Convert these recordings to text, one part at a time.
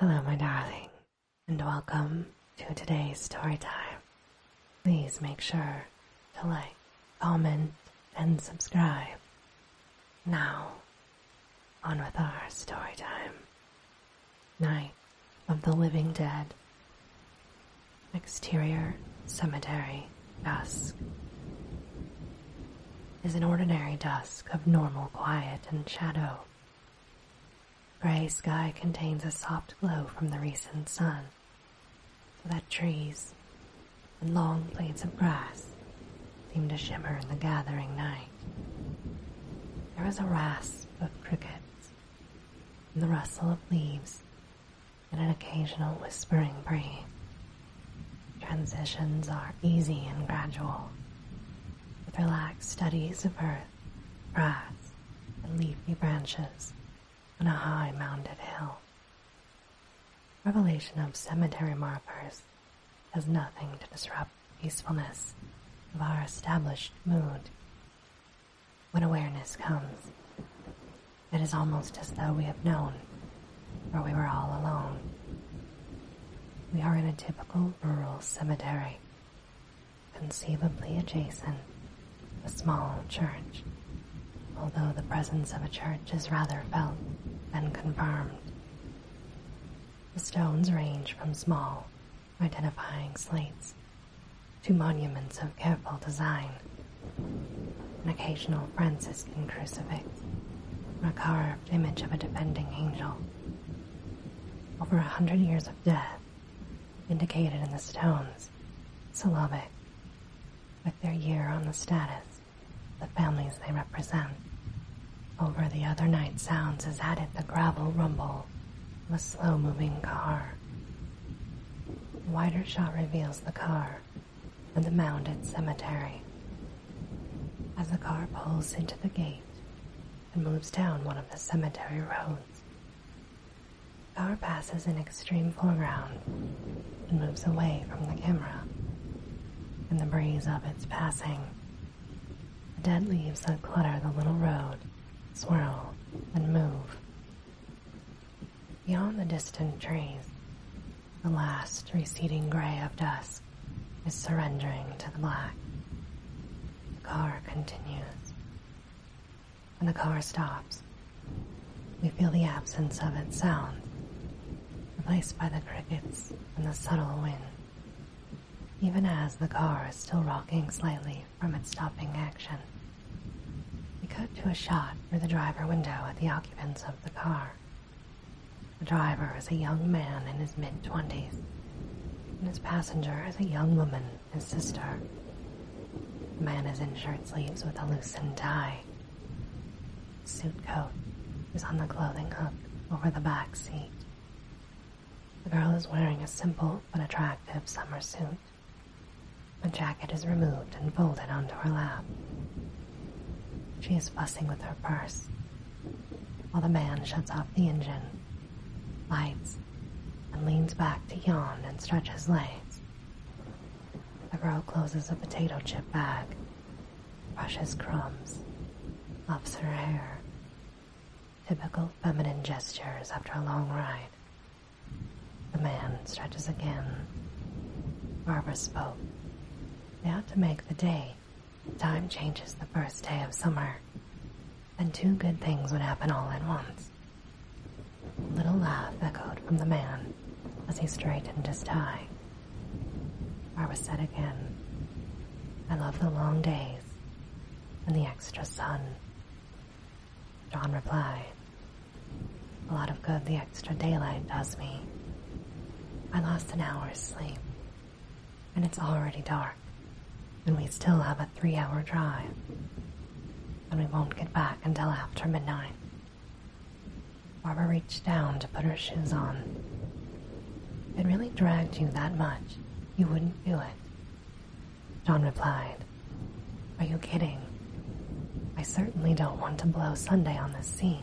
Hello, my darling, and welcome to today's story time. Please make sure to like, comment, and subscribe. Now, on with our story time. Night of the Living Dead. Exterior Cemetery Dusk is an ordinary dusk of normal quiet and shadow Gray sky contains a soft glow from the recent sun, so that trees and long blades of grass seem to shimmer in the gathering night. There is a rasp of crickets, and the rustle of leaves, and an occasional whispering breeze. Transitions are easy and gradual, with relaxed studies of earth, grass, and leafy branches on a high mounded hill. Revelation of cemetery markers has nothing to disrupt the peacefulness of our established mood. When awareness comes, it is almost as though we have known where we were all alone. We are in a typical rural cemetery Conceivably adjacent, a small church, although the presence of a church is rather felt than confirmed. The stones range from small, identifying slates to monuments of careful design. An occasional Franciscan crucifix, or a carved image of a defending angel. Over a hundred years of death indicated in the stones, syllabic, with their year on the status, the families they represent. Over the other night sounds is added the gravel rumble of a slow moving car. wider shot reveals the car and the mounded cemetery. As the car pulls into the gate, and moves down one of the cemetery roads. Power passes in extreme foreground and moves away from the camera. In the breeze of its passing, dead leaves that clutter the little road swirl and move. Beyond the distant trees, the last receding gray of dusk is surrendering to the black. The car continues. When the car stops, we feel the absence of its sound, replaced by the crickets and the subtle wind, even as the car is still rocking slightly from its stopping action. We cut to a shot through the driver window at the occupants of the car. The driver is a young man in his mid twenties and his passenger is a young woman, his sister. The man is in shirt sleeves with a loosened tie. suit coat is on the clothing hook over the back seat. The girl is wearing a simple but attractive summer suit. A jacket is removed and folded onto her lap. She is fussing with her purse, while the man shuts off the engine lights, and leans back to yawn and stretch his legs. The girl closes a potato chip bag, brushes crumbs, mops her hair. Typical feminine gestures after a long ride. The man stretches again. Barbara spoke. They ought to make the day. The time changes the first day of summer then two good things would happen all at once. A little laugh echoed from the man as he straightened his tie. I was said again, I love the long days and the extra sun. John replied, A lot of good the extra daylight does me. I lost an hour's sleep and it's already dark, and we still have a three hour drive, and we won't get back until after midnight. Barbara reached down to put her shoes on. it really dragged you that much, you wouldn't do it. John replied, Are you kidding? I certainly don't want to blow Sunday on this scene.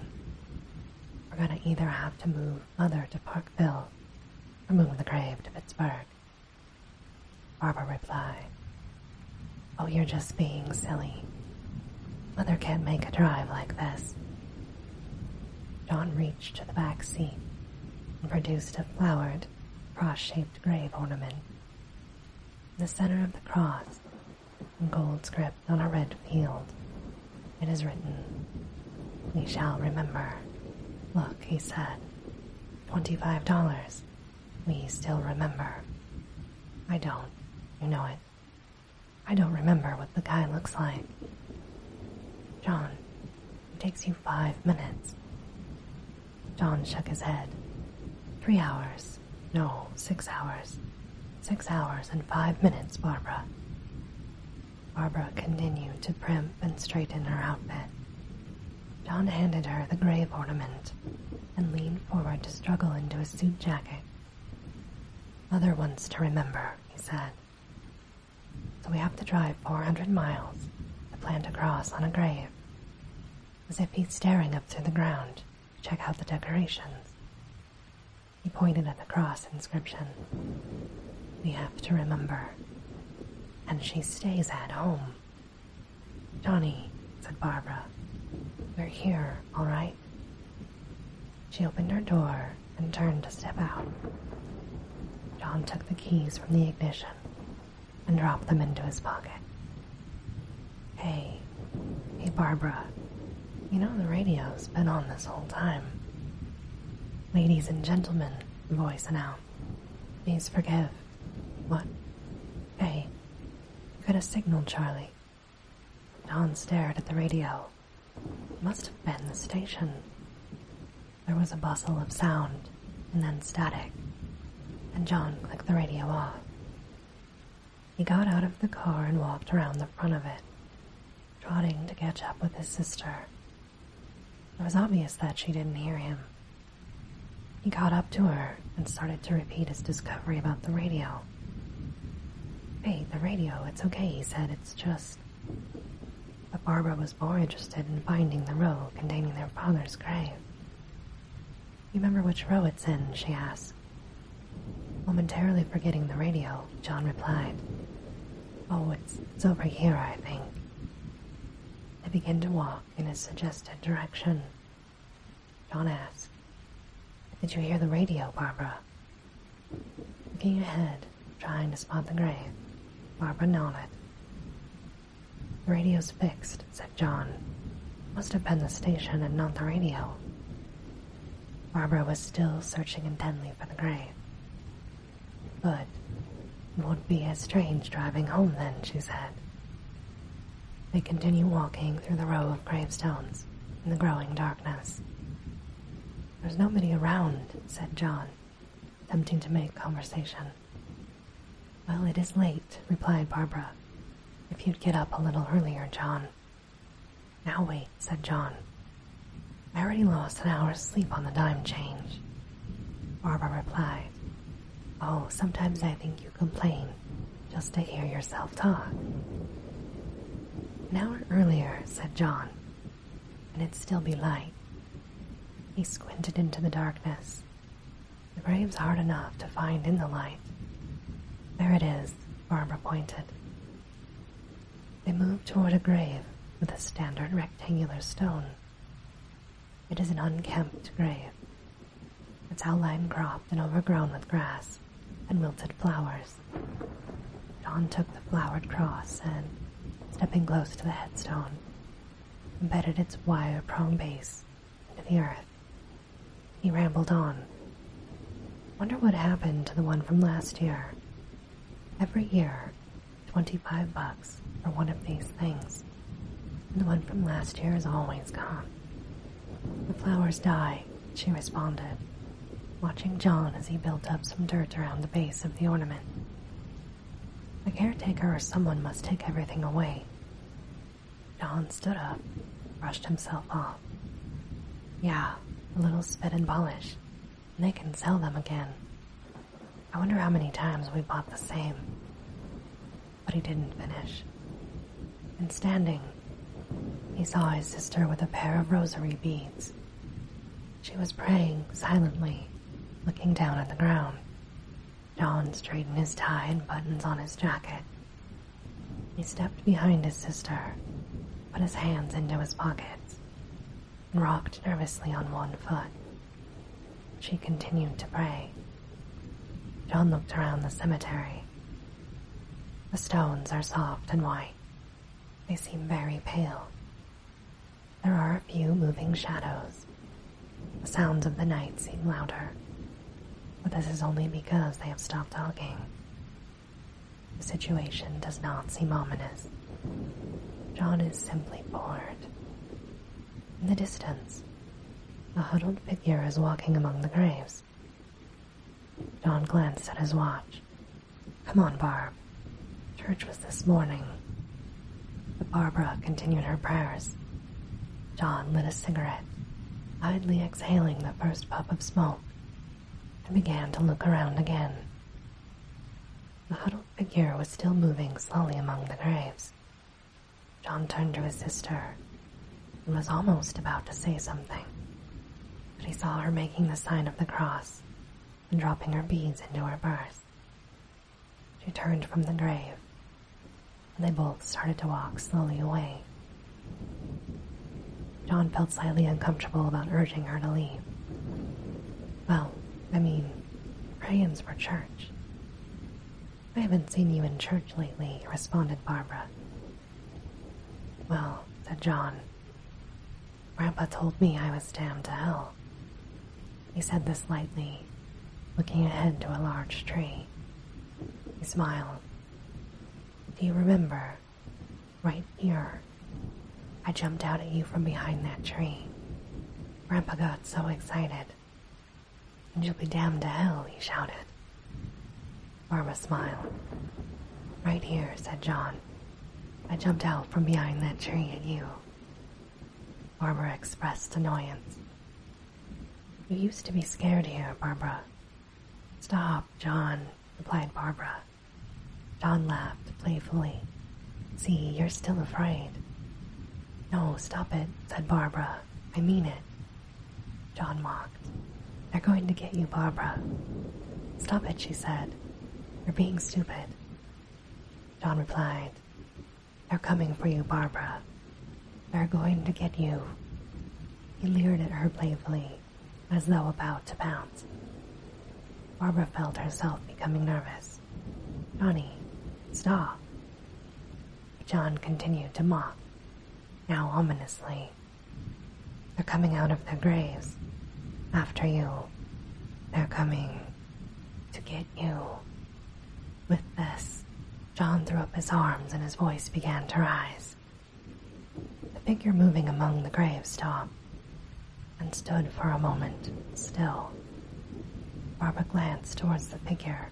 We're gonna either have to move mother to Parkville, remove the grave to Pittsburgh. Barbara replied, Oh, you're just being silly. Mother can't make a drive like this. John reached to the back seat and produced a flowered, cross-shaped grave ornament. In the center of the cross, in gold script on a red field, it is written, we shall remember. Look, he said. Twenty-five dollars. We still remember. I don't. You know it. I don't remember what the guy looks like. John, it takes you five minutes. John shook his head. Three hours. No, six hours. Six hours and five minutes, Barbara. Barbara continued to primp and straighten her outfit. John handed her the grave ornament and leaned forward to struggle into his suit jacket. Mother wants to remember, he said. So we have to drive 400 miles to plant a cross on a grave. As if he's staring up through the ground to check out the decorations. He pointed at the cross inscription. We have to remember and she stays at home. Johnny, said Barbara, we're here, all right? She opened her door and turned to step out. John took the keys from the ignition and dropped them into his pocket. Hey, hey, Barbara, you know the radio's been on this whole time. Ladies and gentlemen, the voice announced. Please forgive. What? Hey, you could a signal, Charlie. Don stared at the radio. It must have been the station. There was a bustle of sound, and then static, and John clicked the radio off. He got out of the car and walked around the front of it, trotting to catch up with his sister it was obvious that she didn't hear him. He got up to her and started to repeat his discovery about the radio. Hey, the radio, it's okay, he said, it's just. But Barbara was more interested in finding the row containing their father's grave. You remember which row it's in? she asked. Momentarily forgetting the radio, John replied, Oh, it's, it's over here, I think. They begin to walk in a suggested direction. John asks, Did you hear the radio, Barbara? Looking ahead, trying to spot the grave, Barbara nodded. The radio's fixed, said John. Must have been the station and not the radio. Barbara was still searching intently for the grave. But it would be as strange driving home then, she said. They continued walking through the row of gravestones in the growing darkness. There's nobody around, said John, attempting to make conversation. Well, it is late, replied Barbara. If you'd get up a little earlier, John. Now wait, said John. I already lost an hour's sleep on the dime change. Barbara replied, Oh, sometimes I think you complain just to hear yourself talk. An hour earlier, said John, and it'd still be light. He squinted into the darkness. The grave's hard enough to find in the light. There it is, Barbara pointed. They moved toward a grave with a standard rectangular stone. It is an unkempt grave, its outline cropped and overgrown with grass and wilted flowers. John took the flowered cross and, stepping close to the headstone, embedded its wire prong base into the earth. He rambled on. Wonder what happened to the one from last year. Every year, 25 bucks for one of these things. The one from last year is always gone. The flowers die, she responded, watching John as he built up some dirt around the base of the ornament. A caretaker or someone must take everything away. John stood up, brushed himself off. Yeah, a little spit and polish. and They can sell them again. I wonder how many times we bought the same. But he didn't finish. And standing, he saw his sister with a pair of rosary beads. She was praying silently, looking down at the ground. John straightened his tie and buttons on his jacket. He stepped behind his sister, put his hands into his pockets, and rocked nervously on one foot. She continued to pray. John looked around the cemetery. The stones are soft and white. They seem very pale. There are a few moving shadows. The sounds of the night seem louder, but this is only because they have stopped talking. The situation does not seem ominous. John is simply bored. In the distance, a huddled figure is walking among the graves. John glanced at his watch. Come on, Barb. Church was this morning. But Barbara continued her prayers. John lit a cigarette, idly exhaling the first puff of smoke, and began to look around again. The huddled gaunt figure was still moving slowly among the graves. John turned to his sister and was almost about to say something, but he saw her making the sign of the cross and dropping her beads into her purse. She turned from the grave, and they both started to walk slowly away. John felt slightly uncomfortable about urging her to leave. Well, I mean, Ryan's for church. I haven't seen you in church lately, responded Barbara. Well, said John, Grandpa told me I was damned to hell. He said this lightly, looking ahead to a large tree. He smiled. Do you remember? Right here. I jumped out at you from behind that tree. Grandpa got so excited. And you'll be damned to hell, he shouted. Barbara smiled. Right here, said John. I jumped out from behind that tree at you. Barbara expressed annoyance. You used to be scared here, Barbara. Stop, John, replied Barbara. John laughed playfully. See, you're still afraid. No, stop it, said Barbara. I mean it. John mocked. They're going to get you, Barbara. Stop it, she said. You're being stupid. John replied, They're coming for you, Barbara. They're going to get you. He leered at her playfully, as though about to pounce. Barbara felt herself becoming nervous. Johnny, stop. John continued to mock, now ominously. They're coming out of their graves. After you. They're coming to get you. With this, John threw up his arms and his voice began to rise. The figure moving among the graves stopped and stood for a moment still. Barbara glanced towards the figure,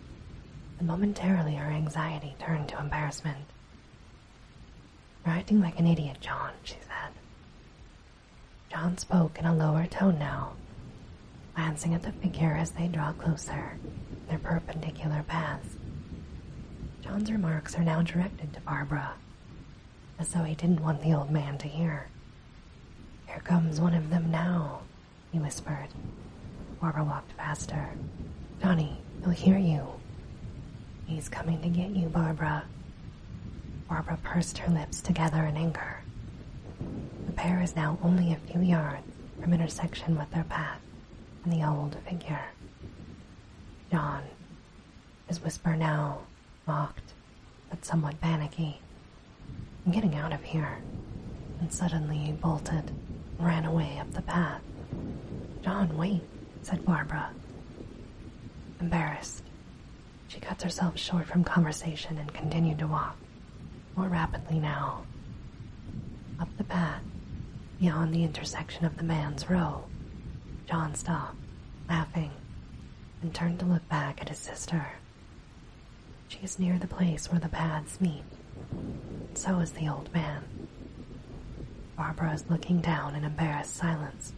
and momentarily her anxiety turned to embarrassment. You're acting like an idiot, John, she said. John spoke in a lower tone now, glancing at the figure as they draw closer, their perpendicular paths. John's remarks are now directed to Barbara, as though he didn't want the old man to hear. Here comes one of them now, he whispered. Barbara walked faster. Johnny, he'll hear you. He's coming to get you, Barbara. Barbara pursed her lips together in anger. The pair is now only a few yards from intersection with their path and the old figure. John, his whisper now mocked but somewhat panicky. I'm getting out of here. And suddenly he bolted, ran away up the path. John, wait, said Barbara. Embarrassed, she cuts herself short from conversation and continued to walk, more rapidly now. Up the path, beyond the intersection of the man's road, John stopped, laughing, and turned to look back at his sister. She is near the place where the paths meet. So is the old man. Barbara is looking down in embarrassed silence,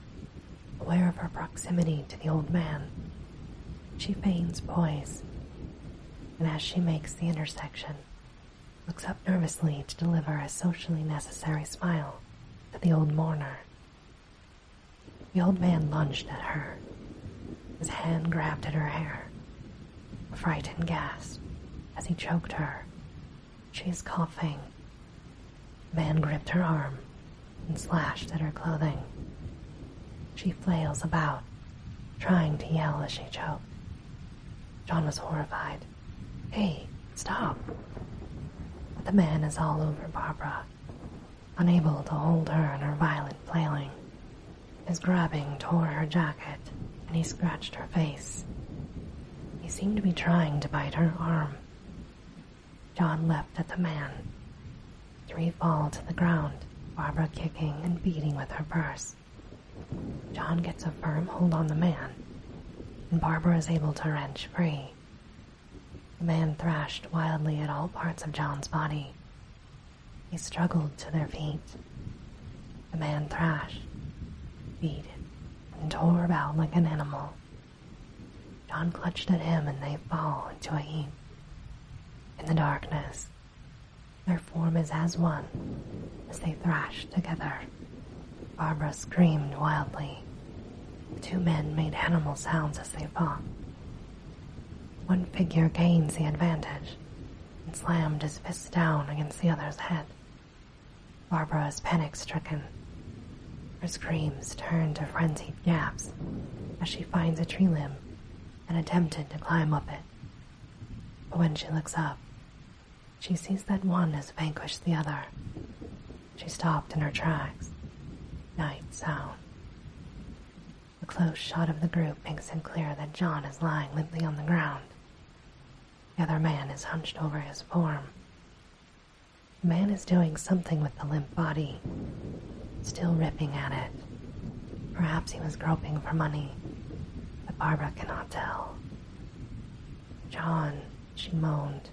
aware of her proximity to the old man. She feigns poise, and as she makes the intersection, looks up nervously to deliver a socially necessary smile to the old mourner. The old man lunged at her. His hand grabbed at her hair. A frightened gasp as he choked her. She is coughing. man gripped her arm and slashed at her clothing. She flails about, trying to yell as she choked. John was horrified. Hey, stop. the man is all over Barbara unable to hold her in her violent flailing. His grabbing tore her jacket, and he scratched her face. He seemed to be trying to bite her arm. John leapt at the man. Three fall to the ground, Barbara kicking and beating with her purse. John gets a firm hold on the man, and Barbara is able to wrench free. The man thrashed wildly at all parts of John's body, they struggled to their feet. The man thrashed, beat, and tore about like an animal. John clutched at him and they fall into a heap. In the darkness, their form is as one as they thrash together. Barbara screamed wildly. The two men made animal sounds as they fought. One figure gains the advantage and slammed his fist down against the other's head. Barbara is panic stricken. Her screams turn to frenzied gasps as she finds a tree limb and attempted to climb up it. But when she looks up, she sees that one has vanquished the other. She stopped in her tracks. Night sound. A close shot of the group makes it clear that John is lying limply on the ground. The other man is hunched over his form. The man is doing something with the limp body, still ripping at it. Perhaps he was groping for money, but Barbara cannot tell. John, she moaned.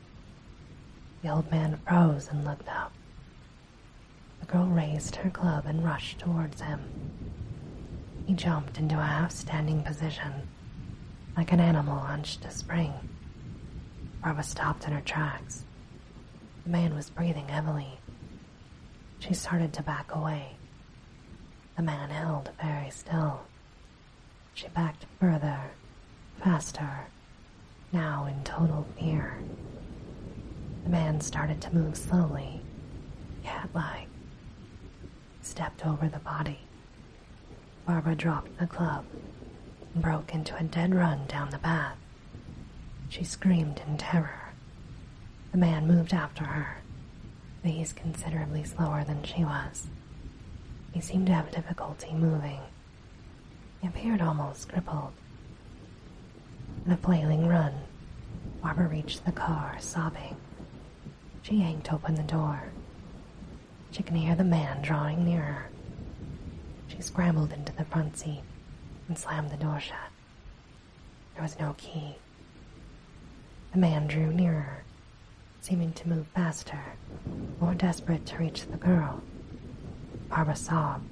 The old man froze and looked up. The girl raised her club and rushed towards him. He jumped into a half standing position, like an animal hunched to spring. Barbara stopped in her tracks. The man was breathing heavily. She started to back away. The man held very still. She backed further, faster, now in total fear. The man started to move slowly, cat like, stepped over the body. Barbara dropped the club and broke into a dead run down the path. She screamed in terror. The man moved after her, but he was considerably slower than she was. He seemed to have difficulty moving. He appeared almost crippled called. In a flailing run, Barbara reached the car, sobbing. She yanked open the door. She can hear the man drawing nearer. She scrambled into the front seat and slammed the door shut. There was no key. The man drew nearer, seeming to move faster, more desperate to reach the girl. Barbara sobbed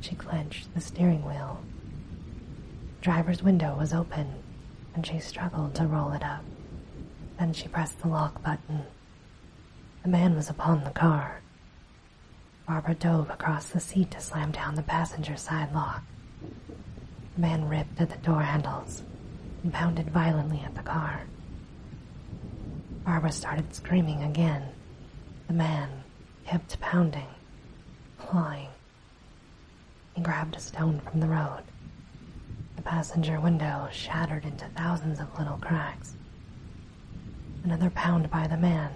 she clenched the steering wheel. Driver's window was open, and she struggled to roll it up. Then she pressed the lock button. The man was upon the car. Barbara dove across the seat to slam down the passenger side lock. The man ripped at the door handles and pounded violently at the car. Barbara started screaming again. The man kept pounding flying. He grabbed a stone from the road. The passenger window shattered into thousands of little cracks. Another pound by the man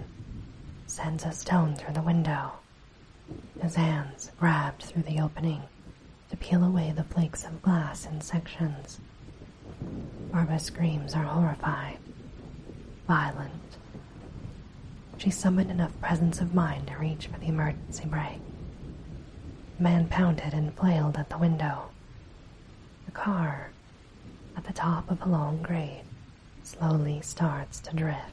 sends a stone through the window. His hands grabbed through the opening to peel away the flakes of glass in sections. Barbara's screams are horrified, violent, she summoned enough presence of mind to reach for the emergency brake. The man pounded and flailed at the window. The car, at the top of a long grade, slowly starts to drift.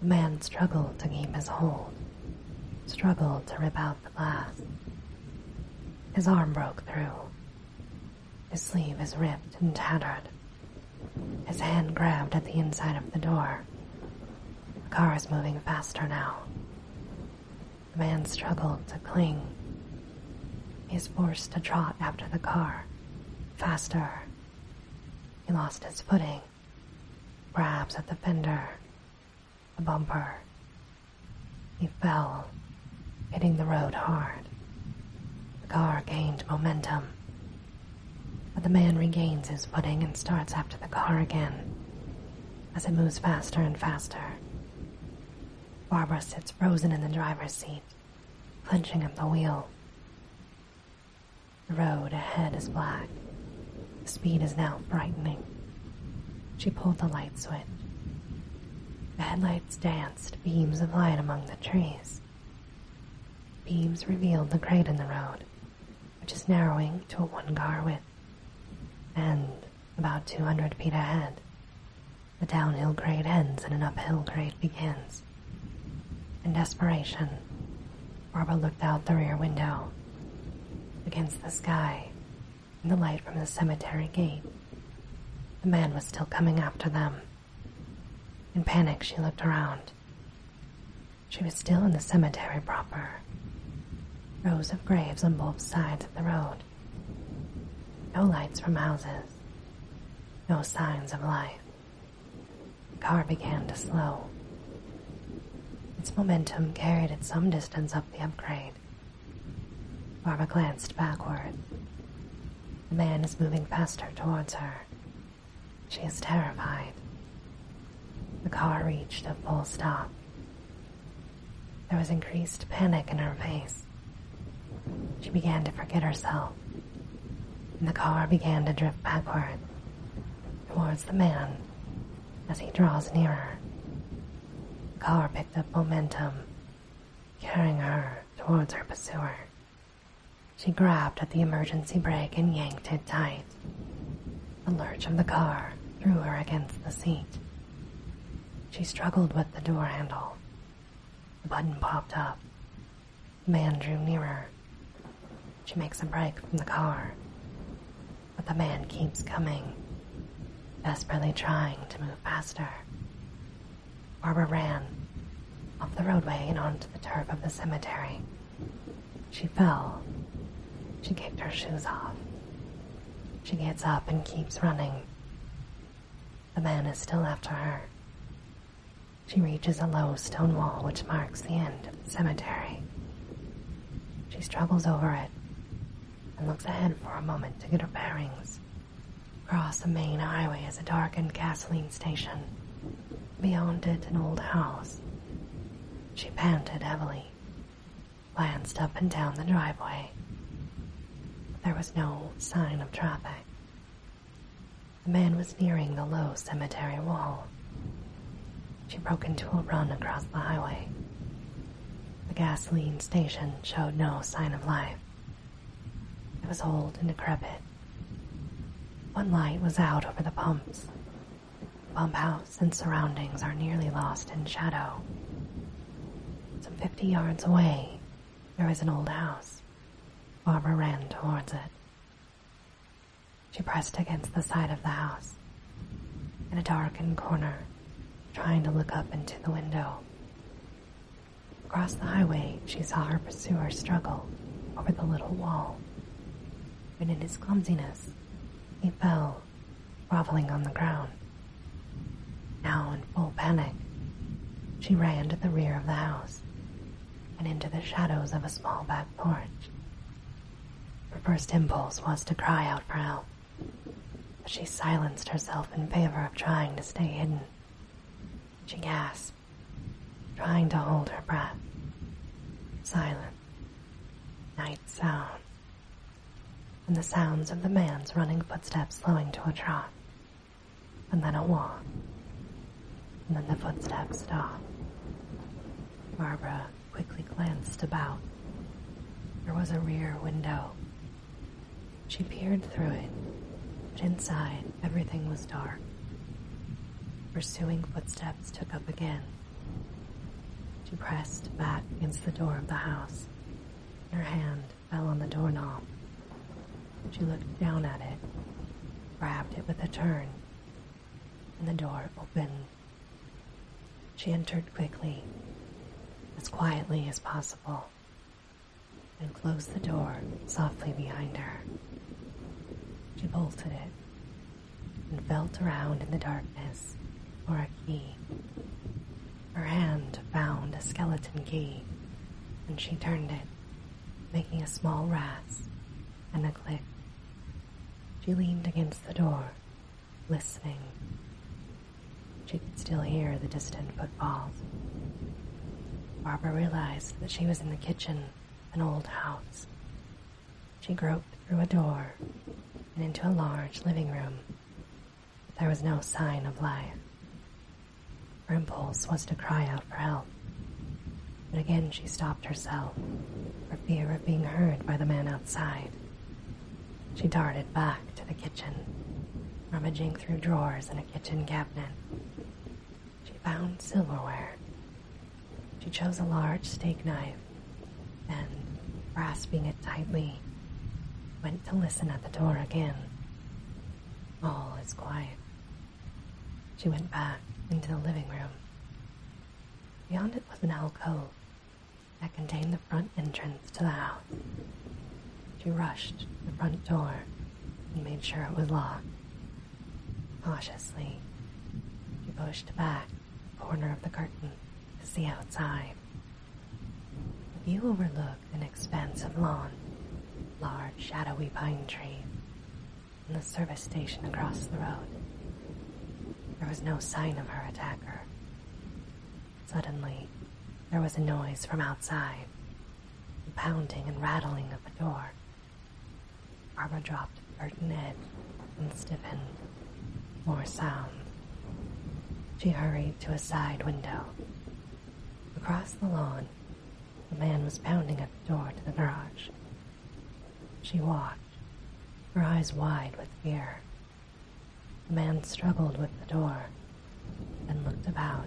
The man struggled to keep his hold, struggled to rip out the glass. His arm broke through. His sleeve is ripped and tattered. His hand grabbed at the inside of the door. The car is moving faster now. The man struggled to cling. He is forced to trot after the car, faster. He lost his footing, grabs at the fender, the bumper. He fell, hitting the road hard. The car gained momentum. But the man regains his footing and starts after the car again as it moves faster and faster. Barbara sits frozen in the driver's seat, clenching up the wheel. The road ahead is black. The speed is now brightening. She pulled the light switch. The headlights danced beams of light among the trees. Beams revealed the grade in the road, which is narrowing to a one-car width, and about 200 feet ahead, the downhill grade ends and an uphill grade begins. In desperation, Barbara looked out the rear window. Against the sky, in the light from the cemetery gate, the man was still coming after them. In panic, she looked around. She was still in the cemetery proper, rows of graves on both sides of the road. No lights from houses, no signs of life. The car began to slow. Its momentum carried it some distance up the upgrade. Barbara glanced backward. The man is moving faster towards her. She is terrified. The car reached a full stop. There was increased panic in her face. She began to forget herself, the car began to drift backward towards the man as he draws nearer. The car picked up momentum, carrying her towards her pursuer. She grabbed at the emergency brake and yanked it tight. The lurch of the car threw her against the seat. She struggled with the door handle. The button popped up. The man drew nearer. She makes a break from the car. But the man keeps coming, desperately trying to move faster. Barbara ran off the roadway and onto the turf of the cemetery. She fell. She kicked her shoes off. She gets up and keeps running. The man is still after her. She reaches a low stone wall which marks the end of the cemetery. She struggles over it and looks ahead for a moment to get her bearings. Across the main highway is a darkened gasoline station. Beyond it, an old house. She panted heavily, glanced up and down the driveway. There was no sign of traffic. The man was nearing the low cemetery wall. She broke into a run across the highway. The gasoline station showed no sign of life. It was old and decrepit. One light was out over the pumps. pump house and surroundings are nearly lost in shadow. Some fifty yards away, there is an old house. Barbara ran towards it. She pressed against the side of the house, in a darkened corner, trying to look up into the window. Across the highway, she saw her pursuer struggle over the little wall. But in his clumsiness, he fell, groveling on the ground. Now in full panic, she ran to the rear of the house and into the shadows of a small back porch. Her first impulse was to cry out for help, but she silenced herself in favor of trying to stay hidden. She gasped trying to hold her breath. Silence. Night sounds, And the sounds of the man's running footsteps slowing to a trot. And then a walk. And then the footsteps stop. Barbara quickly glanced about. There was a rear window. She peered through it, but inside everything was dark. Pursuing footsteps took up again. She pressed back against the door of the house. Her hand fell on the doorknob. She looked down at it, grabbed it with a turn, and the door opened. She entered quickly, as quietly as possible and closed the door softly behind her. She bolted it and felt around in the darkness for a key. Her hand found a skeleton key and she turned it, making a small rasp and a click. She leaned against the door, listening. She could still hear the distant footfalls. Barbara realized that she was in the kitchen an old house. She groped through a door and into a large living room. There was no sign of life. Her impulse was to cry out for help, but again she stopped herself for fear of being heard by the man outside. She darted back to the kitchen, rummaging through drawers in a kitchen cabinet. She found silverware. She chose a large steak knife and, grasping it tightly, went to listen at the door again. All is quiet. She went back into the living room. Beyond it was an alcove that contained the front entrance to the house. She rushed to the front door and made sure it was locked. Cautiously, he pushed back the corner of the curtain to see outside. The overlooked an expanse of lawn, large shadowy pine trees, and the service station across the road. There was no sign of her attacker. Suddenly, there was a noise from outside, the pounding and rattling of a door. Arma dropped her head and stiffened. More sounds. She hurried to a side window. Across the lawn, a man was pounding at the door to the garage. She watched, her eyes wide with fear. The man struggled with the door, then looked about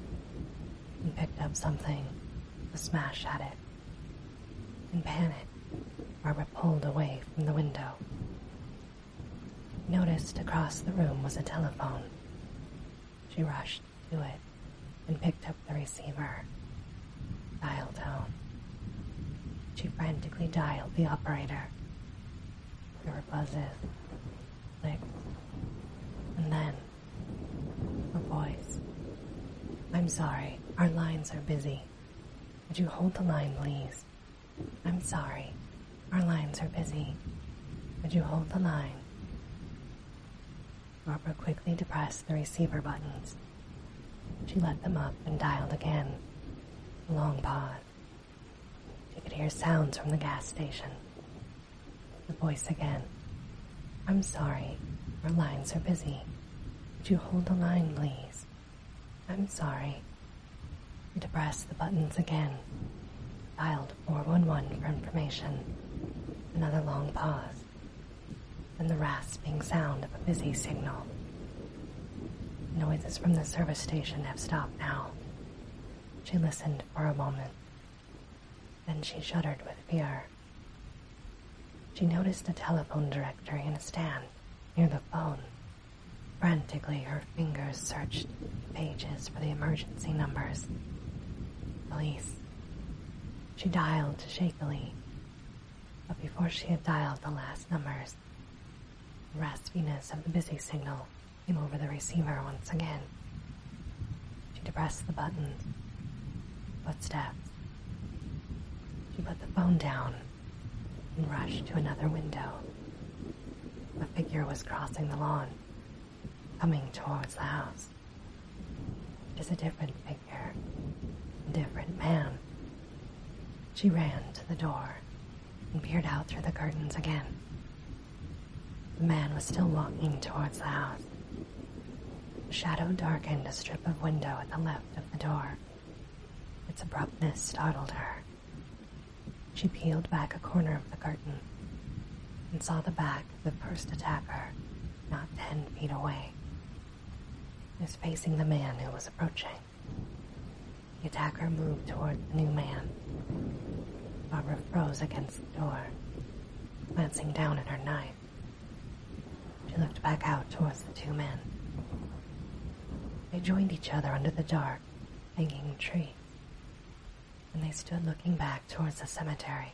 and picked up something to smash at it. In panic, Barbara pulled away from the window. Noticed across the room was a telephone. She rushed to it and picked up the receiver. Dial tone. She frantically dialed the operator. There were buzzes, clicks, and then a voice. I'm sorry, our lines are busy. Would you hold the line, please? I'm sorry, our lines are busy. Would you hold the line? Barbara quickly depressed the receiver buttons. She let them up and dialed again. long pause. She could hear sounds from the gas station. The voice again. I'm sorry, our lines are busy. Would you hold the line, please? I'm sorry. And to press the buttons again. Dialed 411 for information. Another long pause. Then the rasping sound of a busy signal. Noises from the service station have stopped now. She listened for a moment. Then she shuddered with fear. She noticed a telephone directory in a stand near the phone. Frantically, her fingers searched pages for the emergency numbers. Police. She dialed shakily, but before she had dialed the last numbers, the raspiness of the busy signal came over the receiver once again. She depressed the button. Footsteps. She put the phone down and rushed to another window. A figure was crossing the lawn, coming towards the house. It was a different figure, different man. She ran to the door and peered out through the curtains again. The man was still walking towards the house. Shadow darkened a strip of window at the left of the door. Its abruptness startled her. She peeled back a corner of the curtain and saw the back of the first attacker not ten feet away. was facing the man who was approaching. The attacker moved toward the new man. Barbara froze against the door, glancing down at her knife. She looked back out towards the two men. They joined each other under the dark, hanging tree, and they stood looking back towards the cemetery.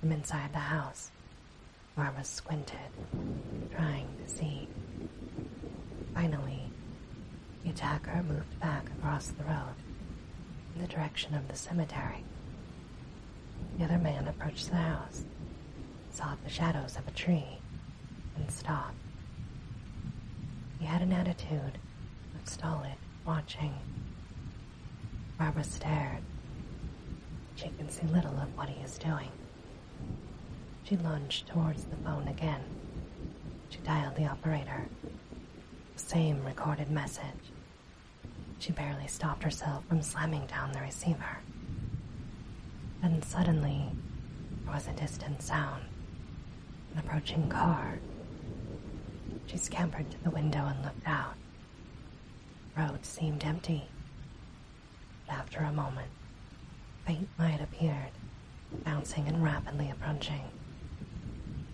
From inside the house, Marva squinted, trying to see. Finally, the attacker moved back across the road in the direction of the cemetery. The other man approached the house, saw the shadows of a tree, and stopped. He had an attitude of stolid watching. Barbara stared. She can see little of what he is doing. She lunged towards the phone again. She dialed the operator. The same recorded message. She barely stopped herself from slamming down the receiver. Then suddenly, there was a distant sound an approaching car. She scampered to the window and looked out. The road seemed empty. But after a moment, faint light appeared, bouncing and rapidly approaching.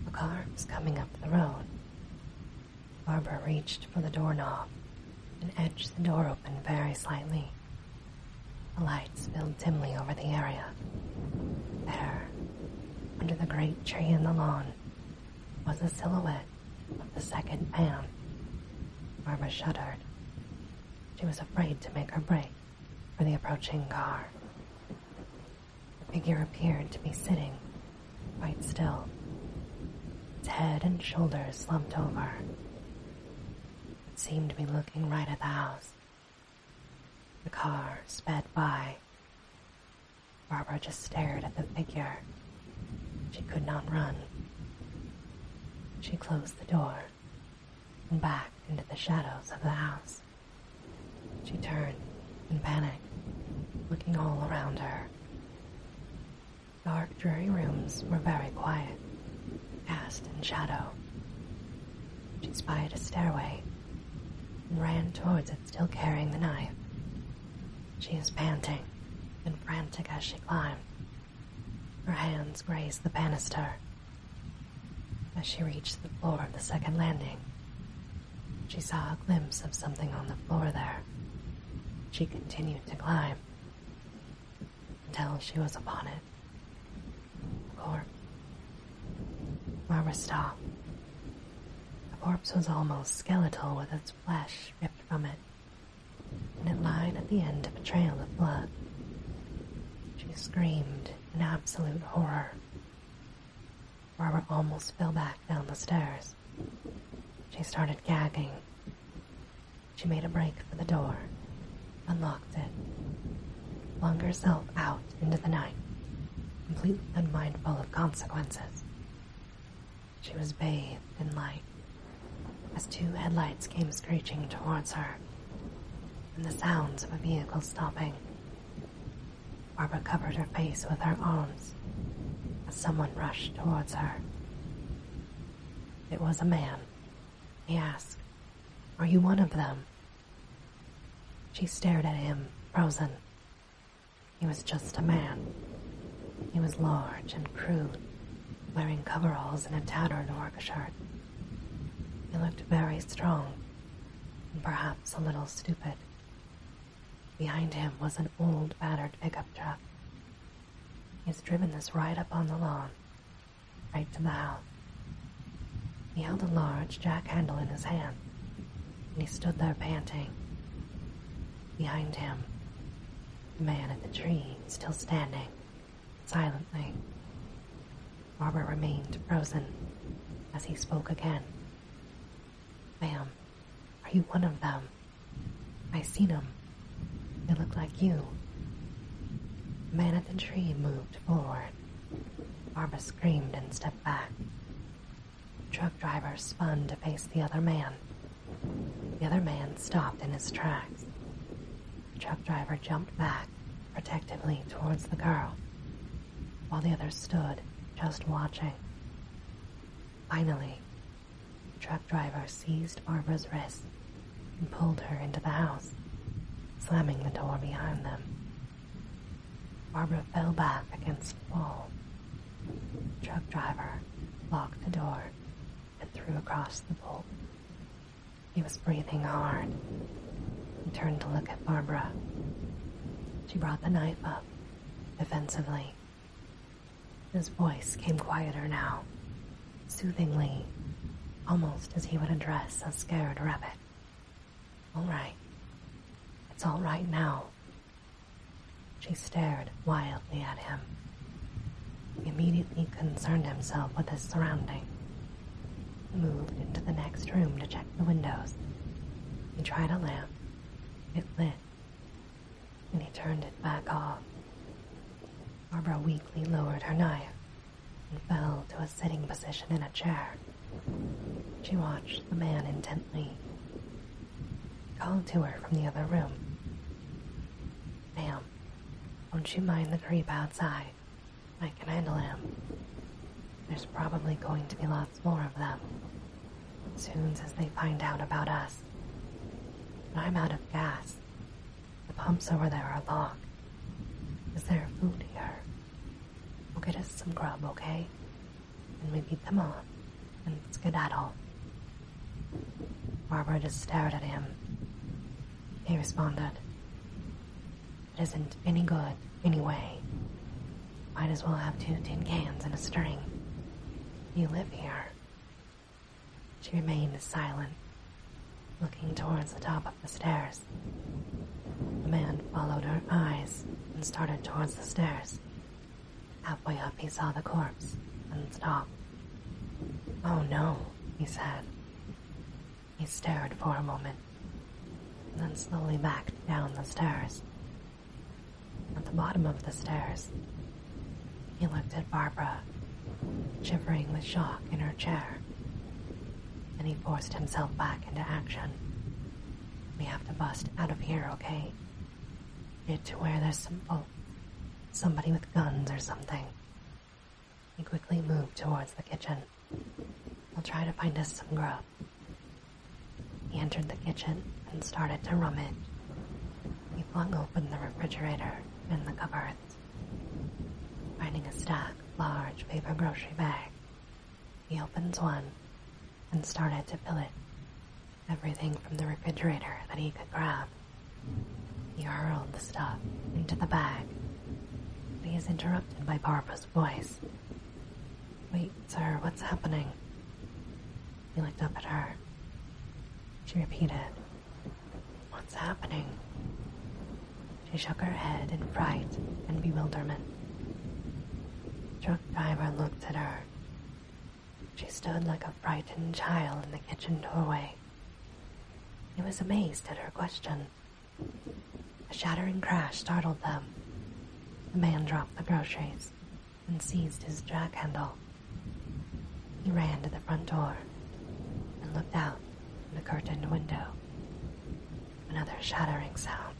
A car was coming up the road. Barbara reached for the doorknob and edged the door open very slightly. The light spilled dimly over the area. There, under the great tree in the lawn, was the silhouette of the second man. Barbara shuddered. She was afraid to make her break for the approaching car. The figure appeared to be sitting quite still, its head and shoulders slumped over. It seemed to be looking right at the house. The car sped by. Barbara just stared at the figure. She could not run. She closed the door and back into the shadows of the house. She turned in panic, looking all around her dark, dreary rooms were very quiet, cast in shadow. She spied a stairway and ran towards it, still carrying the knife. She was panting and frantic as she climbed. Her hands grazed the banister. As she reached the floor of the second landing, she saw a glimpse of something on the floor there. She continued to climb until she was upon it. The corpse. stopped. The corpse was almost skeletal with its flesh ripped from it, and it lied at the end of a trail of blood. She screamed in absolute horror. Barbara almost fell back down the stairs. She started gagging. She made a break for the door, unlocked it, flung herself out into the night, completely unmindful of consequences. She was bathed in light as two headlights came screeching towards her and the sounds of a vehicle stopping. Barbara covered her face with her arms as someone rushed towards her. It was a man. He asked, Are you one of them? She stared at him, frozen. He was just a man. He was large and crude, wearing coveralls and a tattered work shirt. He looked very strong, and perhaps a little stupid. Behind him was an old, battered pickup truck. He's driven this right up on the lawn, right to the house. He held a large jack handle in his hand, and he stood there panting. Behind him, the man in the tree still standing, silently. Barbara remained frozen as he spoke again. Ma'am, are you one of them? I seen them. They look like you. Man at the tree moved forward. Barbara screamed and stepped back. Truck driver spun to face the other man. The other man stopped in his tracks. Truck driver jumped back protectively towards the girl, while the other stood just watching. Finally, the truck driver seized Barbara's wrist and pulled her into the house, slamming the door behind them. Barbara fell back against the wall. The truck driver locked the door and threw across the bolt. He was breathing hard. He turned to look at Barbara. She brought the knife up, defensively. His voice came quieter now, soothingly, almost as he would address a scared rabbit. All right. It's all right now. She stared wildly at him. He immediately concerned himself with his surroundings. moved into the next room to check the windows. He tried a lamp. It lit, and he turned it back off. Barbara weakly lowered her knife and fell to a sitting position in a chair. She watched the man intently. He called to her from the other room. Ma'am, won't you mind the creep outside? I can handle him. There's probably going to be lots more of them soon as they find out about us. But I'm out of gas. The pumps over there are locked. Is there food here? We'll get us some grub, okay? And we beat them off and skedaddle. Barbara just stared at him. He responded, It isn't any good, anyway. Might as well have two tin cans and a string. You live here. She remained silent, looking towards the top of the stairs. The man followed her eyes and started towards the stairs. Halfway up, he saw the corpse and stopped. Oh no, he said. He stared for a moment, then slowly backed down the stairs at the bottom of the stairs. He looked at Barbara, shivering with shock in her chair. Then he forced himself back into action. We have to bust out of here, okay? Get to where there's some folk, somebody with guns or something. He quickly moved towards the kitchen. We'll try to find us some grub. He entered the kitchen and started to rummage he flung open the refrigerator and the cupboards. Finding a stack large paper grocery bag. he opens one and started to fill it. Everything from the refrigerator that he could grab. He hurled the stuff into the bag. But he is interrupted by Barbara's voice. Wait, sir, what's happening? He looked up at her. She repeated, What's happening? She shook her head in fright and bewilderment. Truck driver looked at her. She stood like a frightened child in the kitchen doorway. He was amazed at her question. A shattering crash startled them. The man dropped the groceries and seized his jack handle. He ran to the front door and looked out from the curtained window. Another shattering sound.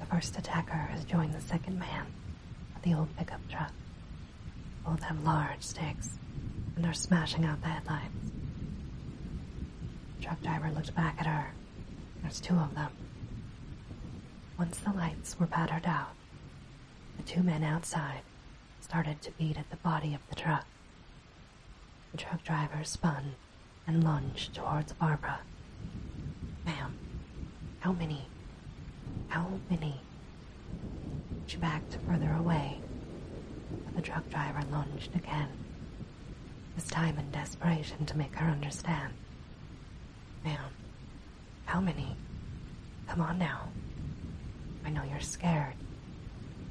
The first attacker has joined the second man at the old pickup truck. Both have large sticks and are smashing out the headlights. The truck driver looked back at her. There's two of them. Once the lights were battered out, the two men outside started to beat at the body of the truck. The truck driver spun and lunged towards Barbara. Ma'am, how many? How many? She backed further away, but the truck driver lunged again, this time in desperation to make her understand. Ma'am, how many? Come on now. I know you're scared,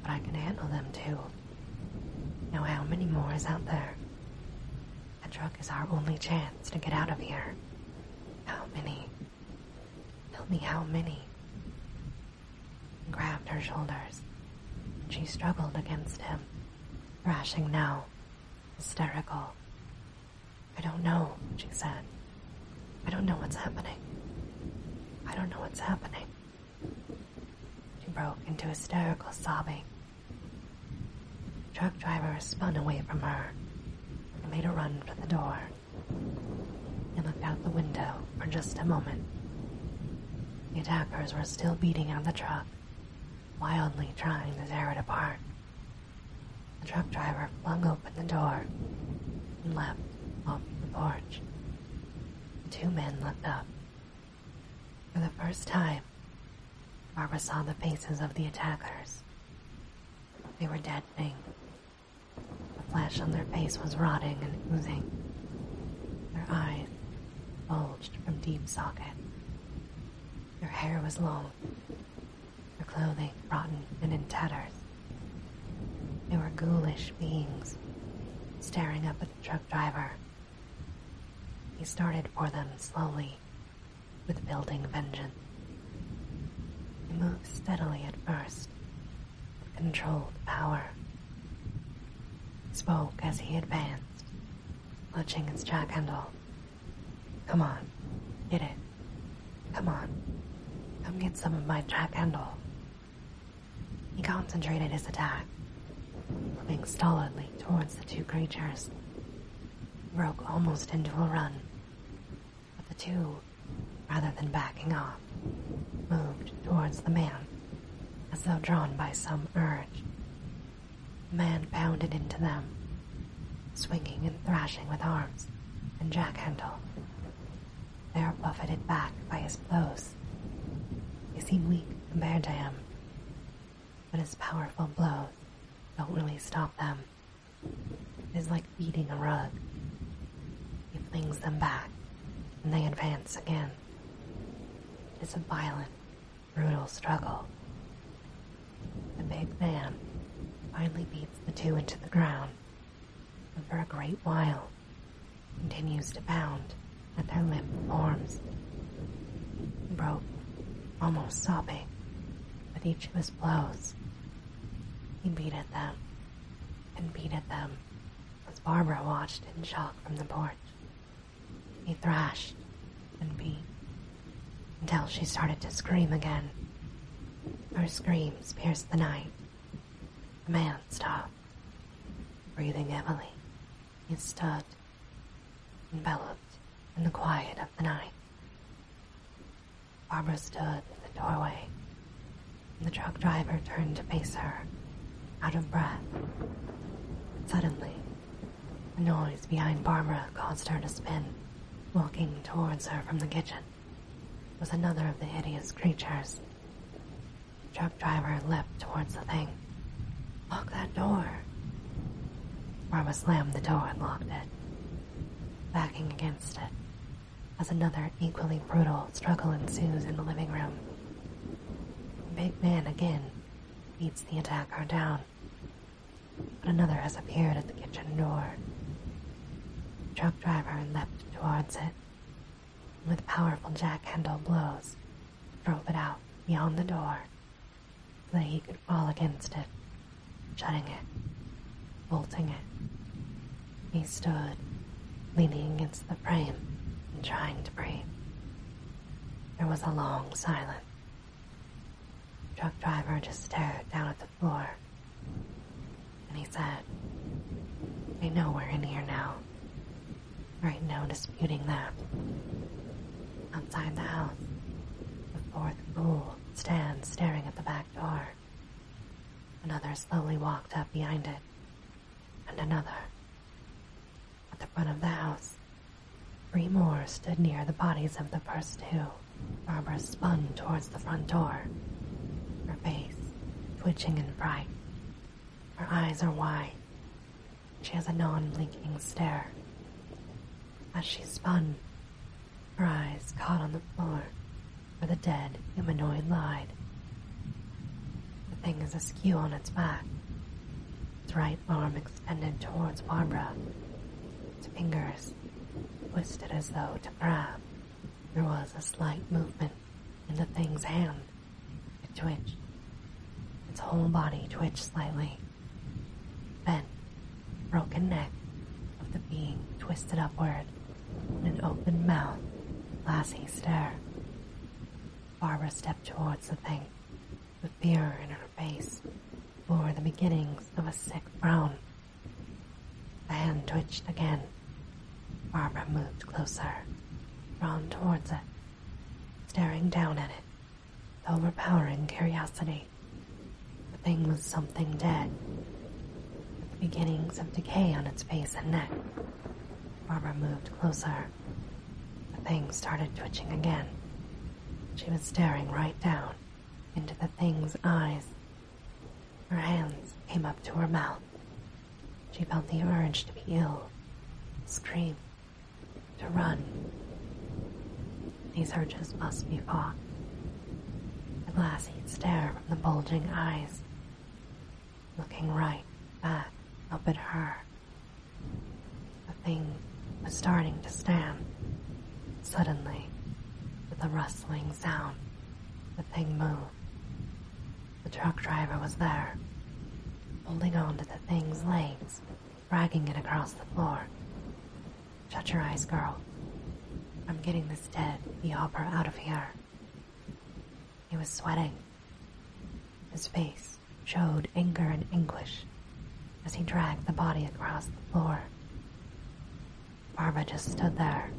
but I can handle them too. Now, how many more is out there? A truck is our only chance to get out of here. How many? Tell me how many. grabbed her shoulders, she struggled against him, thrashing now, hysterical, I don't know, she said. I don't know what's happening. I don't know what's happening. She broke into hysterical sobbing. truck driver spun away from her and made a run for the door. He looked out the window for just a moment. The attackers were still beating on the truck, wildly trying to tear it apart. The truck driver flung open the door and leapt off the porch. The two men looked up. For the first time, Barbara saw the faces of the attackers. They were dead things. The flesh on their face was rotting and oozing. Their eyes bulged from deep socket. Their hair was long their clothing rotten and in tatters. They were ghoulish beings, staring up at the truck driver. He started for them slowly, with building vengeance. He moved steadily at first, controlled power. spoke as he advanced, clutching his jack handle Come on, get it. Come on, come get some of my Jack Handle. He concentrated his attack, moving stolidly towards the two creatures. Broke almost into a run, but the two, rather than backing off, moved towards the man, as though drawn by some urge. The man pounded into them, swinging and thrashing with arms and jack handle. They are buffeted back by his blows. They seem weak compared to him, but his powerful blows don't really stop them. It is like beating a rug. He flings them back, and they advance again. It is a violent, brutal struggle. The big man finally beats the two into the ground and for a great while continues to pound at their limp forms. Broke, almost sobbing, with each of his blows. He beat at them, and beat at them, as Barbara watched in shock from the porch. He thrashed and beat until she started to scream again her screams pierced the night. The man stopped. Breathing heavily, he stood, enveloped in the quiet of the night. Barbara stood in the doorway. The truck driver turned to face her, out of breath. Suddenly, a noise behind Barbara caused her to spin, walking towards her from the kitchen was another of the hideous creatures. truck driver leaped towards the thing. Lock that door. Rama slammed the door and locked it. Backing against it, as another equally brutal struggle ensues in the living room. big man again beats the attacker down, but another has appeared at the kitchen door, truck driver leapt towards it. With powerful jack-handle blows, drove it out beyond the door so that he could fall against it, shutting it, bolting it. He stood, leaning against the frame and trying to breathe. There was a long silence. truck driver just stared down at the floor. And he said, I know we're in here now. Right now, disputing that. Outside the house, the fourth bull stands staring at the back door. Another slowly walked up behind it, and another. At the front of the house, three more stood near the bodies of the first two. Barbara spun towards the front door, her face twitching and bright. Her eyes are wide. She has a non blinking stare. As she spun, her eyes caught on the floor where the dead humanoid lied. The thing is askew on its back, its right arm extended towards Barbara, its fingers twisted as though to grab. There was a slight movement in the thing's hand. It twitched. Its whole body twitched slightly. Bent, broken neck of the being twisted upward in an open mouth, glassy stare. Barbara stepped towards the thing, with fear in her face, bore the beginnings of a sick frown. The hand twitched again. Barbara moved closer, drawn towards it, staring down at it with overpowering curiosity. The thing was something dead, beginnings of decay on its face and neck. Barbara moved closer. The thing started twitching again. She was staring right down into the thing's eyes her hands came up to her mouth. She felt the urge to be ill, scream, to run. These urges must be fought. The glassy stare from the bulging eyes, looking right back up at her. The thing was starting to stand, suddenly, with a rustling sound. The thing moved. The truck driver was there, holding on to the thing's legs, dragging it across the floor. Shut your eyes, girl. I'm getting this dead, the out of here. He was sweating. His face showed anger and anguish as he dragged the body across the floor. Barbara just stood there,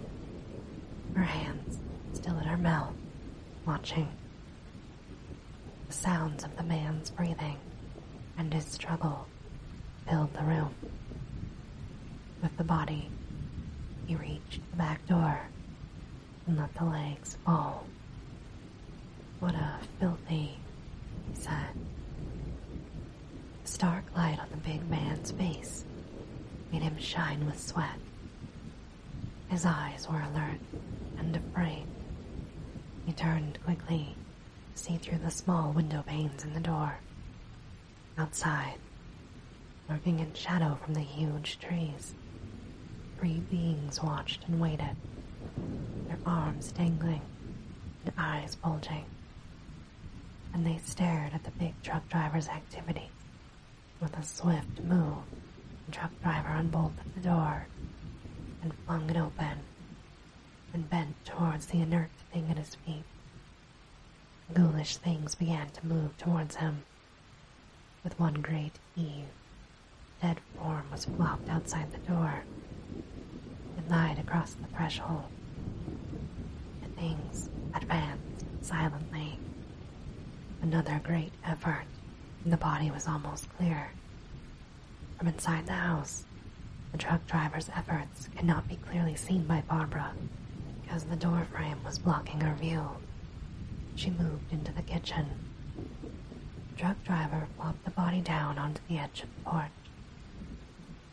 her hands still at her mouth, watching. The sounds of the man's breathing and his struggle filled the room. With the body, he reached the back door and let the legs fall. What a filthy, he said. A stark light on the big man's face made him shine with sweat. His eyes were alert and afraid. He turned quickly to through the small window panes in the door. Outside, lurking in shadow from the huge trees, three beings watched and waited, their arms dangling and eyes bulging and they stared at the big truck driver's activity. With a swift move, the truck driver unbolted the door and flung it open and bent towards the inert thing at his feet. Ghoulish things began to move towards him. With one great heave, dead form was flopped outside the door. It lied across the threshold, the things advanced silently. Another great effort, and the body was almost clear. From inside the house, the truck driver's efforts could not be clearly seen by Barbara because the door frame was blocking her view. She moved into the kitchen. The truck driver flopped the body down onto the edge of the porch.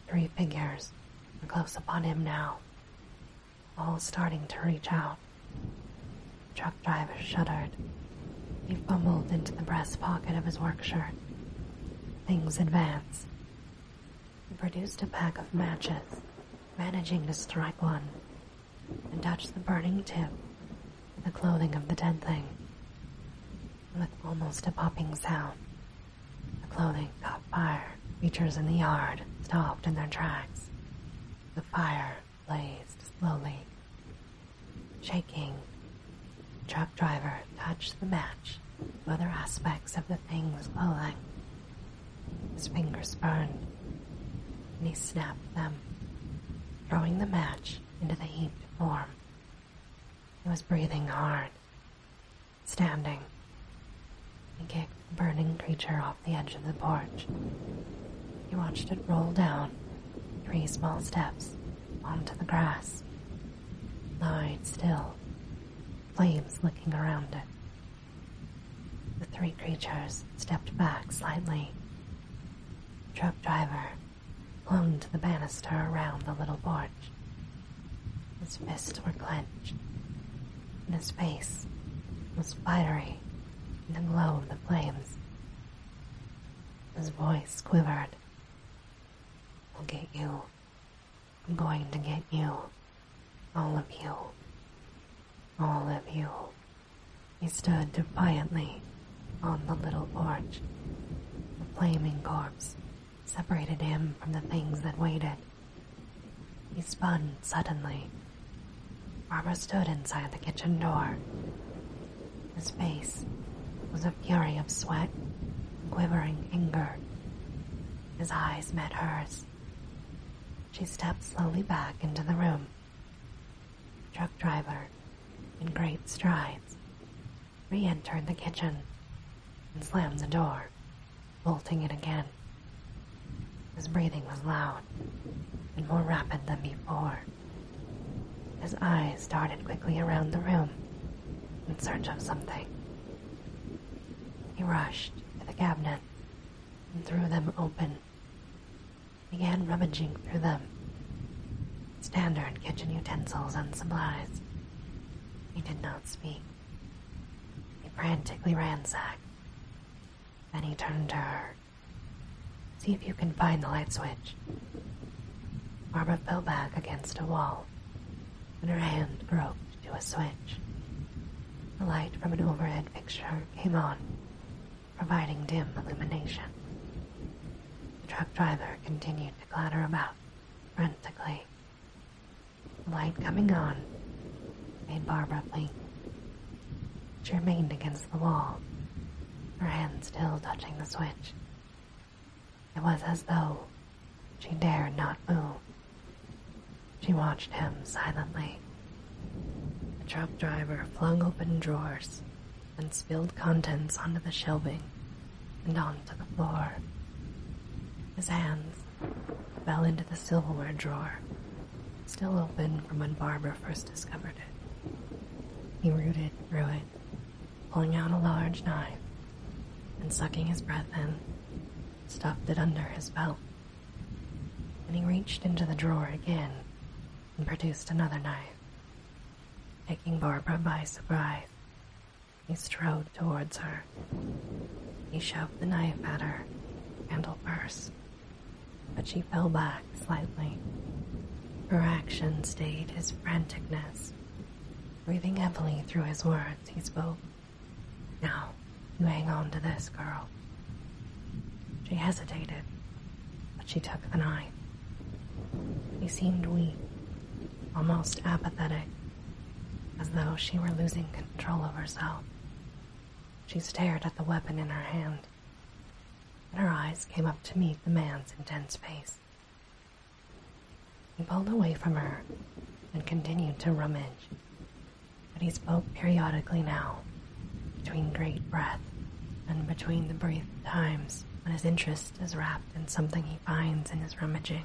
Three figures were close upon him now, all starting to reach out. Truck driver shuddered. He fumbled into the breast pocket of his work shirt. Things advanced. He produced a pack of matches, managing to strike one, and touch the burning tip the clothing of the dead thing. With almost a popping sound, the clothing caught fire. Creatures in the yard stopped in their tracks. The fire blazed slowly. Shaking, truck driver touched the match other aspects of the thing's clothing. His fingers burned, and he snapped them, throwing the match into the heaped form. He was breathing hard, standing. He kicked the burning creature off the edge of the porch. He watched it roll down three small steps onto the grass. Lying still, flames licking around it. The three creatures stepped back slightly. The truck driver clung to the banister around the little porch his fists were clenched, and his face was fiery in the glow of the flames. His voice quivered. I'll get you. I'm going to get you. All of you. All of you. He stood defiantly on the little porch. The flaming corpse separated him from the things that waited. He spun suddenly. Barbara stood inside the kitchen door. His face was a fury of sweat and quivering anger. His eyes met hers. She stepped slowly back into the room. Truck driver, in great strides, re entered the kitchen and slammed the door bolting it again. His breathing was loud and more rapid than before. His eyes darted quickly around the room in search of something. He rushed to the cabinet and threw them open, began rummaging through them. Standard kitchen utensils and supplies. He did not speak. He frantically ransacked. Then he turned to her. See if you can find the light switch. Barbara fell back against a wall, and her hand groped to a switch. The light from an overhead fixture came on, providing dim illumination. The truck driver continued to clatter about frantically Light coming on, made Barbara blink. She remained against the wall, her hand still touching the switch. It was as though she dared not move. She watched him silently. The truck driver flung open drawers and spilled contents onto the shelving and onto the floor. His hands fell into the silverware drawer, still open from when Barbara first discovered it. He rooted through it, pulling out a large knife, and sucking his breath in, stuffed it under his belt. Then he reached into the drawer again and produced another knife. Taking Barbara by surprise, he strode towards her. He shoved the knife at her, handle first, but she fell back slightly. Her action stayed his franticness. Breathing heavily through his words, he spoke. Now, you hang on to this, girl. She hesitated, but she took the knife. He seemed weak, almost apathetic, as though she were losing control of herself. She stared at the weapon in her hand, and her eyes came up to meet the man's intense face. He pulled away from her and continued to rummage, but he spoke periodically now, between great breath and between the brief times when his interest is wrapped in something he finds in his rummaging.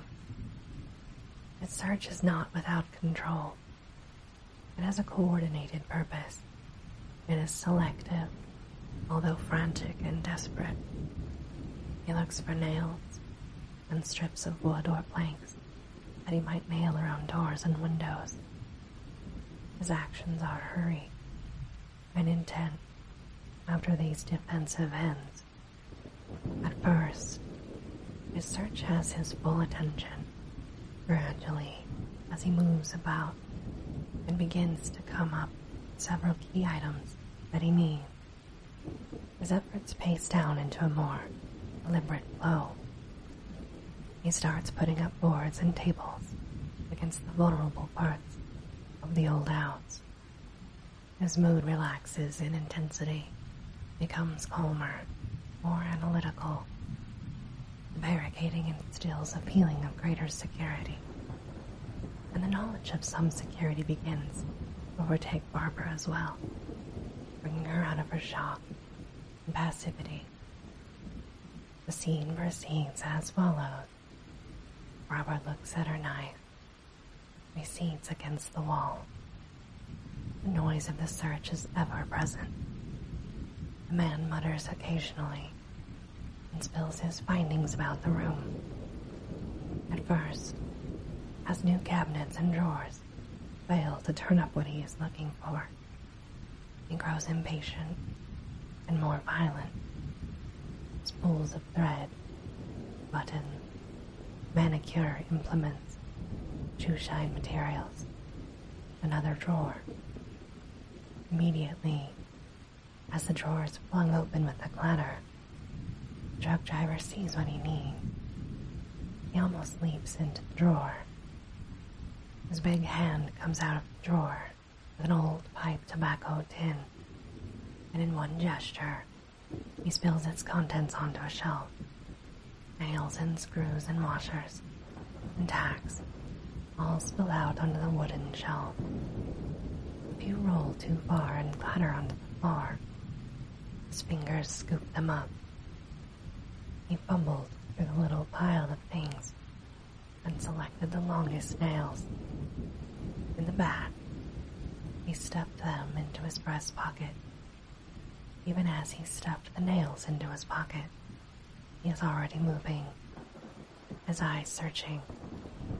His search is not without control, it has a coordinated purpose. It is selective, although frantic and desperate. He looks for nails and strips of wood or planks that he might nail around doors and windows. His actions are hurried and intent after these defensive ends. At first, his search has his full attention gradually as he moves about and begins to come up several key items that he needs. His efforts pace down into a more deliberate flow. He starts putting up boards and tables against the vulnerable parts of the old house. His mood relaxes in intensity becomes calmer, more analytical. barricading instills a feeling of greater security, and the knowledge of some security begins to overtake Barbara as well, bringing her out of her shock and passivity. The scene proceeds as follows. Barbara looks at her knife, recedes against the wall, the noise of the search is ever present. The man mutters occasionally and spills his findings about the room. At first, as new cabinets and drawers fail to turn up what he is looking for, he grows impatient and more violent. Spools of thread, buttons, manicure implements, shoe shine materials another drawer. Immediately, as the drawer is flung open with a clatter, the truck driver sees what he needs. He almost leaps into the drawer. His big hand comes out of the drawer with an old pipe tobacco tin, and in one gesture, he spills its contents onto a shelf nails and screws and washers and tacks all spill out onto the wooden shelf. If you roll too far and clatter onto the floor, his fingers scoop them up. He fumbled through the little pile of things and selected the longest nails. In the back, he stuffed them into his breast pocket even as he stuffed the nails into his pocket, he is already moving, his eyes searching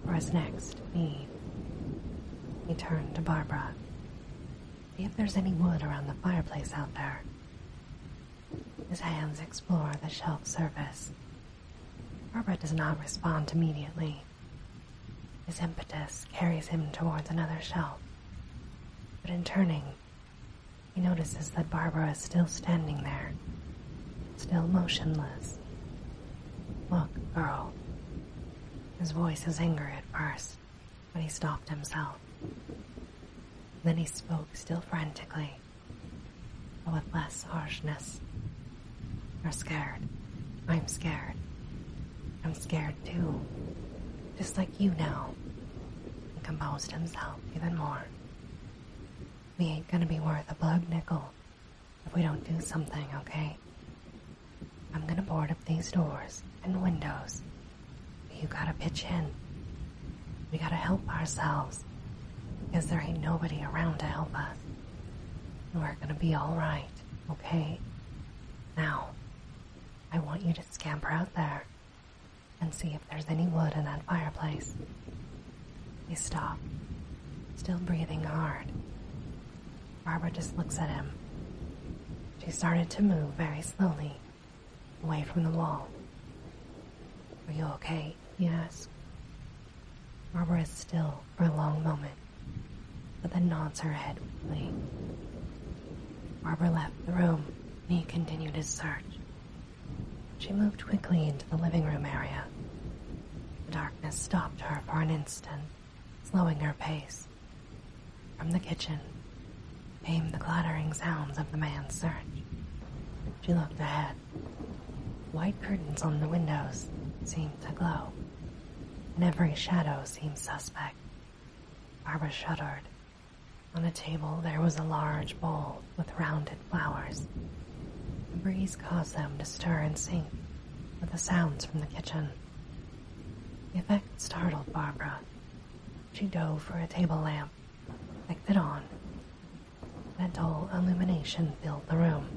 for his next need. He turns to Barbara. See if there's any wood around the fireplace out there. His hands explore the shelf surface. Barbara does not respond immediately. His impetus carries him towards another shelf, but in turning, he notices that Barbara is still standing there, still motionless. Look, girl. His voice is angry at first, but he stopped himself. Then he spoke still frantically, but with less harshness. You're scared. I'm scared. I'm scared too just like you now, and composed himself even more. We ain't gonna be worth a plug nickel if we don't do something, okay? I'm gonna board up these doors and windows. You gotta pitch in. We gotta help ourselves, because there ain't nobody around to help us. And We're gonna be alright, okay? Now, I want you to scamper out there and see if there's any wood in that fireplace. He stops, still breathing hard. Barbara just looks at him. She started to move very slowly, away from the wall. Are you okay? he asks. Barbara is still for a long moment, but then nods her head weakly. Barbara left the room he continued his search. She moved quickly into the living room area. The darkness stopped her for an instant, slowing her pace. From the kitchen came the clattering sounds of the man's search. She looked ahead. White curtains on the windows seemed to glow, and every shadow seemed suspect. Barbara shuddered on a table there was a large bowl with rounded flowers. The breeze caused them to stir and sync with the sounds from the kitchen. The effect startled Barbara. She dove for a table lamp, flicked it on. A dull illumination filled the room.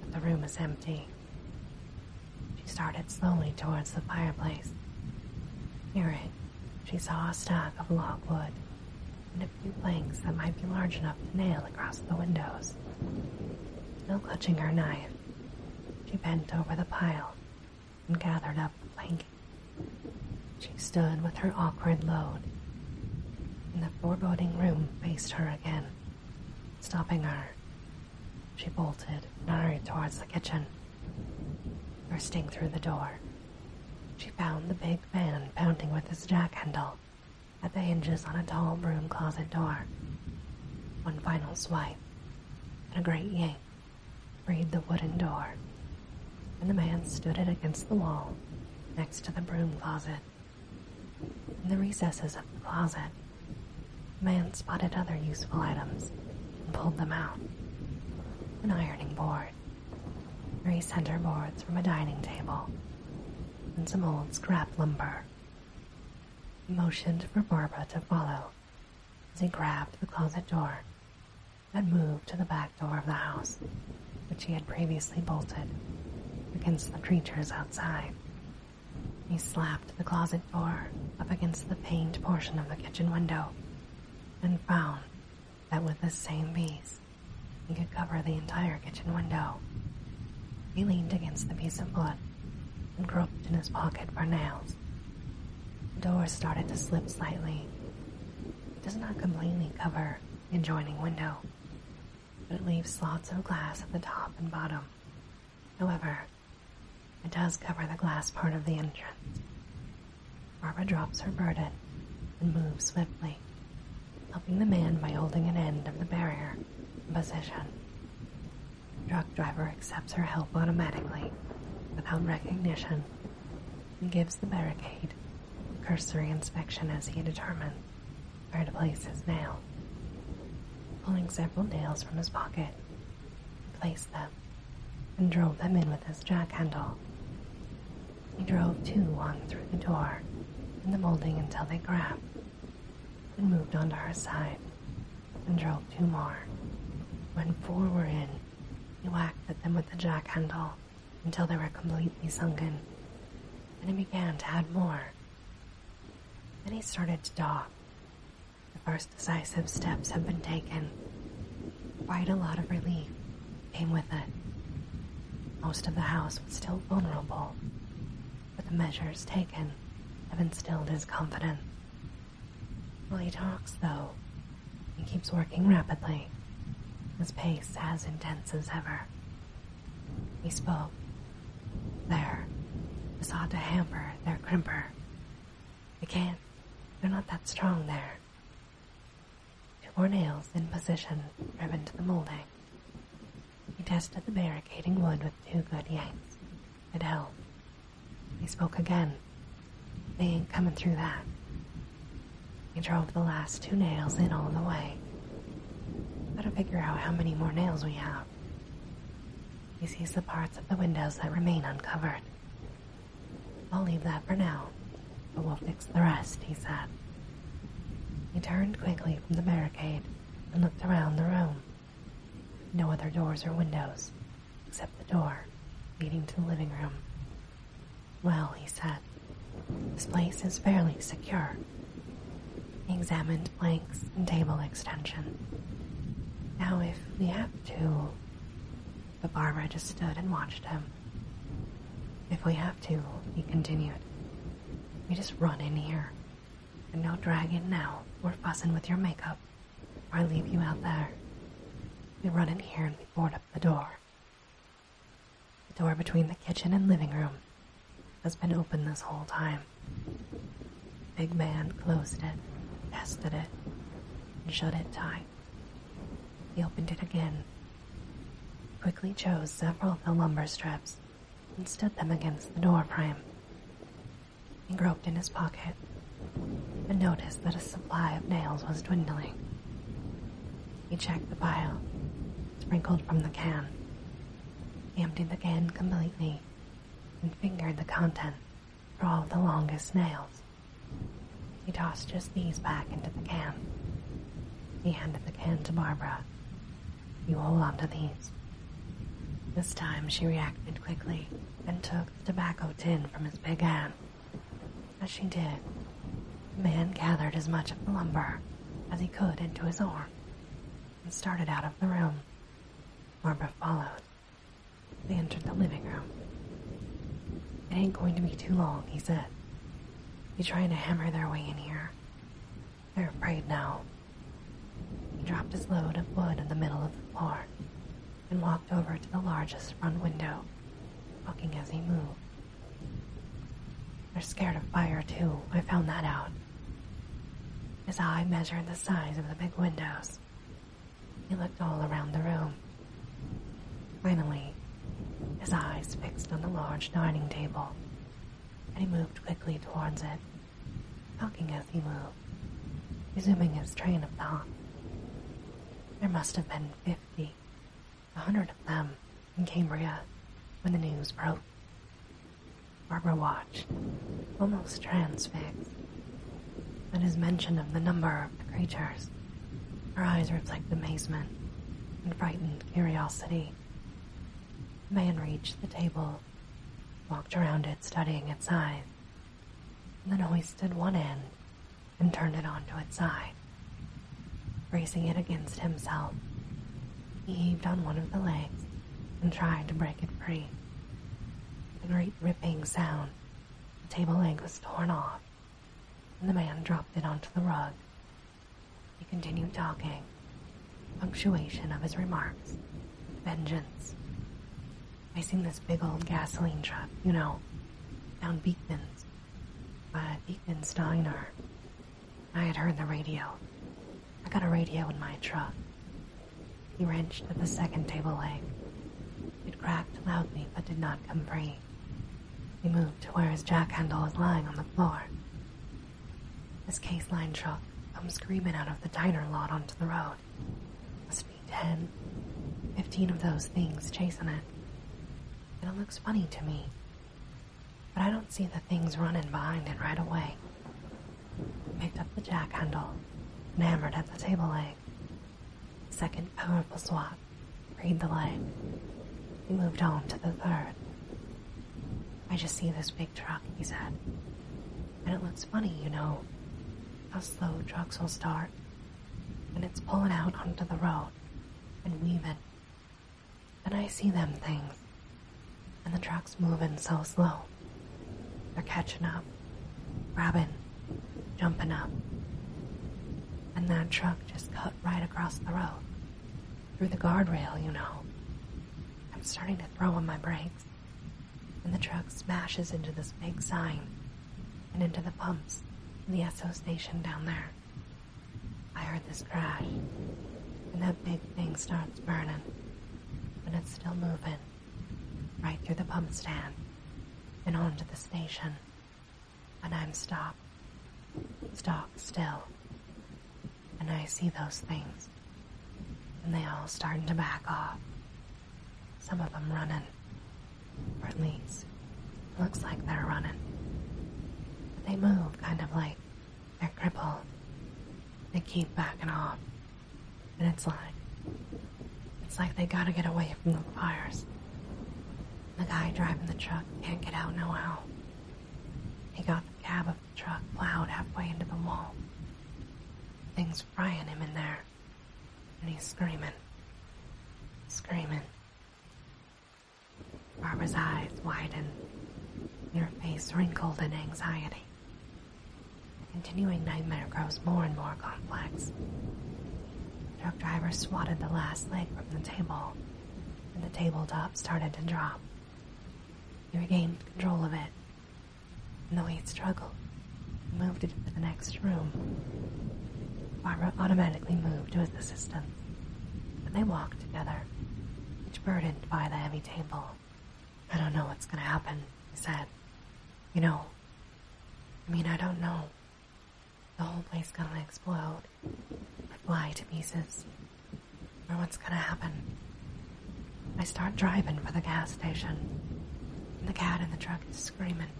But the room was empty. She started slowly towards the fireplace. Near it she saw a stack of logwood and a few planks that might be large enough to nail across the windows. Still clutching her knife, she bent over the pile and gathered up the planking. She stood with her awkward load, the foreboding room faced her again, stopping her. She bolted and hurried towards the kitchen. Bursting through the door, she found the big man pounding with his jack handle at the hinges on a tall broom closet door. One final swipe, and a great yank freed the wooden door, and the man stood it against the wall next to the broom closet. In the recesses of the closet, man spotted other useful items and pulled them out. An ironing board, three center boards from a dining table, and some old scrap lumber. He motioned for Barbara to follow as he grabbed the closet door and moved to the back door of the house, which he had previously bolted against the creatures outside. He slapped the closet door up against the paned portion of the kitchen window and found that with this same piece, he could cover the entire kitchen window. He leaned against the piece of wood and groped in his pocket for nails. The door started to slip slightly. It does not completely cover the adjoining window, but it leaves slots of glass at the top and bottom. However, it does cover the glass part of the entrance. Barbara drops her burden and moves swiftly, helping the man by holding an end of the barrier in position. truck driver accepts her help automatically, without recognition, and gives the barricade cursory inspection as he determines where to place his nail. Pulling several nails from his pocket, he places them and drove them in with his jack handle. He drove two on through the door in the molding until they grabbed, and moved on to her side, and drove two more. When four were in, he whacked at them with the jack handle until they were completely sunken. Then he began to add more. Then he started to talk. The first decisive steps have been taken. Quite a lot of relief came with it. Most of the house was still vulnerable, but the measures taken have instilled his confidence. While he talks, though, he keeps working rapidly. His pace as intense as ever. We spoke. There. Besought to hamper their crimper. They can't. They're not that strong there. Two more nails in position, driven to the molding. He tested the barricading wood with two good yanks. It held. He spoke again. They ain't coming through that. He drove the last two nails in all the way. Gotta figure out how many more nails we have. He sees the parts of the windows that remain uncovered. I'll leave that for now, but we'll fix the rest, he said. He turned quickly from the barricade and looked around the room. No other doors or windows, except the door leading to the living room. Well, he said, this place is fairly secure. He examined planks and table extension. Now, if we have to, but Barbara just stood and watched him. If we have to, he continued, we just run in here. And no dragging now We're fussing with your makeup, or I leave you out there. We run in here and we board up the door. The door between the kitchen and living room has been open this whole time. Big man closed it, tested it, shut it tight. He opened it again, quickly chose several of the lumber strips, and stood them against the door frame. He groped in his pocket and noticed that a supply of nails was dwindling. He checked the pile, sprinkled from the can. He emptied the can completely and fingered the contents for all the longest nails. He tossed just these back into the can. He handed the can to Barbara. You hold on to these. This time she reacted quickly and took the tobacco tin from his big hand. As she did, the man gathered as much of the lumber as he could into his arm and started out of the room. Barbara followed. They entered the living room. It ain't going to be too long, he said. They're trying to hammer their way in here. They're afraid now. He dropped his load of wood in the middle of the floor and walked over to the largest front window, talking as he moved. They're scared of fire, too. I found that out. His eye measured the size of the big windows he looked all around the room. Finally, his eyes fixed on the large dining table, and he moved quickly towards it, walking as he moved, resuming his train of thought. There must have been fifty, a hundred of them in Cambria when the news broke. Barbara watched, almost transfixed, at his mention of the number of the creatures, her eyes reflect amazement and frightened curiosity. The man reached the table, walked around it, studying its size, then hoisted one end and turned it onto its side. raising it against himself, he heaved on one of the legs and tried to break it free. With a great ripping sound, the table leg was torn off and the man dropped it onto the rug. He continued talking, punctuation of his remarks. Vengeance. I seen this big old gasoline truck, you know, down Beekman's, by Beekman's Steiner. I had heard the radio. I got a radio in my truck. He wrenched at the second table leg. It cracked loudly but did not come free. He moved to where his jack handle was lying on the floor. This case line truck come screaming out of the diner lot onto the road. Must be ten, fifteen of those things chasing it. And it looks funny to me. But I don't see the things running behind it right away. I picked up the jack handle and hammered at the table leg. Second powerful swap, read the line. We moved on to the third. I just see this big truck, he said. And it looks funny, you know, how slow trucks will start. And it's pulling out onto the road and weaving. And I see them things. And the truck's moving so slow. They're catching up, Robin jumping up. And that truck just cut right across the road. Through the guardrail, you know. I'm starting to throw on my brakes. And the truck smashes into this big sign and into the pumps and the SO station down there. I heard this crash, and that big thing starts burning, but it's still moving right through the pump stand and onto the station. And I'm stopped, stock still, and I see those things, and they all starting to back off. Some of them running, or at least looks like they're running. But they move kind of like they're crippled. They keep backing off, and it's like it's like they gotta get away from the fires. The guy driving the truck can't get out no how. He got the cab of the truck plowed halfway into the wall. Things frying him in there, and he's screaming, screaming. Barbara's eyes widen. and her face wrinkled in anxiety. The continuing nightmare grows more and more complex. The Truck driver swatted the last leg from the table, and the tabletop started to drop. He regained control of it, and though he struggled, he moved it to the next room. Barbara automatically moved with the system, and they walked together, each burdened by the heavy table. I don't know what's gonna happen, he said. You know, I mean, I don't know. The whole place gonna explode or fly to pieces. Or what's gonna happen? I start driving for the gas station. the cat in the truck is screaming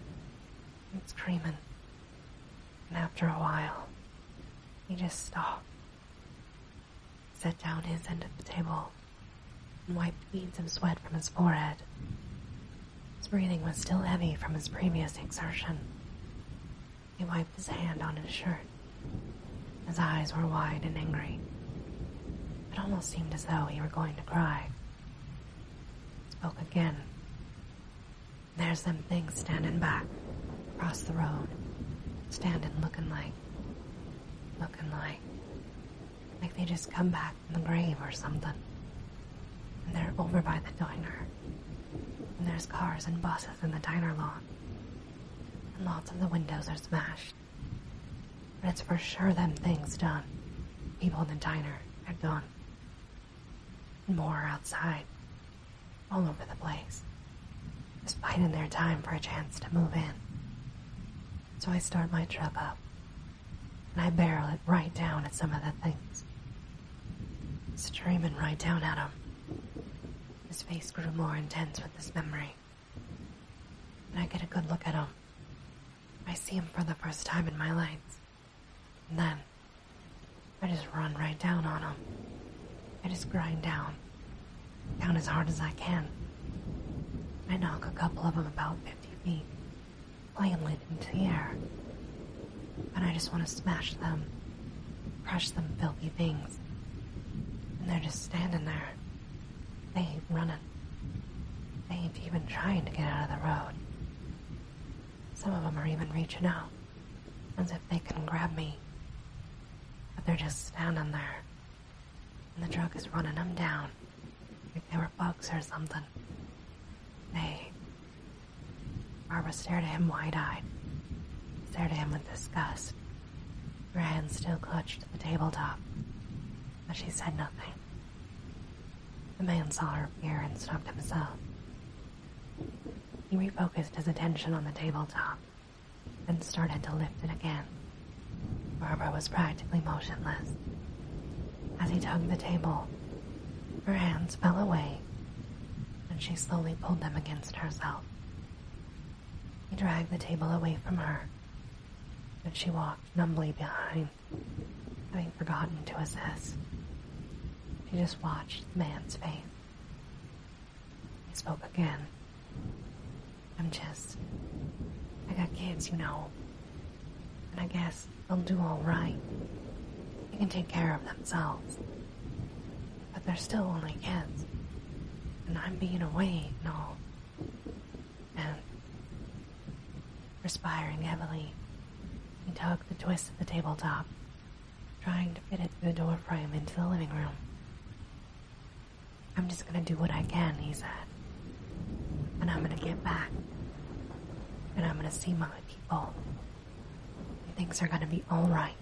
It's screaming. And after a while, he just stopped, set down his end of the table, and wiped beads of sweat from his forehead. His breathing was still heavy from his previous exertion. He wiped his hand on his shirt. His eyes were wide and angry. It almost seemed as though he were going to cry. He spoke again. There's them things standing back, across the road, standing looking like, looking like, like they just come back from the grave or something. And they're over by the diner. And there's cars and buses in the diner lot, And lots of the windows are smashed. But it's for sure them things done. People in the diner are gone. And more outside. All over the place. Just biding their time for a chance to move in. So I start my truck up. And I barrel it right down at some of the things. Streaming right down at him. His face grew more intense with this memory. And I get a good look at him. I see him for the first time in my lights. And then, I just run right down on him. I just grind down. Down as hard as I can. I knock a couple of them about 50 feet plainly into the air. And I just want to smash them, crush them filthy things. And they're just standing there. They ain't running. They ain't even trying to get out of the road. Some of them are even reaching out, as if they can grab me. But they're just standing there. And the truck is running them down, like they were bugs or something. They Barbara stared at him wide eyed, stared at him with disgust. Her hands still clutched to the tabletop, but she said nothing. The man saw her fear and stopped himself. He refocused his attention on the tabletop and started to lift it again. Barbara was practically motionless. As he tugged the table, her hands fell away and she slowly pulled them against herself. He dragged the table away from her, and she walked numbly behind, having forgotten to assess. She just watched the man's face. He spoke again. I'm just. I got kids, you know. And I guess They'll do all right. They can take care of themselves. But they're still only kids. And I'm being away and all. And respiring heavily, he tugged the twist of the tabletop, trying to fit it through the door frame into the living room. I'm just gonna do what I can, he said. And I'm gonna get back. And I'm gonna see my people. Things are gonna be alright.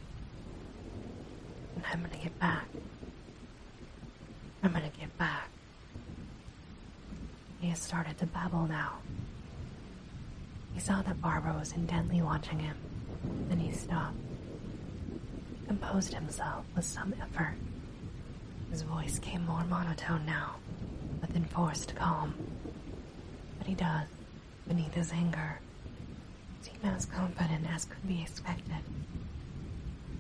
I'm gonna get back. I'm gonna get back. He has started to babble now. He saw that Barbara was intently watching him. Then he stopped. composed himself with some effort. His voice came more monotone now, with enforced calm. But he does, beneath his anger seemed as confident as could be expected.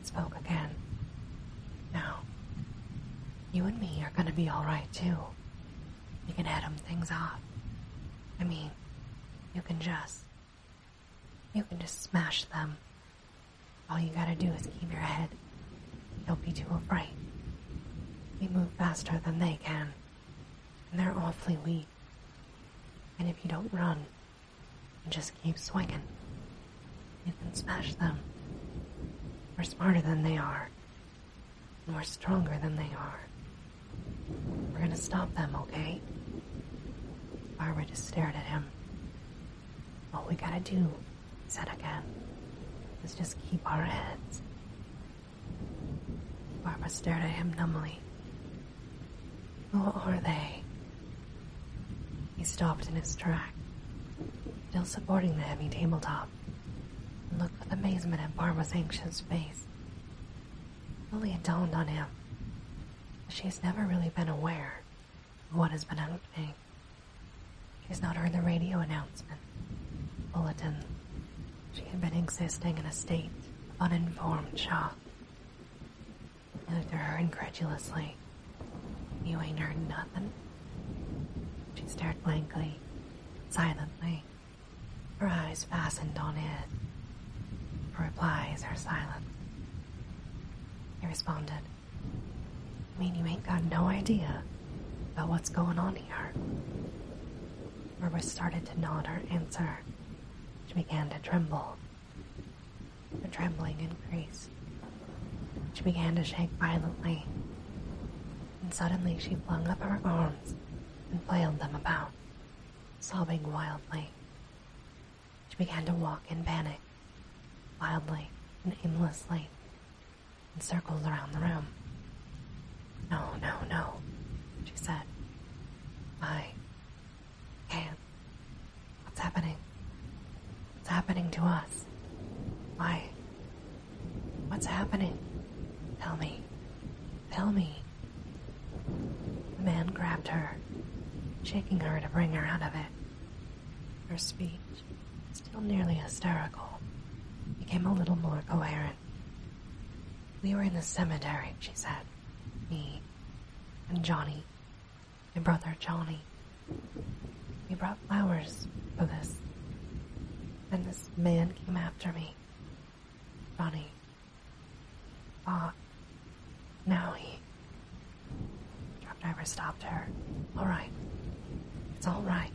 spoke again. Now, you and me are gonna be alright too. You can atom things off. I mean, you can just. You can just smash them. All you gotta do is keep your head. Don't be too afraid. You move faster than they can. And they're awfully weak. And if you don't run and just keep swinging, you can smash them. We're smarter than they are. And we're stronger than they are. We're gonna stop them, okay? Barbara just stared at him. All we gotta do, he said again, is just keep our heads Barbara stared at him numbly. What are they? He stopped in his track, still supporting the heavy tabletop, and looked with amazement at Barbara's anxious face. Only it dawned on him that she has never really been aware of what has been happening. She has not heard the radio announcement bulletin. She had been existing in a state of uninformed shock. He looked at her incredulously. You ain't heard nothing? She stared blankly, silently. Her eyes fastened on it. Her replies are silent. He responded, I mean you ain't got no idea about what's going on here. Barbara started to nod her answer. She began to tremble. The trembling increased. She began to shake violently, and suddenly she flung up her arms and flailed them about, sobbing wildly. She began to walk in panic, wildly and aimlessly, and circles around the room. No, no, no, she said. I can't. What's happening? What's happening to us? Why? What's happening? Tell me. Tell me. The man grabbed her, shaking her to bring her out of it. Her speech, still nearly hysterical, became a little more coherent. We were in the cemetery, she said. Me and Johnny, my brother Johnny. We brought flowers for this. And this man came after me. Johnny. Ah. Now he. Truck driver stopped her. All right. It's all right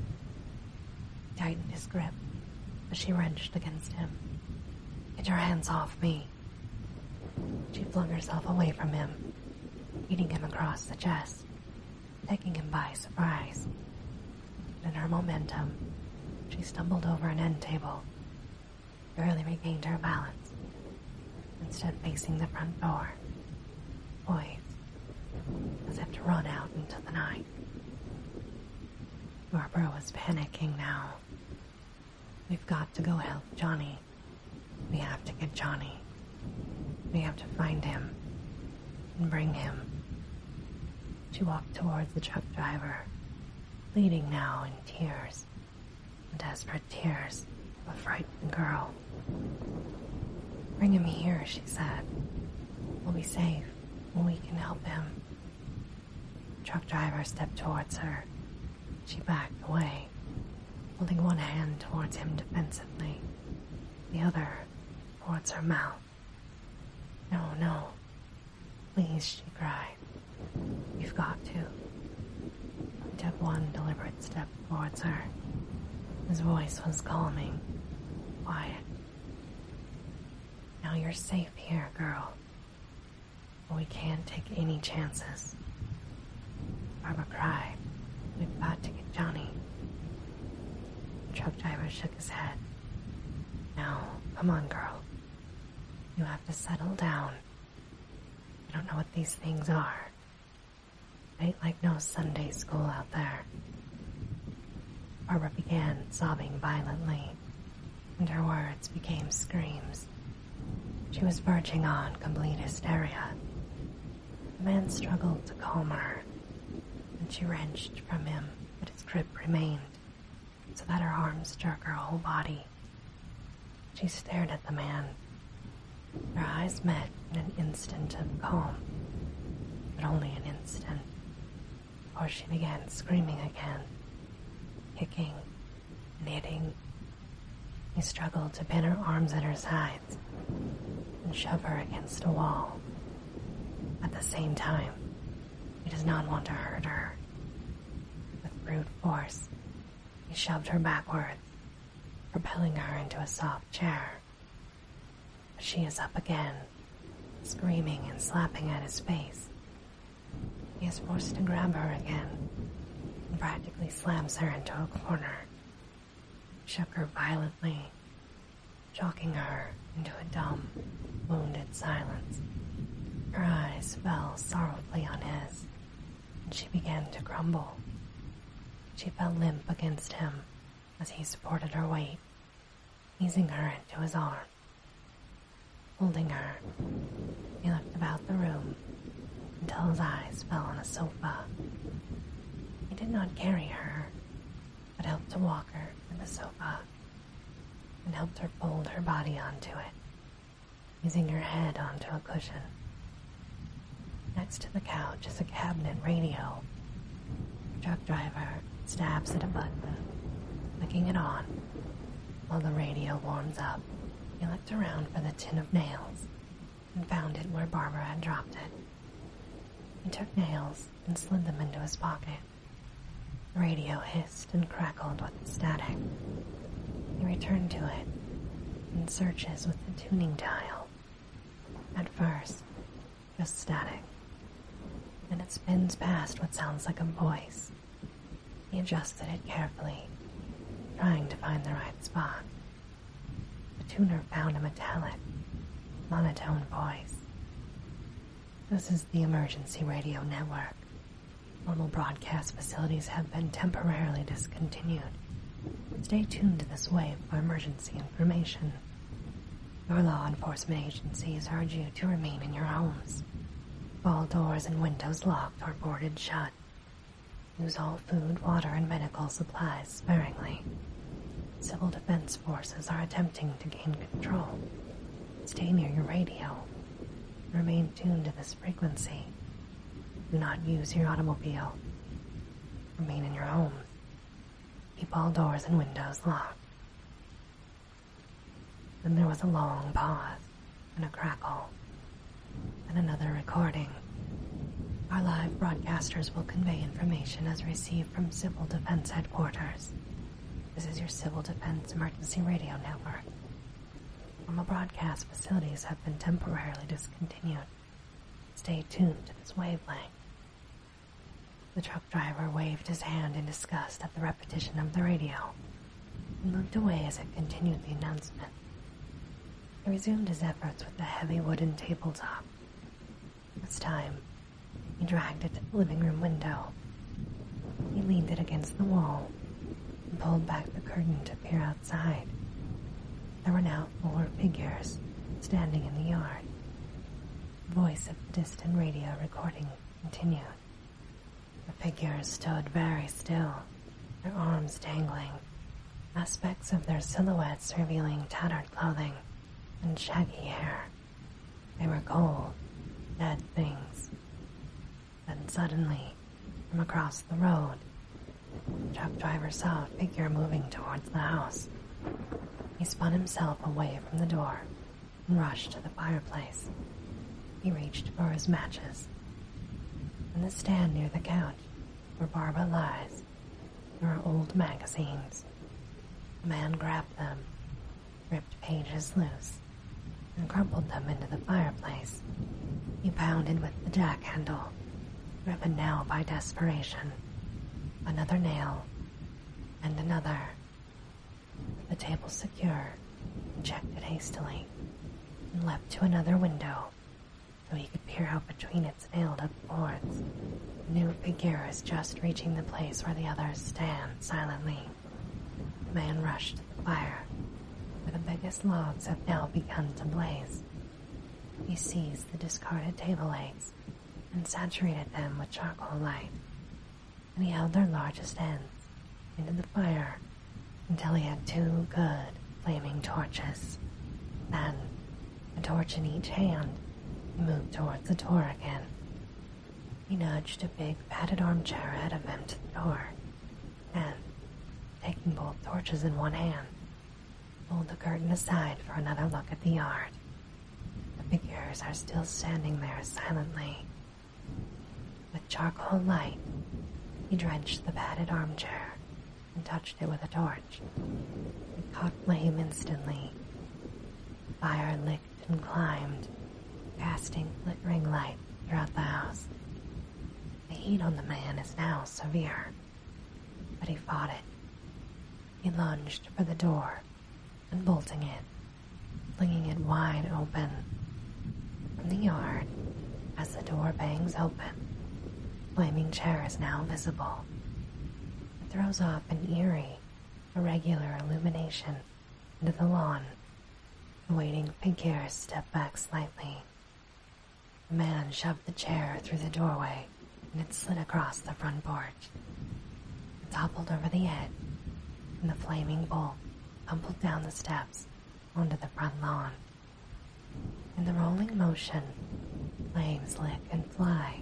tightened his grip as she wrenched against him. Get your hands off me. She flung herself away from him, beating him across the chest, taking him by surprise. in her momentum, she stumbled over an end table, barely regained her balance, and stood facing the front door, poised, as have to run out into the night. Barbara was panicking now. We've got to go help Johnny. We have to get Johnny. We have to find him and bring him. She walked towards the truck driver, bleeding now in tears, desperate tears of a frightened girl. Bring him here, she said. We'll be safe, we can help him. Truck driver stepped towards her. She backed away, holding one hand towards him defensively, the other towards her mouth. No, no. Please, she cried. You've got to. He took one deliberate step towards her. His voice was calming, Why? Now you're safe here, girl. we can't take any chances. Barbara cried. We've got to get Johnny. The truck driver shook his head. Now, come on, girl. You have to settle down. I don't know what these things are. ain't like no Sunday school out there. Barbara began sobbing violently and her words became screams. She was verging on complete hysteria. The man struggled to calm her, and she wrenched from him, but his grip remained, so that her arms struck her whole body. She stared at the man. Their eyes met in an instant of calm, but only an instant or she began screaming again, kicking, knitting. He struggled to pin her arms at her sides and shove her against a wall. At the same time, he does not want to hurt her. With brute force, he shoved her backwards, propelling her into a soft chair. She is up again, screaming and slapping at his face. He is forced to grab her again and practically slams her into a corner. Shook her violently, choking her into a dumb, wounded silence. Her eyes fell sorrowfully on his, and she began to crumble. She fell limp against him as he supported her weight, easing her into his arms. Holding her, he looked about the room until his eyes fell on a sofa. He did not carry her, but helped to walk her to the sofa and helped her fold her body onto it, using her head onto a cushion. Next to the couch is a cabinet radio. truck driver Stabs at a button, flicking it on. While the radio warms up, he looked around for the tin of nails and found it where Barbara had dropped it. He took nails and slid them into his pocket. The radio hissed and crackled with static. He returned to it and searches with the tuning dial. At first, just static. Then it spins past what sounds like a voice. He adjusted it carefully, trying to find the right spot. The tuner found a metallic, monotone voice. This is the emergency radio network. Normal broadcast facilities have been temporarily discontinued. Stay tuned to this wave for emergency information. Your law enforcement agencies urge you to remain in your homes. All doors and windows locked or boarded shut. Use all food, water, and medical supplies sparingly. Civil defense forces are attempting to gain control. Stay near your radio. Remain tuned to this frequency. Do not use your automobile. Remain in your home. Keep all doors and windows locked. Then there was a long pause and a crackle, and another recording. Our live broadcasters will convey information as received from Civil Defense Headquarters. This is your Civil Defense Emergency Radio Network. Normal broadcast facilities have been temporarily discontinued. Stay tuned to this wavelength. The truck driver waved his hand in disgust at the repetition of the radio and looked away as it continued the announcement. He resumed his efforts with the heavy wooden tabletop. This time, he dragged it to the living room window. He leaned it against the wall and pulled back the curtain to peer outside. There were now four figures standing in the yard. The voice of the distant radio recording continued. The figures stood very still, their arms dangling, aspects of their silhouettes revealing tattered clothing and shaggy hair. They were cold, dead things. Then suddenly, from across the road, the truck driver saw a figure moving towards the house. He spun himself away from the door and rushed to the fireplace. He reached for his matches. In the stand near the couch, where Barbara lies, there are old magazines. The man grabbed them, ripped pages loose, and crumpled them into the fireplace. He pounded with the jack handle, driven now by desperation. Another nail, and another the table secure, checked it hastily, and leaped to another window, so he could peer out between its nailed-up boards. new figures just reaching the place where the others stand silently. The man rushed to the fire, where the biggest logs have now begun to blaze. He seized the discarded table legs and saturated them with charcoal light and he held their largest ends into the fire until he had two good flaming torches. Then, a torch in each hand, he moved towards the door again. He nudged a big padded armchair ahead of him to the door, and, taking both torches in one hand, pulled the curtain aside for another look at the yard. The figures are still standing there silently, with charcoal light, he drenched the padded armchair and touched it with a torch. It caught flame instantly. Fire licked and climbed, casting flickering light throughout the house. The heat on the man is now severe, but he fought it. He lunged for the door and bolting it, flinging it wide open. From the yard, as the door bangs open, the flaming chair is now visible. It throws off an eerie, irregular illumination into the lawn. The waiting figures steps back slightly. The man shoved the chair through the doorway and it slid across the front porch. It toppled over the edge, and the flaming bolt tumbled down the steps onto the front lawn. In the rolling motion, flames lick and fly,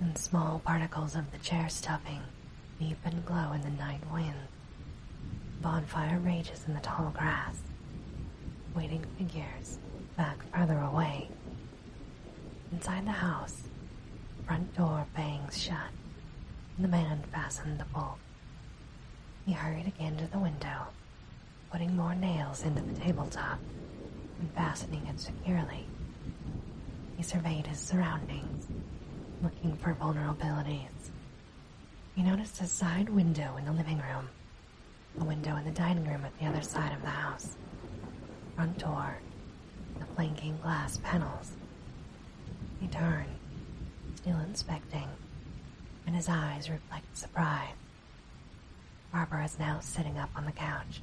and small particles of the chair stuffing leap and glow in the night wind. Bonfire rages in the tall grass, waiting figures back further away. Inside the house, front door bangs shut, and the man fastened the bolt. He hurried again to the window, putting more nails into the tabletop and fastening it securely. He surveyed his surroundings, looking for vulnerabilities. He noticed a side window in the living room, a window in the dining room at the other side of the house, front door, the flanking glass panels. He turns, still inspecting, and his eyes reflect surprise. Barbara is now sitting up on the couch,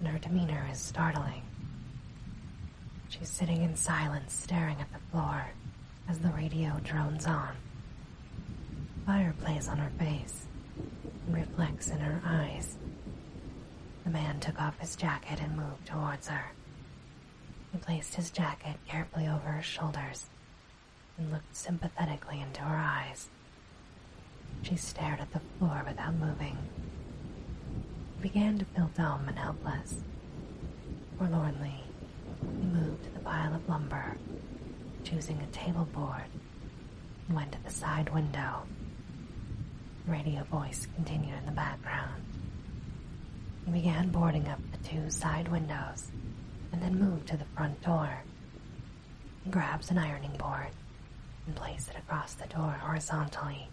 and her demeanor is startling. She's sitting in silence, staring at the floor as the radio drones on. Fire plays on her face and reflects in her eyes. The man took off his jacket and moved towards her, he placed his jacket carefully over her shoulders and looked sympathetically into her eyes. She stared at the floor without moving. He began to feel dumb and helpless. Forlornly, he moved the pile of lumber, choosing a table board, and went to the side window radio voice continued in the background. He began boarding up the two side windows and then moved to the front door. He grabs an ironing board and placed it across the door horizontally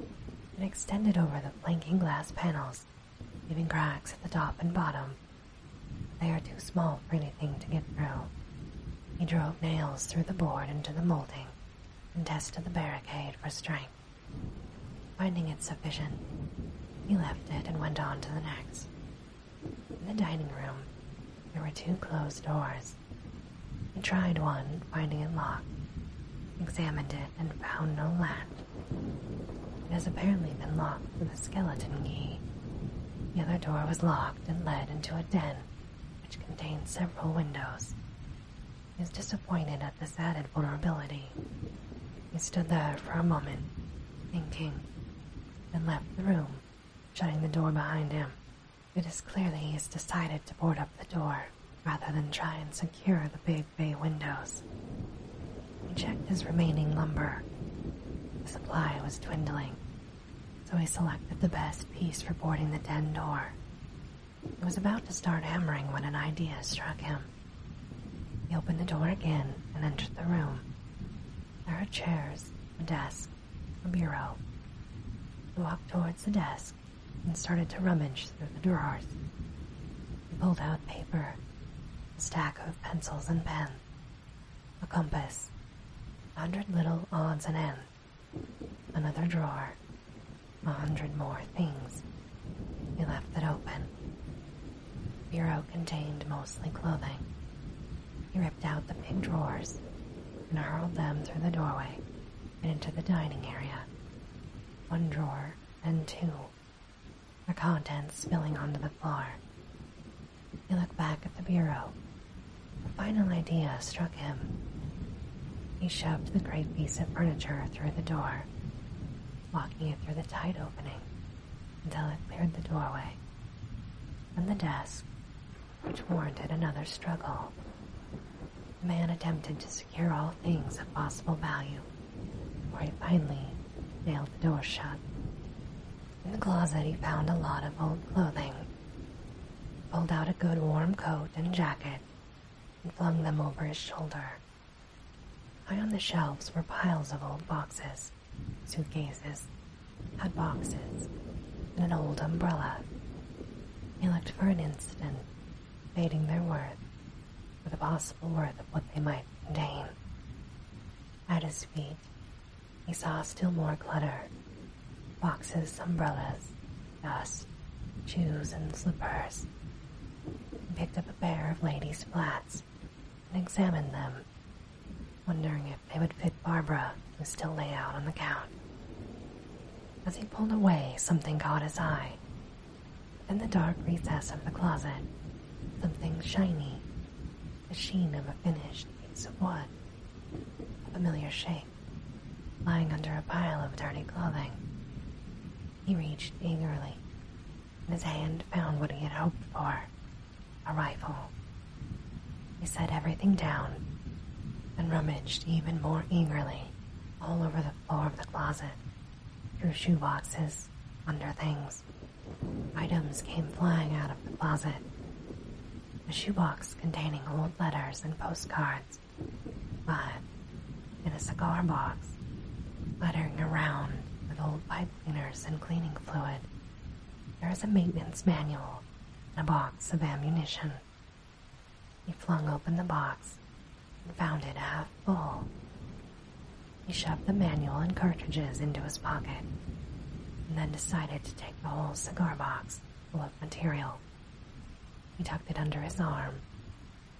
and extended over the flanking glass panels, leaving cracks at the top and bottom. They are too small for anything to get through. He drove nails through the board into the molding and tested the barricade for strength. Finding it sufficient, he left it and went on to the next. In the dining room, there were two closed doors. He tried one, finding it locked, examined it, and found no latch. It has apparently been locked with a skeleton key. The other door was locked and led into a den, which contained several windows. He was disappointed at this added vulnerability. He stood there for a moment, thinking, and left the room, shutting the door behind him. It is clear that he has decided to board up the door rather than try and secure the big bay windows. He checked his remaining lumber. The supply was dwindling, so he selected the best piece for boarding the den door he was about to start hammering when an idea struck him. He opened the door again and entered the room. There were chairs, a desk, a bureau. He walked towards the desk and started to rummage through the drawers. He pulled out paper, a stack of pencils and pens, a compass, a hundred little odds and ends, another drawer, a hundred more things. He left it open. Bureau contained mostly clothing. He ripped out the big drawers and hurled them through the doorway into the dining area. One drawer and two, The contents spilling onto the floor. He looked back at the bureau. A final idea struck him. He shoved the great piece of furniture through the door, locking it through the tight opening until it cleared the doorway. Then the desk, which warranted another struggle, the man attempted to secure all things of possible value, Where he finally nailed the door shut. In the closet, he found a lot of old clothing, pulled out a good warm coat and jacket, and flung them over his shoulder. High on the shelves were piles of old boxes, suitcases, hat boxes, and an old umbrella. He looked for an instant, debating their worth, or the possible worth of what they might contain. At his feet, he saw still more clutter boxes, umbrellas, dust, shoes, and slippers and picked up a pair of ladies' flats and examined them, wondering if they would fit Barbara, who still lay out on the couch. As he pulled away, something caught his eye. In the dark recess of the closet, something shiny, the sheen of a finished piece of wood, a familiar shape, lying under a pile of dirty clothing. He reached eagerly, and his hand found what he had hoped for a rifle. He set everything down and rummaged even more eagerly all over the floor of the closet, through boxes, under things. Items came flying out of the closet. A shoe box containing old letters and postcards but in a cigar box, cluttering around with old pipe cleaners and cleaning fluid. There is a maintenance manual and a box of ammunition. He flung open the box and found it half full. He shoved the manual and cartridges into his pocket and then decided to take the whole cigar box full of material. He tucked it under his arm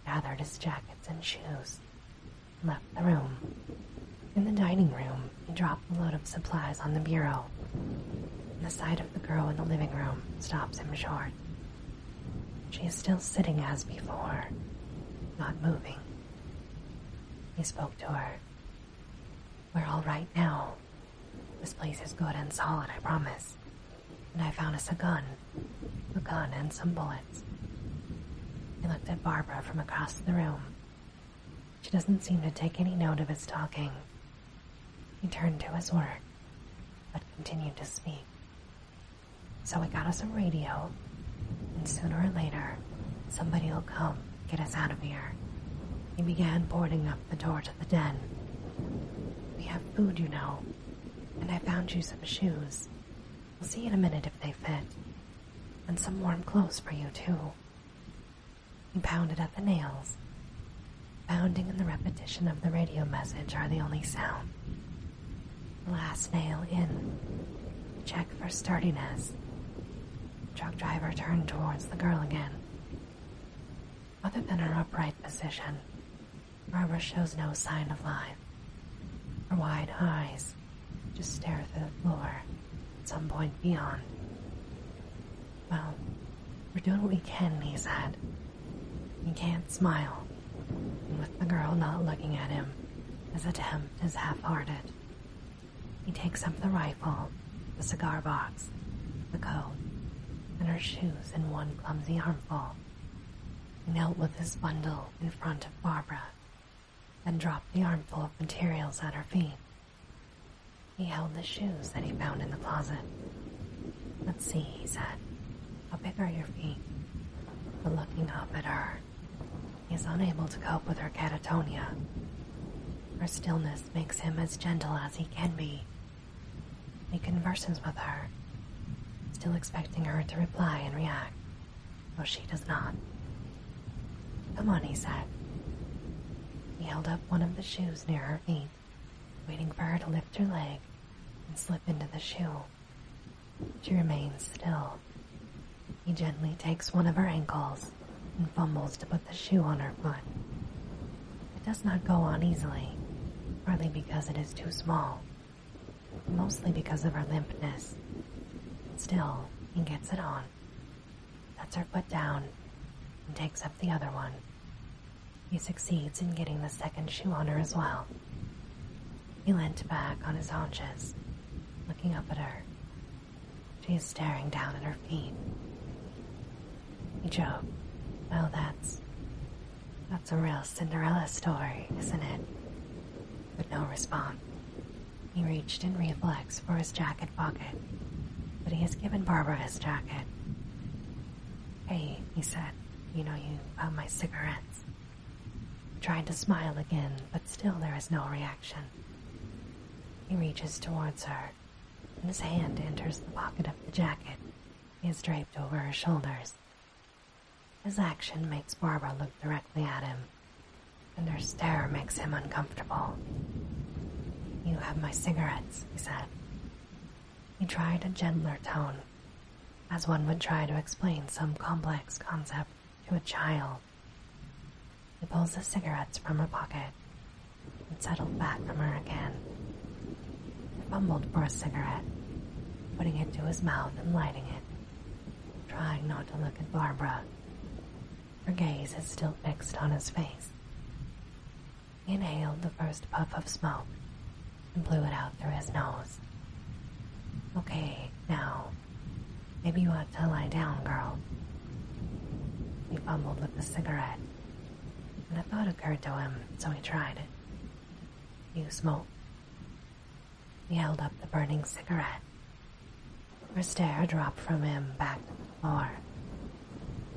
gathered his jackets and shoes, left the room. In the dining room, he dropped a load of supplies on the bureau. The sight of the girl in the living room stops him short. She is still sitting as before, not moving. He spoke to her. We're all right now. This place is good and solid, I promise and I found us a gun. A gun and some bullets. He looked at Barbara from across the room. She doesn't seem to take any note of his talking. He turned to his work, but continued to speak. So I got us a radio, and sooner or later, somebody will come get us out of here. He began boarding up the door to the den. We have food, you know, and I found you some shoes we will see in a minute if they fit. And some warm clothes for you, too. He pounded at the nails. Pounding and the repetition of the radio message are the only sound. Last nail in. Check for sturdiness. Truck driver turned towards the girl again. Other than her upright position, Barbara shows no sign of life. Her wide eyes just stare at the floor at some point beyond. Well, we're doing what we can, he said. He can't smile, and with the girl not looking at him, his attempt is half-hearted. He takes up the rifle, the cigar box, the coat, and her shoes in one clumsy armful. He knelt with his bundle in front of Barbara and dropped the armful of materials at her feet. He held the shoes that he found in the closet. Let's see, he said. How big are your feet? But looking up at her, he is unable to cope with her catatonia. Her stillness makes him as gentle as he can be. He converses with her still expecting her to reply and react. Well, she does not. Come on, he said. He held up one of the shoes near her feet, waiting for her to lift her leg and slip into the shoe. She remains still. He gently takes one of her ankles and fumbles to put the shoe on her foot. It does not go on easily, partly because it is too small mostly because of her limpness. Still, he gets it on. Sets her foot down and takes up the other one. He succeeds in getting the second shoe on her as well. He leant back on his haunches, looking up at her. She is staring down at her feet. He joked, Well, that's that's a real Cinderella story, isn't it? But no response. He reached in reflex for his jacket pocket, but he has given Barbara his jacket. Hey, he said, you know you found my cigarettes. He tried to smile again, but still there is no reaction. He reaches towards her, and his hand enters the pocket of the jacket he has draped over her shoulders his action makes Barbara look directly at him, and her stare makes him uncomfortable. You have my cigarettes, he said. He tried a gentler tone, as one would try to explain some complex concept to a child. He pulls the cigarettes from her pocket and settled back from her again. He fumbled for a cigarette, putting it to his mouth and lighting it trying not to look at Barbara. Her gaze is still fixed on his face. He inhaled the first puff of smoke and blew it out through his nose. Okay, now. Maybe you ought to lie down, girl. He fumbled with the cigarette, and a thought occurred to him, so he tried it. You smoke? He held up the burning cigarette. Her stare dropped from him back to the floor.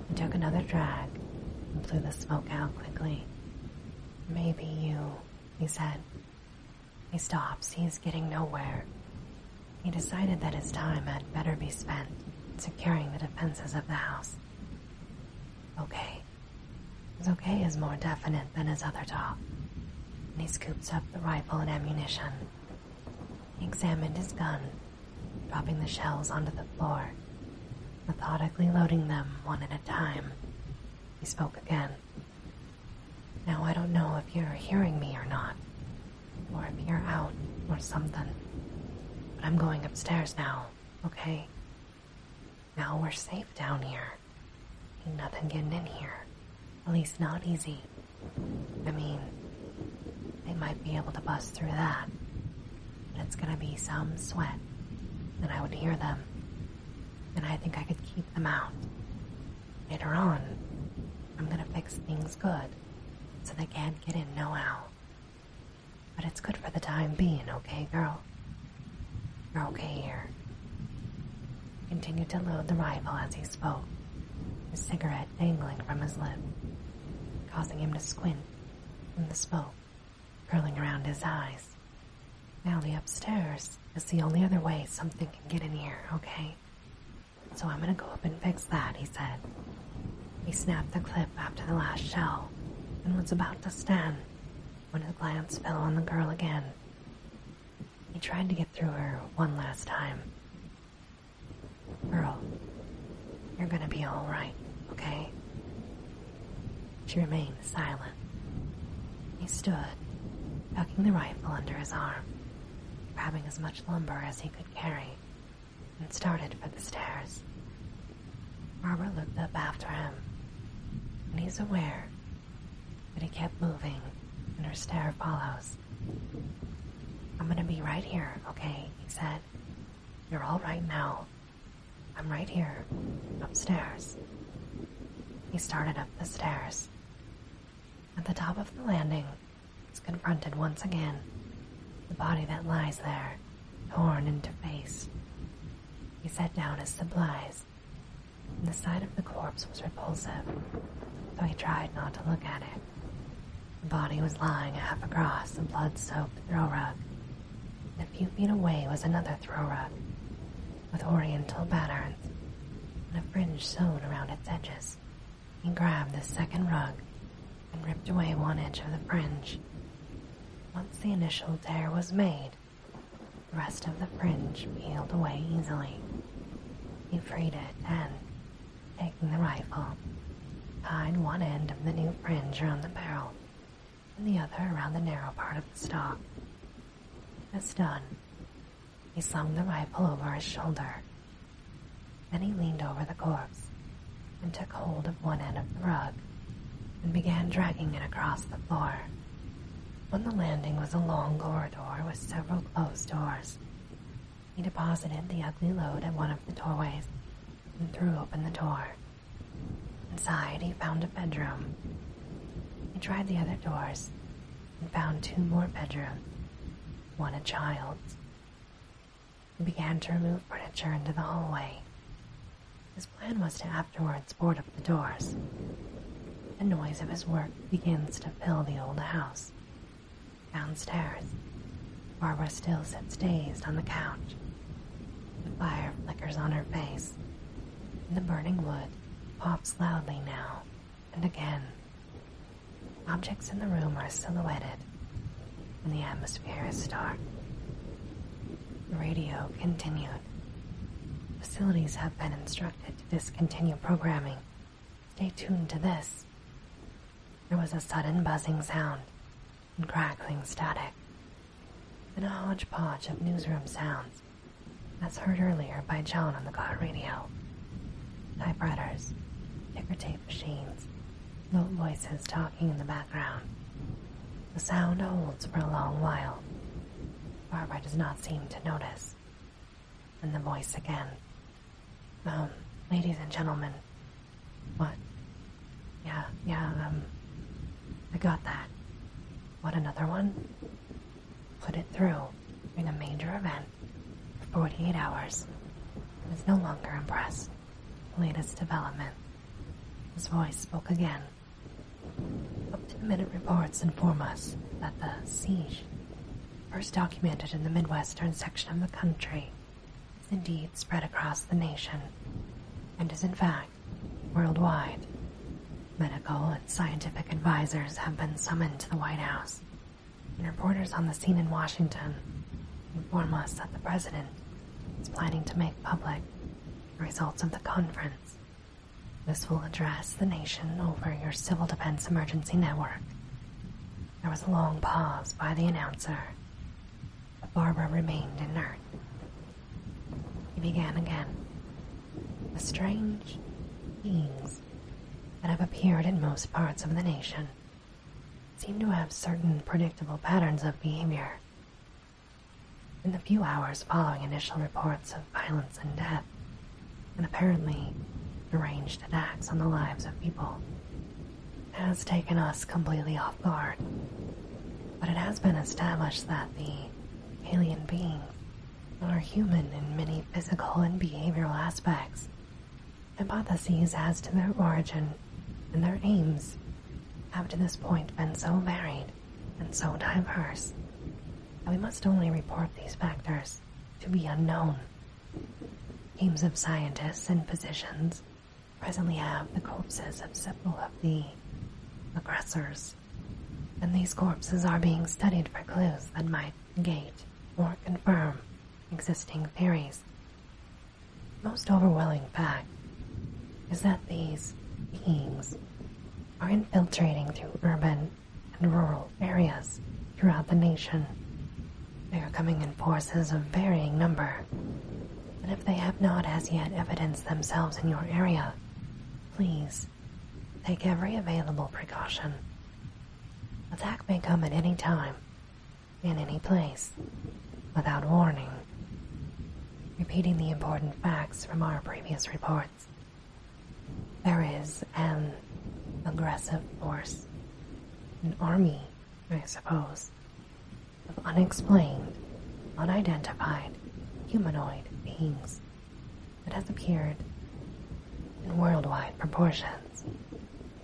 He took another drag and blew the smoke out quickly. Maybe you, he said. He stops. He's getting nowhere. He decided that his time had better be spent securing the defenses of the house. Okay, his okay is more definite than his other talk, he scoops up the rifle and ammunition. He examined his gun, dropping the shells onto the floor, methodically loading them one at a time. He spoke again. Now I don't know if you're hearing me or not, or if you're out or something, but I'm going upstairs now, okay? Now we're safe down here. Ain't nothing getting in here. At least not easy. I mean, they might be able to bust through that. But it's gonna be some sweat. And I would hear them. And I think I could keep them out. Later on, I'm gonna fix things good so they can't get in no how. But it's good for the time being, okay, girl? You're okay here. He continued to load the rifle as he spoke, his cigarette dangling from his lip, causing him to squint in the smoke curling around his eyes. Now the upstairs is the only other way something can get in here, okay? So I'm gonna go up and fix that, he said. He snapped the clip after the last shell and was about to stand when his glance fell on the girl again, he tried to get through her one last time. Girl, you're gonna be alright, okay? She remained silent. He stood, tucking the rifle under his arm, grabbing as much lumber as he could carry, and started for the stairs. Robert looked up after him, and he's aware but he kept moving, and her stare follows. I'm gonna be right here, okay? He said. You're all right now. I'm right here, upstairs. He started up the stairs. At the top of the landing, he's confronted once again. The body that lies there, torn into pieces. He set down his supplies the sight of the corpse was repulsive, though he tried not to look at it. The body was lying half across a blood-soaked throw rug. a few feet away was another throw rug, with oriental patterns, and a fringe sewn around its edges. He grabbed the second rug and ripped away one edge of the fringe. Once the initial tear was made, the rest of the fringe peeled away easily. He freed it and, taking the rifle, tied one end of the new fringe around the barrel and the other around the narrow part of the stock. That's done, he slung the rifle over his shoulder. Then he leaned over the corpse and took hold of one end of the rug and began dragging it across the floor. On the landing was a long corridor with several closed doors. He deposited the ugly load at one of the doorways and threw open the door. Inside, he found a bedroom. He tried the other doors and found two more bedrooms, one a child's. He began to remove furniture into the hallway. His plan was to have afterwards board up the doors. The noise of his work begins to fill the old house. Downstairs, Barbara still sits dazed on the couch. The fire flickers on her face, the burning wood pops loudly now and again. Objects in the room are silhouetted, and the atmosphere is dark. The radio continued. Facilities have been instructed could discontinue programming. Stay tuned to this. There was a sudden buzzing sound and crackling static, then a hodgepodge of newsroom sounds, as heard earlier by John on the car radio. Typewriters, ticker tape machines, low voices talking in the background. The sound holds for a long while. Barbara does not seem to notice. And the voice again. Um, ladies and gentlemen. What? Yeah, yeah, um, I got that. What, another one? Put it through In a major event 48 hours. I was no longer impressed. The latest development. His voice spoke again up-to-the-minute reports inform us that the siege, first documented in the midwestern section of the country, is indeed spread across the nation, and is in fact worldwide. Medical and scientific advisors have been summoned to the White House, and reporters on the scene in Washington inform us that the president is planning to make public the results of the conference this will address the nation over your Civil Defense Emergency Network. There was a long pause by the announcer, Barbara remained inert. He began again. The strange beings that have appeared in most parts of the nation seem to have certain predictable patterns of behavior. In the few hours following initial reports of violence and death, and apparently deranged attacks on the lives of people has taken us completely off guard. But it has been established that the alien beings are human in many physical and behavioral aspects. Hypotheses as to their origin and their aims have to this point been so varied and so diverse we must only report these factors to be unknown. Teams of scientists and physicians presently have the corpses of several of the aggressors, and these corpses are being studied for clues that might negate or confirm existing theories. The most overwhelming fact is that these beings are infiltrating through urban and rural areas throughout the nation. They are coming in forces of varying number. And if they have not as yet evidenced themselves in your area, please take every available precaution. Attack may come at any time, in any place, without warning. Repeating the important facts from our previous report, there is an aggressive force, an army, I suppose, of unexplained, unidentified humanoid beings that has appeared in worldwide proportions.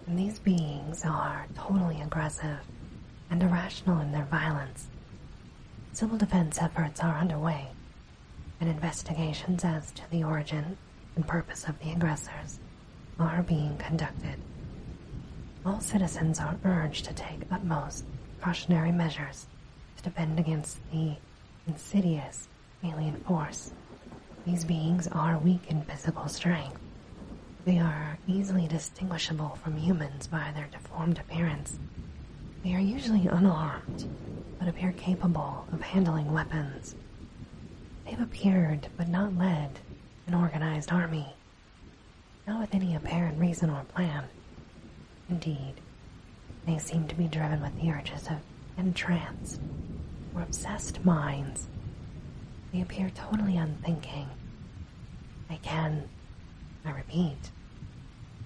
And these beings are totally aggressive and irrational in their violence. Civil defense efforts are underway and investigations as to the origin and purpose of the aggressors are being conducted. All citizens are urged to take utmost precautionary measures to defend against the insidious alien force. These beings are weak in physical strength. They are easily distinguishable from humans by their deformed appearance they are usually unarmed, but appear capable of handling weapons. They've appeared, but not led, an organized army. Not with any apparent reason or plan. Indeed, they seem to be driven with the urges of entranced or obsessed minds. They appear totally unthinking. They can, I repeat,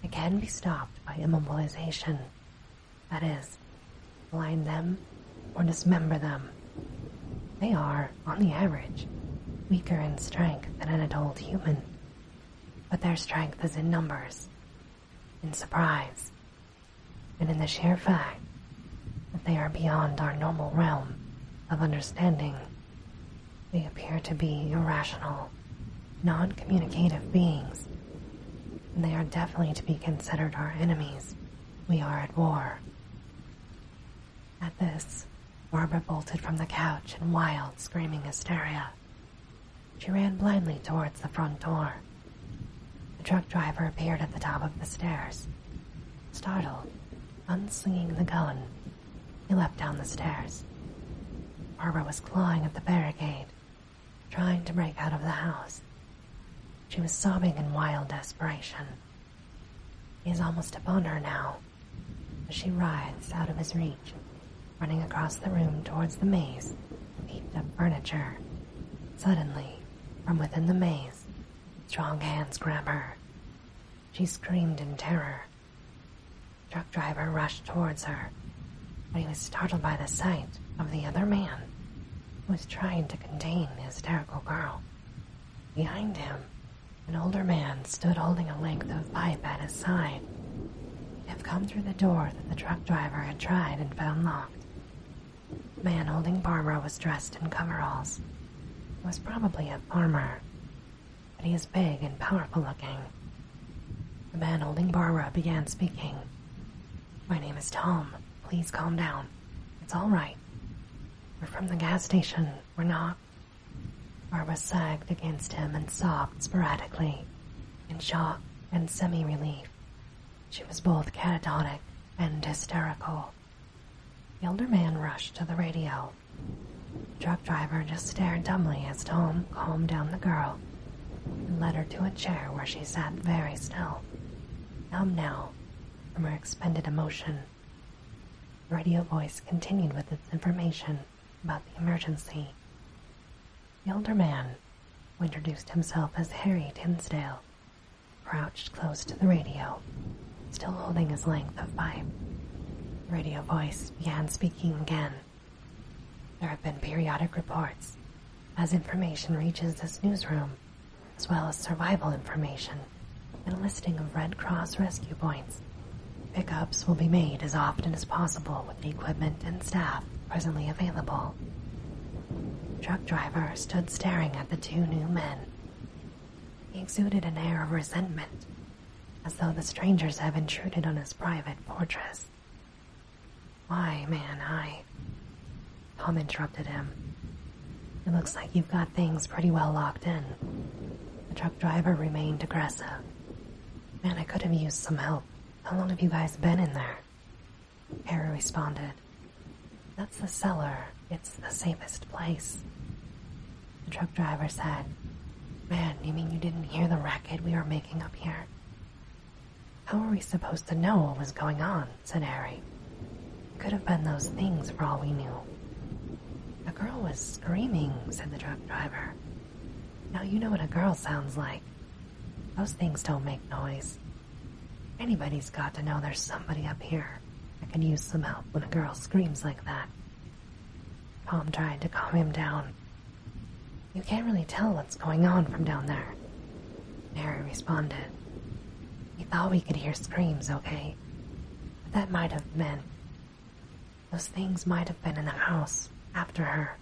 they can be stopped by immobilization that is, blind them or dismember them. They are, on the average, weaker in strength than an adult human, but their strength is in numbers, in surprise, and in the sheer fact that they are beyond our normal realm of understanding. They appear to be irrational, non communicative beings they are definitely to be considered our enemies. We are at war. At this, Barbara bolted from the couch in wild, screaming hysteria. She ran blindly towards the front door. The truck driver appeared at the top of the stairs. Startled, unslinging the gun, he leapt down the stairs. Barbara was clawing at the barricade, trying to break out of the house. She was sobbing in wild desperation. He is almost upon her now, she writhes out of his reach, running across the room towards the maze of heaped up furniture. Suddenly, from within the maze, strong hands grab her. She screamed in terror. Truck driver rushed towards her, but he was startled by the sight of the other man who was trying to contain the hysterical girl. Behind him, an older man stood holding a length of pipe at his side. He had come through the door that the truck driver had tried and found locked. The man holding Barbara was dressed in coveralls. He was probably a farmer, but he was big and powerful looking. The man holding Barbara began speaking, my name is Tom. Please calm down. It's all right. We're from the gas station. We're not. Barbara sagged against him and sobbed sporadically, in shock and semi relief. She was both catatonic and hysterical. The older man rushed to the radio. The truck driver just stared dumbly as Tom calmed down the girl led her to a chair where she sat very still, numb now from her expended emotion. The radio voice continued with its information about the emergency. The older man, who introduced himself as Harry Tinsdale, crouched close to the radio, still holding his length of pipe. radio voice began speaking again. There have been periodic reports as information reaches this newsroom, as well as survival information and a listing of Red Cross rescue points. Pickups will be made as often as possible with the equipment and staff presently available. truck driver stood staring at the two new men. He exuded an air of resentment, as though the strangers had intruded on his private fortress. Why, man, I. Tom interrupted him. It looks like you've got things pretty well locked in. The truck driver remained aggressive. Man, I could have used some help. How long have you guys been in there? Harry responded. That's the cellar. It's the safest place. The truck driver said, Man, you mean you didn't hear the racket we were making up here? How were we supposed to know what was going on? said Harry. Could have been those things for all we knew. A girl was screaming, said the truck driver. Now you know what a girl sounds like. Those things don't make noise. Anybody's got to know there's somebody up here that can use some help when a girl screams like that. Tom tried to calm him down. You can't really tell what's going on from down there. Mary responded. We thought we could hear screams, okay? But that might have been. Those things might have been in the house after her.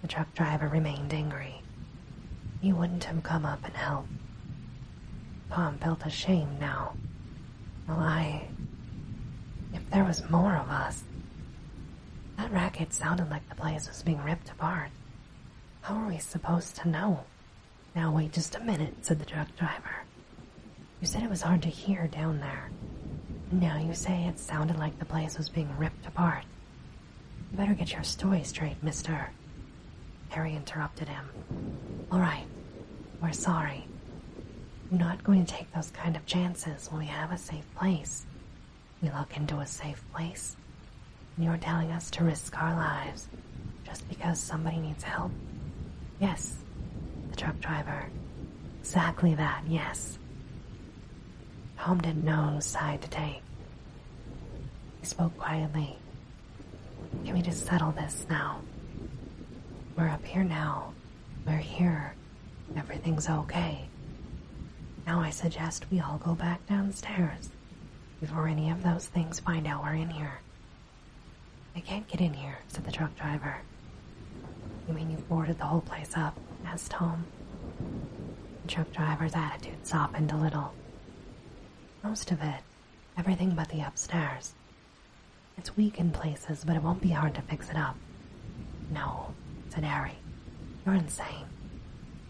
The truck driver remained angry. He wouldn't have come up and helped. Tom felt ashamed now. Well, I. If there was more of us, that racket sounded like the place was being ripped apart. How are we supposed to know? Now wait just a minute, said the truck driver. You said it was hard to hear down there. Now you say it sounded like the place was being ripped apart. better get your story straight, mister. Harry interrupted him. All right, we're sorry. I'm not going to take those kind of chances when we have a safe place. We lock into a safe place, and you're telling us to risk our lives just because somebody needs help? Yes, the truck driver. Exactly that, yes. Home didn't know side to take. He spoke quietly. Can we just settle this now? We're up here now. We're here. Everything's okay. Now I suggest we all go back downstairs before any of those things find out we're in here. I can't get in here, said the truck driver. You mean you've boarded the whole place up? asked Tom. The truck driver's attitude softened a little. Most of it, everything but the upstairs. It's weak in places, but it won't be hard to fix it up. No, said Harry. You're insane.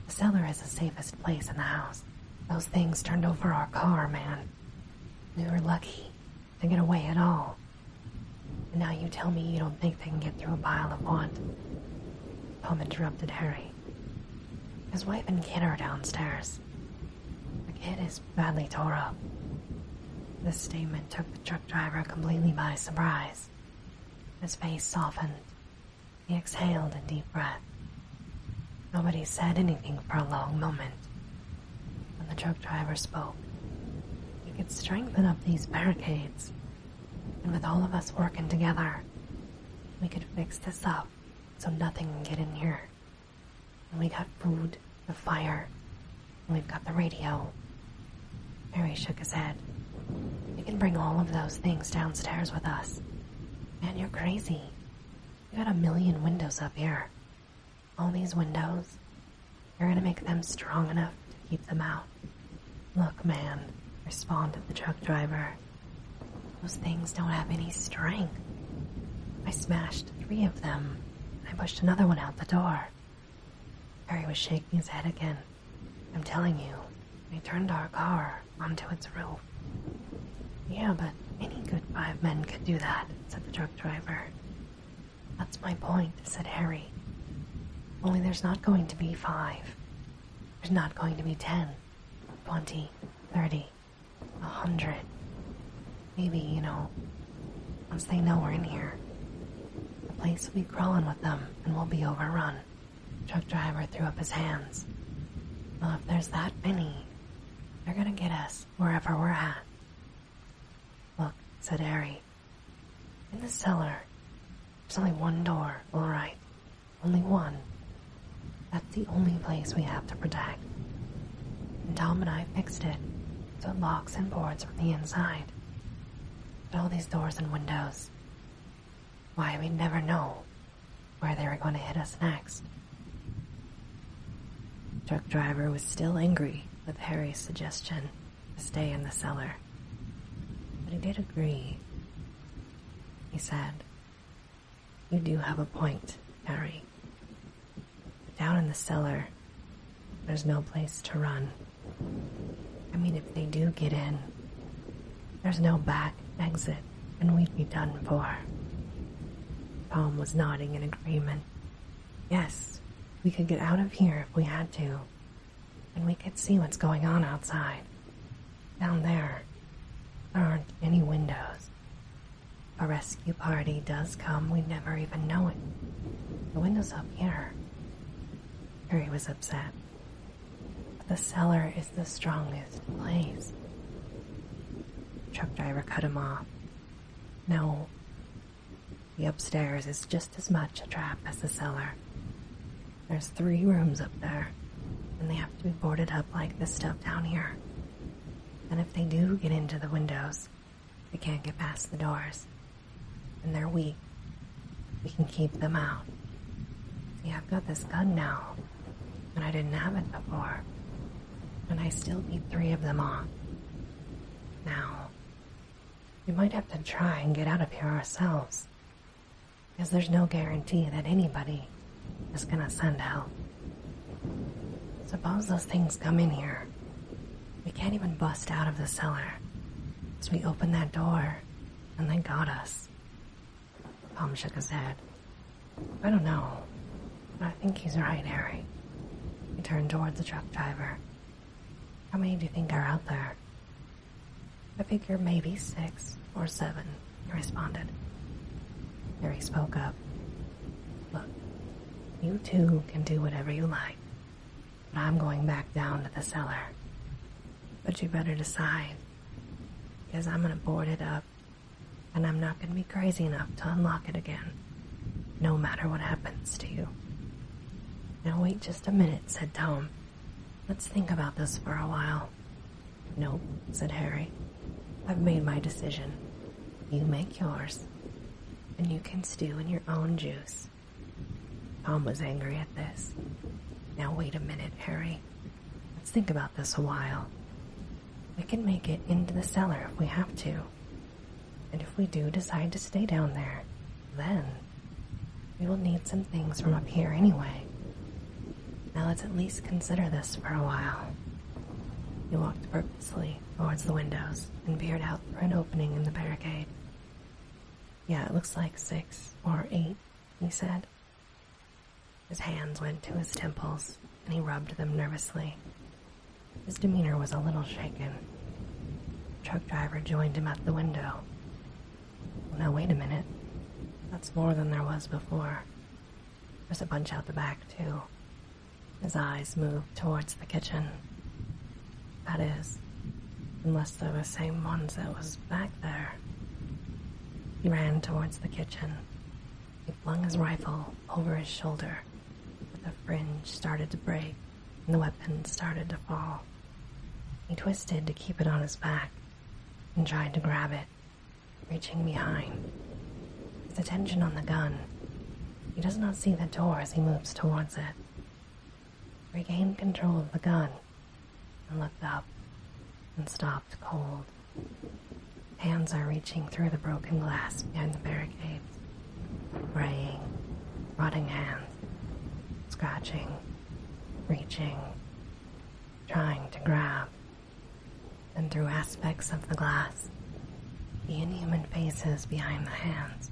The cellar is the safest place in the house. Those things turned over our car, man. We were lucky to get away at all. And now you tell me you don't think they can get through a pile of want. Tom interrupted Harry. His wife and kid are downstairs. The kid is badly tore up. This statement took the truck driver completely by surprise. His face softened he exhaled a deep breath. Nobody said anything for a long moment. Then the truck driver spoke, we could strengthen up these barricades. And with all of us working together, we could fix this up so nothing can get in here. And we got food, a fire, and we've got the radio. Harry shook his head. You can bring all of those things downstairs with us. Man, you're crazy. You got a million windows up here. All these windows, you're gonna make them strong enough to keep them out. Look, man, responded the truck driver. Those things don't have any strength. I smashed three of them. I pushed another one out the door. Harry was shaking his head again. I'm telling you, we turned our car onto its roof. Yeah, but any good five men could do that, said the truck driver. That's my point, said Harry. Only there's not going to be five. There's not going to be ten, twenty, thirty, a hundred. Maybe, you know, once they know we're in here, the place will be crawling with them and we'll be overrun. Truck driver threw up his hands. Well, if there's that many, they're gonna get us wherever we're at. Look, said Harry. In the cellar, there's only one door, alright. Only one. That's the only place we have to protect. Tom and I fixed it, so it locks and boards from the inside. But all these doors and windows, why, we'd never know where they were going to hit us next. The truck driver was still angry with Harry's suggestion to stay in the cellar, but he did agree. He said, You do have a point, Harry. Down in the cellar, there's no place to run. I mean, if they do get in, there's no back exit, and we'd be done for. Tom was nodding in agreement. Yes, we could get out of here if we had to, and we could see what's going on outside. Down there, there aren't any windows. A rescue party does come, we never even know it. The window's up here. Harry was upset. The cellar is the strongest place. Chuck driver cut him off. No. The upstairs is just as much a trap as the cellar. There's three rooms up there, and they have to be boarded up like this stuff down here. And if they do get into the windows, they can't get past the doors. And they're weak we can keep them out. See, I've got this gun now, and I didn't have it before. And I still beat three of them off. Now, we might have to try and get out of here ourselves. Because there's no guarantee that anybody is gonna send help. Suppose those things come in here. We can't even bust out of the cellar. as we opened that door, and they got us. Palm shook his head. I don't know. I think he's right, Harry. He turned toward the truck driver. How many do you think are out there? I figure maybe six or seven, he responded. Harry spoke up. Look, you two can do whatever you like, but I'm going back down to the cellar. But you better decide because I'm gonna board it up, and I'm not gonna be crazy enough to unlock it again, no matter what happens to you. Now, wait just a minute, said Tom. Let's think about this for a while. "No," said Harry. I've made my decision. You make yours, and you can stew in your own juice. Tom was angry at this. Now, wait a minute, Harry, Let's think about this a while. We can make it into the cellar if we have to. And if we do decide to stay down there, then we will need some things from up here anyway. Now let's at least consider this for a while. He walked purposefully towards the windows and peered out through an opening in the barricade. Yeah, it looks like six or eight, he said, his hands went to his temples, and he rubbed them nervously. His demeanor was a little shaken. The truck driver joined him at the window. Now, wait a minute. That's more than there was before. There's a bunch out the back, too. His eyes moved towards the kitchen. That is, unless they were the same ones that was back there. He ran towards the kitchen. He flung his rifle over his shoulder, but the fringe started to break and the weapon started to fall. He twisted to keep it on his back and tried to grab it, reaching behind. His attention on the gun. He does not see the door as he moves towards it. Regain control of the gun. And looked up and stopped cold. Hands are reaching through the broken glass behind the barricade, graying, rotting hands, scratching, reaching, trying to grab. And through aspects of the glass, the inhuman faces behind the hands.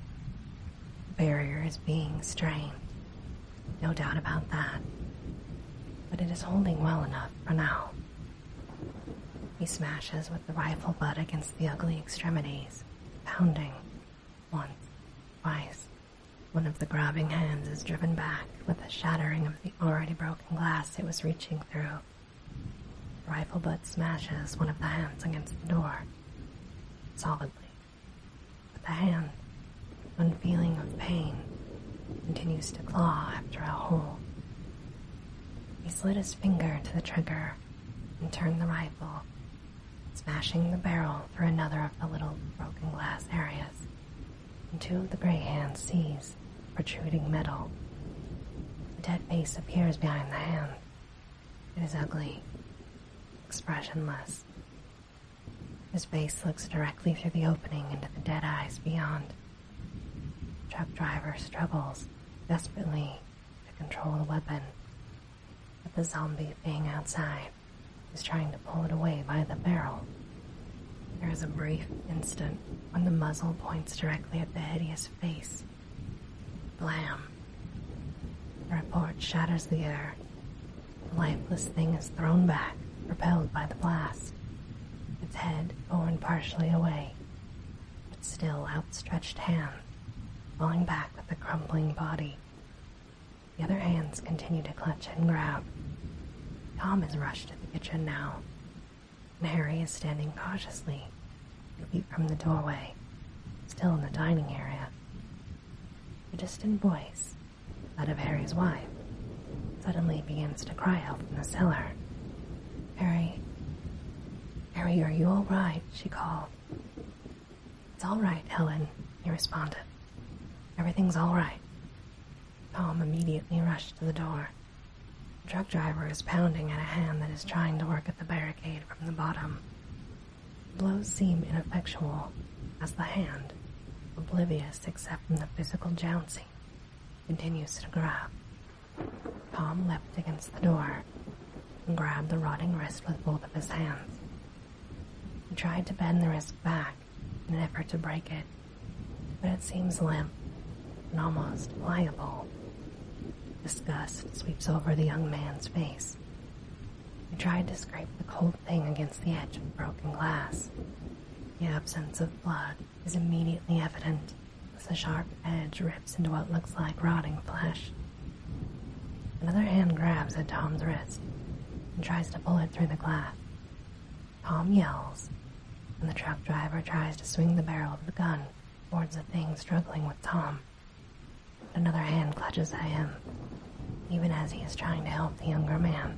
barrier is being strained, no doubt about that. But it is holding well enough for now. He smashes with the rifle butt against the ugly extremities, pounding. Once, twice. One of the grabbing hands is driven back with the shattering of the already broken glass it was reaching through. rifle butt smashes one of the hands against the door. Solidly. with the hand one feeling of pain, continues to claw after a hole. He slid his finger to the trigger and turned the rifle, smashing the barrel through another of the little broken glass areas, and two of the gray hands seize protruding metal. The dead face appears behind the hand. It is ugly, expressionless, his face looks directly through the opening into the dead eyes beyond. truck driver struggles desperately to control the weapon, but the zombie thing outside is trying to pull it away by the barrel. There is a brief instant when the muzzle points directly at the hideous face. Blam! The report shatters the air, the lifeless thing is thrown back, repelled by the blast, its head borne partially away, its still outstretched hand falling back with the crumbling body. The other hands continue to clutch and grab. Tom has rushed to the kitchen now, and is standing cautiously, two feet from the doorway, still in the dining area. A distant voice that of Harry's wife, suddenly begins to cry out from the cellar. Harry, Harry, are you all right? She called. It's all right, Helen, he responded. Everything's all right. Tom immediately rushed to the door. The truck driver is pounding at a hand that is trying to work at the barricade from the bottom. blows seem ineffectual as the hand, oblivious except from the physical jouncing continues to grab. Tom leapt against the door and grabbed the rotting wrist with both of his hands. He tried to bend the wrist back in an effort to break it, but it seems limp and almost pliable. Disgust sweeps over the young man's face. He tried to scrape the cold thing against the edge of broken glass. The absence of blood is immediately evident as the sharp edge rips into what looks like rotting flesh. Another hand grabs at Tom's wrist and tries to pull it through the glass. Tom yells, and the truck driver tries to swing the barrel of the gun towards the thing struggling with Tom. But another hand clutches at him, even as he is trying to help the younger man.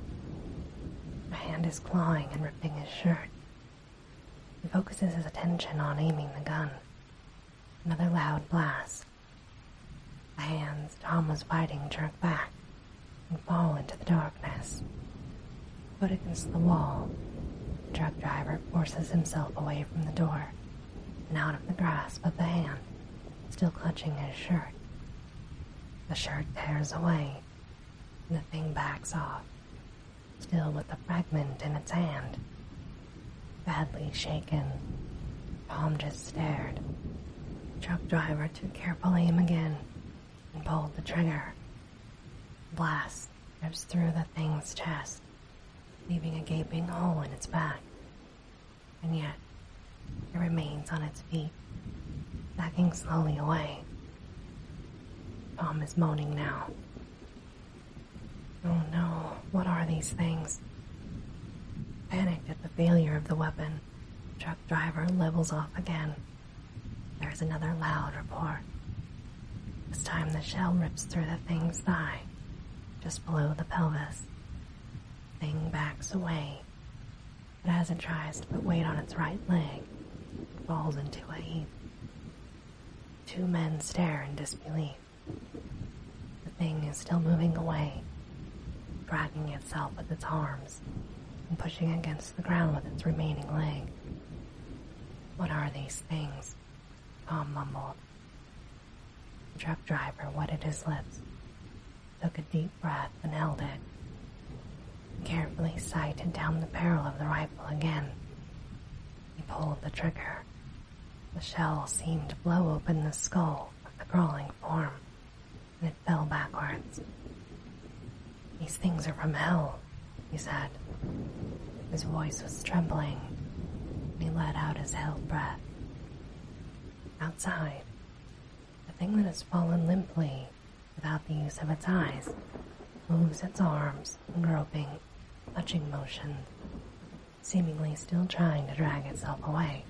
A hand is clawing and ripping his shirt. He focuses his attention on aiming the gun. Another loud blast. The hands Tom was fighting jerk back and fall into the darkness. Put against the wall, the truck driver forces himself away from the door and out of the grasp of the hand, still clutching his shirt. The shirt tears away, the thing backs off, still with the fragment in its hand. Badly shaken, Tom just stared. Truck driver took careful aim again and pulled the trigger. Blast rips through the thing's chest, leaving a gaping hole in its back. And yet, it remains on its feet, backing slowly away. Tom is moaning now. Oh no, what are these things? Panicked at the failure of the weapon, truck driver levels off again. There's another loud report. This time the shell rips through the thing's thigh, just below the pelvis. Thing backs away, it hasn't tries to put weight on its right leg, it falls into a heap. Two men stare in disbelief. The thing is still moving away, dragging itself with its arms and pushing against the ground with its remaining leg. What are these things? Tom mumbled. The truck driver wetted his lips, took a deep breath, and held it carefully sighted down the barrel of the rifle again. He pulled the trigger. The shell seemed to blow open the skull of the crawling form, and it fell backwards. These things are from hell, he said. His voice was trembling, he let out his held breath. Outside, the thing that has fallen limply without the use of its eyes, moves its arms groping, clutching motion, seemingly still trying to drag itself away.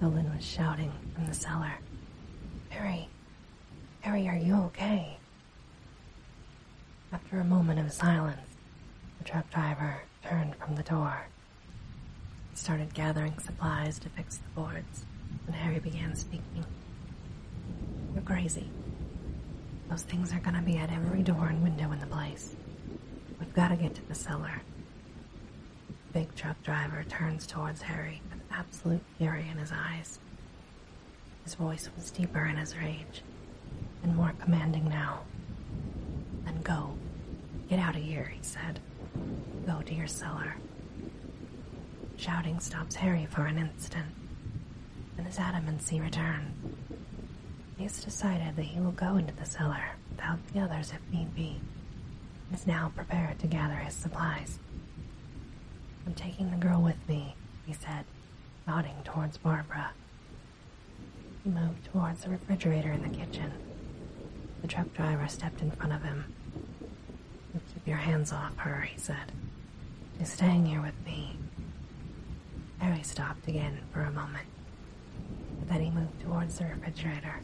The Nolan was shouting from the cellar. Harry, Harry, are you okay? After a moment of silence, the truck driver turned from the door and started gathering supplies to fix the boards and Harry began speaking. You're crazy. Those things are gonna be at every door and window in the place. We've gotta get to the cellar. Big truck driver turns towards Harry with absolute fury in his eyes. His voice was deeper in his rage, and more commanding now. Then go. Get out of here, he said. Go to your cellar. Shouting stops Harry for an instant, and his adamancy return. has decided that he will go into the cellar without the others if need be, He is now prepared to gather his supplies. I'm taking the girl with me, he said, nodding towards Barbara. He moved towards the refrigerator in the kitchen. The truck driver stepped in front of him. Keep your hands off her, he said. She's staying here with me. Harry stopped again for a moment. then he moved towards the refrigerator.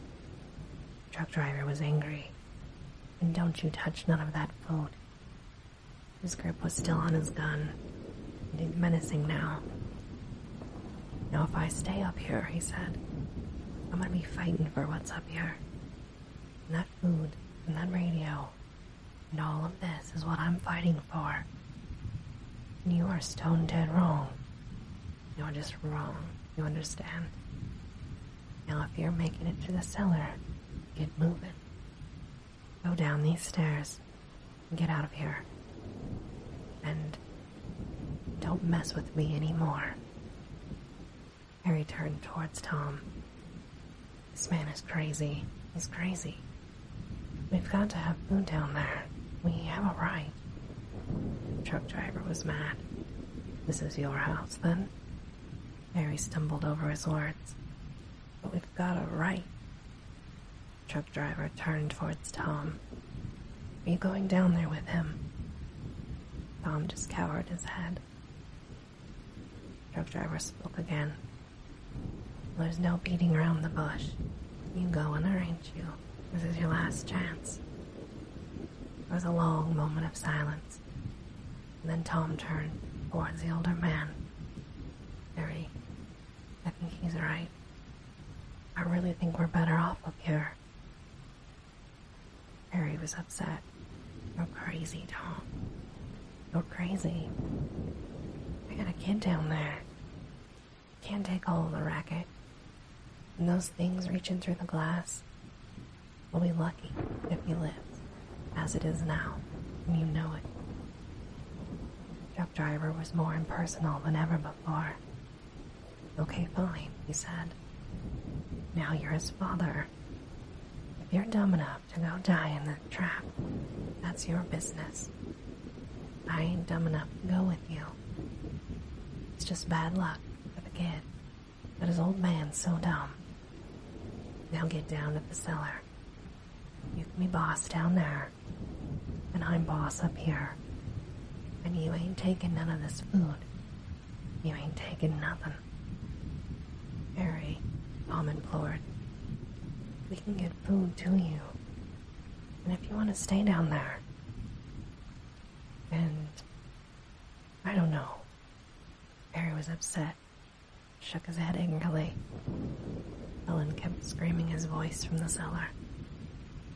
The truck driver was angry. And don't you touch none of that food. His grip was still on his gun. And he's menacing now. Now if I stay up here, he said, I'm gonna be fighting for what's up here and that food and that radio and all of this is what I'm fighting for. And you are stone dead wrong. You're just wrong, you understand? Now, if you're making it to the cellar, get moving. Go down these stairs and get out of here. And don't mess with me anymore. Harry turned towards Tom. This man is crazy. He's crazy. We've got to have food down there. We have a right. truck driver was mad. This is your house, then? Harry stumbled over his words. But we've got a right. truck driver turned towards Tom. Are you going down there with him? Tom just cowered his head. The Truck driver spoke again. There's no beating around the bush. You go and arrange you. This is your last chance. There was a long moment of silence. And then Tom turned towards the older man. Harry, I think he's right. I really think we're better off up here. Harry was upset. You're crazy, Tom. You're crazy. We got a kid down there. Can't take all the racket. And those things reaching through the glass. We'll be lucky if he lives, as it is now, and you know it. The Truck driver was more impersonal than ever before. Okay, fine, he said. Now you're his father. If you're dumb enough to go die in the trap, that's your business. I ain't dumb enough to go with you. It's just bad luck for the kid, but his old man's so dumb. Now get down to the cellar. You can be boss down there, and I'm boss up here. And you ain't taking none of this food you ain't taking nothing. Harry, Mom implored. We can get food to you. And if you want to stay down there. And I don't know. Harry was upset, shook his head angrily. Ellen kept screaming his voice from the cellar.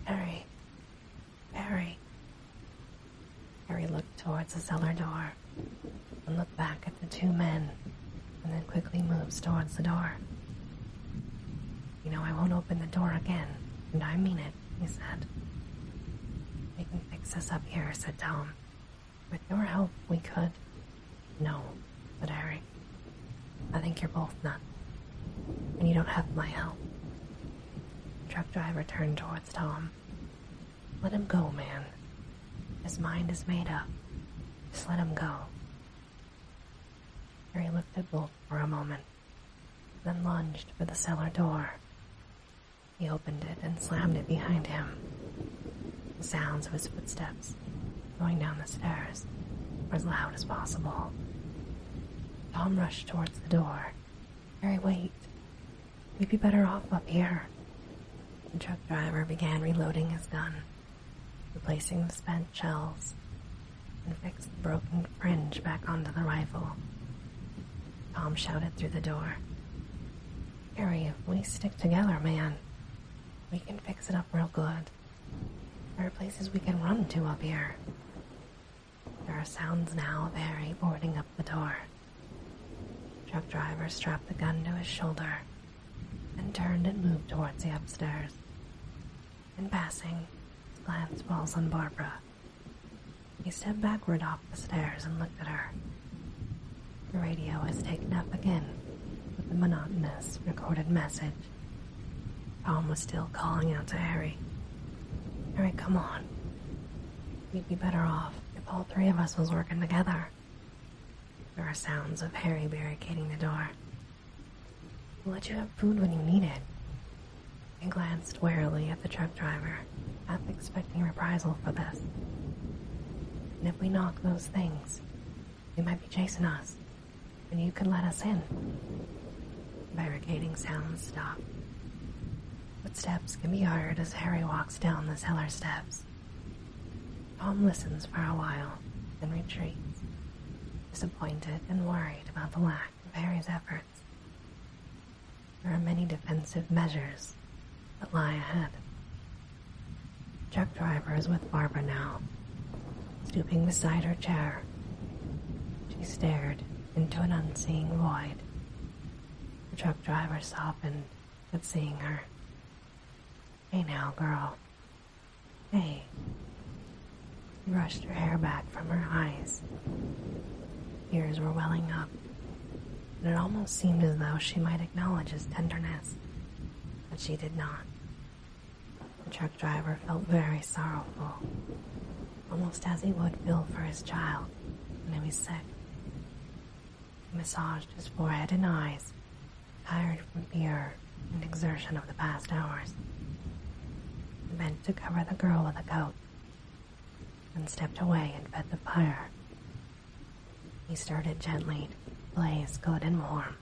Harry, Harry, Harry looked towards the cellar door and looked back at the two men and then quickly moves towards the door. You know, I won't open the door again, and I mean it, he said. We can fix us up here, said Tom. With your help, we could. No, said Harry. I think you're both nuts, and you don't have my help. The truck driver turned towards Tom. Let him go, man. His mind is made up. Just let him go. Harry looked at Bolt for a moment, then lunged for the cellar door. He opened it and slammed it behind him. The sounds of his footsteps going down the stairs were as loud as possible. Tom rushed towards the door. Harry, wait. We'd be better off up here. The truck driver began reloading his gun, replacing the spent shells, and fixed the broken fringe back onto the rifle. Tom shouted through the door. Harry, if we stick together, man, we can fix it up real good. There are places we can run to up here. There are sounds now of Harry boarding up the door. Truck driver strapped the gun to his shoulder and turned and moved towards the upstairs. In passing, his glance falls on Barbara. He stepped backward off the stairs and looked at her. The radio was taken up again with the monotonous recorded message. Tom was still calling out to Harry. Harry, come on. We'd be better off if all three of us was working together. There are sounds of Harry barricading the door. We'll let you have food when you need it. He glanced warily at the truck driver, half expecting reprisal for this. And if we knock those things, they might be chasing us, and you could let us in. Barricading sounds stop. Footsteps can be heard as Harry walks down the cellar steps. Tom listens for a while, then retreats, disappointed and worried about the lack of Harry's efforts. There are many defensive measures that lie ahead. Truck driver is with Barbara now, stooping beside her chair. She stared into an unseeing void. The truck driver softened at seeing her. Hey now, girl. Hey. She brushed her hair back from her eyes. Tears were welling up, and it almost seemed as though she might acknowledge his tenderness, but she did not. The truck driver felt very sorrowful, almost as he would feel for his child when he was sick massaged his forehead and eyes, tired from fear and exertion of the past hours. bent to cover the girl with a coat, and stepped away and fed the fire. He started gently blaze good and warm.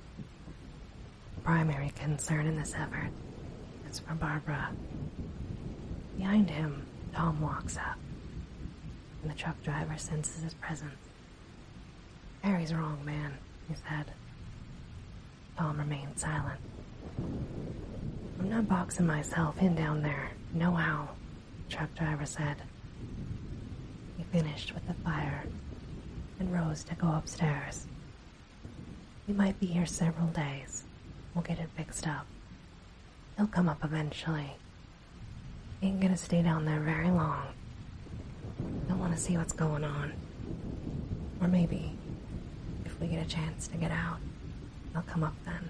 primary concern in this effort is for Barbara. Behind him, Tom walks up, and the truck driver senses his presence. Harry's wrong, man, he said. Palm remained silent. I'm not boxing myself in down there, no how, the truck driver said. He finished with the fire and rose to go upstairs. We might be here several days. We'll get it fixed up. He'll come up eventually. He ain't gonna stay down there very long. He'll wanna see what's going on. Or maybe, if we get a chance to get out, he'll come up then.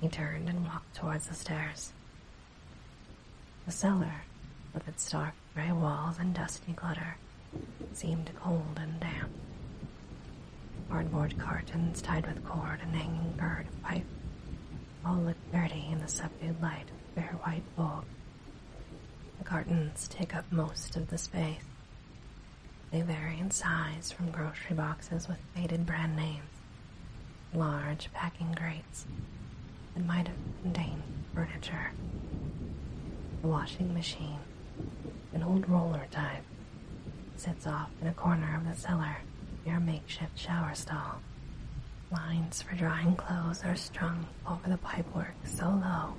He turned and walked towards the stairs. The cellar, with its dark gray walls and dusty clutter, seemed cold and damp. Cardboard curtains tied with cord and hanging bird of pipe all look dirty in the subdued light of bare white bulk. The cartons take up most of the space. They vary in size from grocery boxes with faded brand names, large packing crates that might have contained furniture, a washing machine, an old roller type, sits off in a corner of the cellar near a makeshift shower stall. Lines for drying clothes are strung over the pipework so low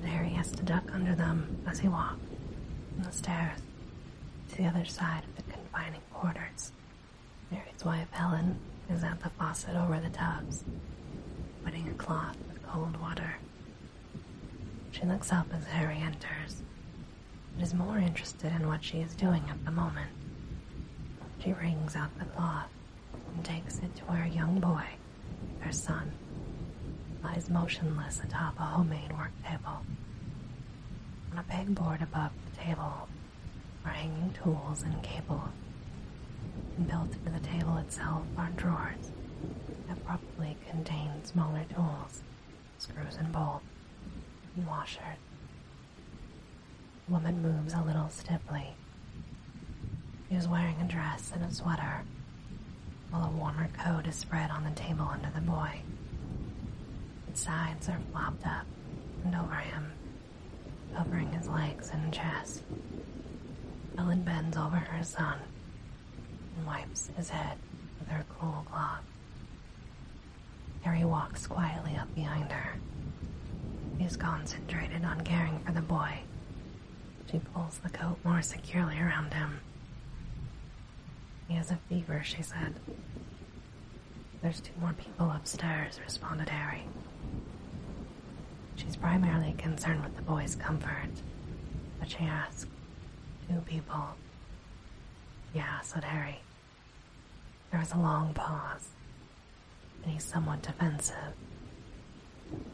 that Harry has to duck under them as he walks from the stairs to the other side of the confining quarters. Harry's wife, Helen, is at the faucet over the tubs, putting a cloth with cold water. She looks up as Harry enters but is more interested in what she is doing at the moment. She wrings out the cloth and takes it to her young boy, her son, lies motionless atop a homemade work table. On a pegboard above the table are hanging tools and cables. And built into the table itself are drawers that probably contain smaller tools screws and bolt, and washer. Woman moves a little stiffly. She is wearing a dress and a sweater, while a warmer coat is spread on the table under the boy. Its sides are flapped up and over him, covering his legs and chest. Ellen bends over her son and wipes his head with her cool cloth. Harry walks quietly up behind her. He is concentrated on caring for the boy. She pulls the coat more securely around him. He has a fever, she said. There's two more people upstairs, responded Harry. She's primarily concerned with the boy's comfort, but she asked, Two people. Yeah, said Harry. There was a long pause, and he's somewhat defensive.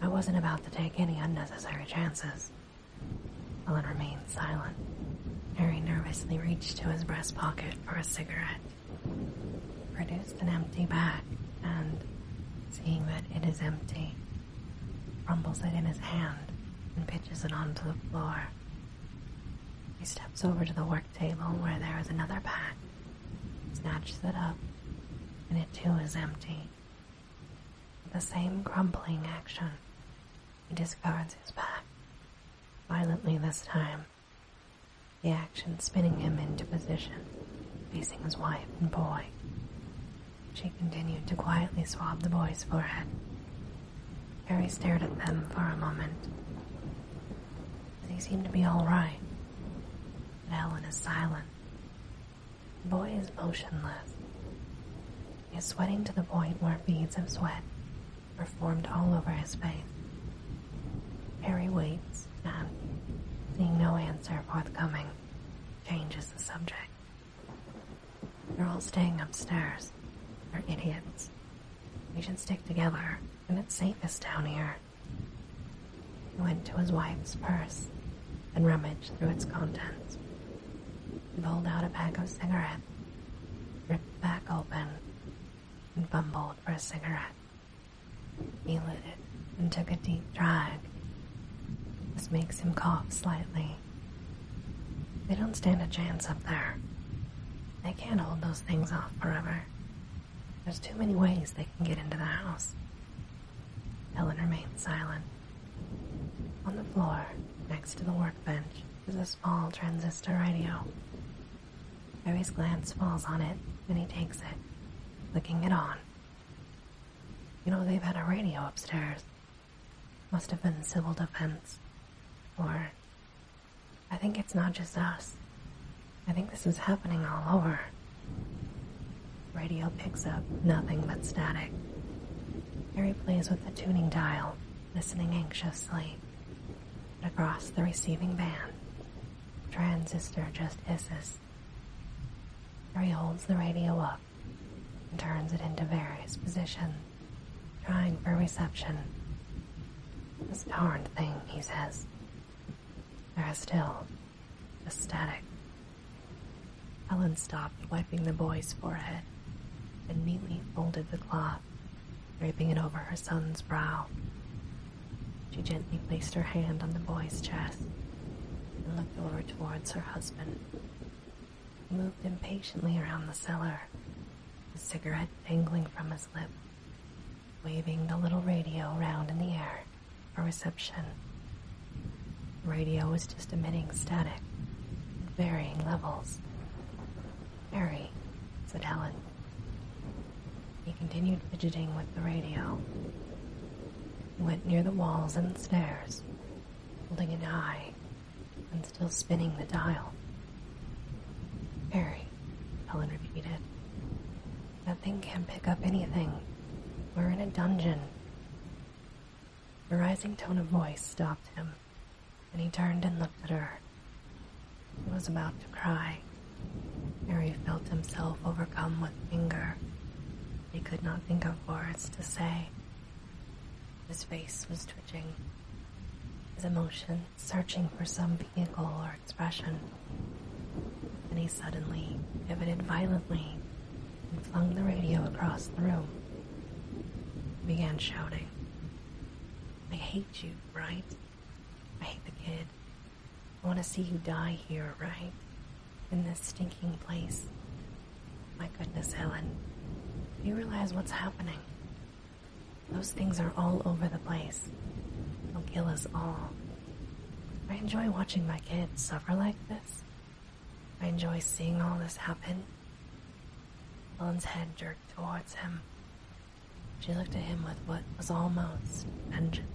I wasn't about to take any unnecessary chances. Ellen remains silent. Harry nervously reaches to his breast pocket for a cigarette, produces an empty bag, and, seeing that it is empty, rumbles it in his hand and pitches it onto the floor. He steps over to the work table where there is another pack, snatches it up, and it too is empty. the same crumpling action, he discards his pack, violently this time, the action spinning him into position, facing his wife and boy. She continued to quietly swab the boy's forehead Harry stared at them for a moment. They seemed to be all right. But Helen is silent. The boy is motionless. He is sweating to the point where beads of sweat are formed all over his face. Harry waits and, seeing no answer forthcoming, changes the subject. They're all staying upstairs. They're idiots. We should stick together, and it's safest down here. He went to his wife's purse and rummaged through its contents. He pulled out a pack of cigarettes, ripped the pack open, and fumbled for a cigarette. He lit it and took a deep drag. This makes him cough slightly. They don't stand a chance up there. They can't hold those things off forever. There's too many ways they can get into the house. Helen remains silent. On the floor, next to the workbench, is a small transistor radio. Harry's glance falls on it, and he takes it, flicking it on. You know, they've had a radio upstairs. Must have been civil defense, or I think it's not just us. I think this is happening all over. Radio picks up nothing but static. Harry plays with the tuning dial, listening anxiously. across the receiving band, transistor just hisses. Harry holds the radio up and turns it into various positions trying for reception. This darned thing, he says. There is still just static. Ellen stopped wiping the boy's forehead and neatly folded the cloth, draping it over her son's brow. She gently placed her hand on the boy's chest and looked over towards her husband, who moved impatiently around the cellar, a cigarette dangling from his lip, waving the little radio around in the air for reception. The radio was just emitting static varying levels. Harry, said Helen. He continued fidgeting with the radio. He went near the walls and stairs, holding an eye and still spinning the dial. Harry, Helen repeated. That thing can't pick up anything. We're in a dungeon. A rising tone of voice stopped him, and he turned and looked at her. He was about to cry. Harry felt himself overcome with anger. He could not think of words to say. His face was twitching. His emotion searching for some vehicle or expression. Then he suddenly pivoted violently and flung the radio across the room. began shouting, I hate you, right? I hate the kid. I want to see you die here, right? In this stinking place. My goodness, Helen. Do you realize what's happening? Those things are all over the place. They'll kill us all. I enjoy watching my kids suffer like this. I enjoy seeing all this happen. Ellen's head jerked towards him. She looked at him with what was almost vengeance.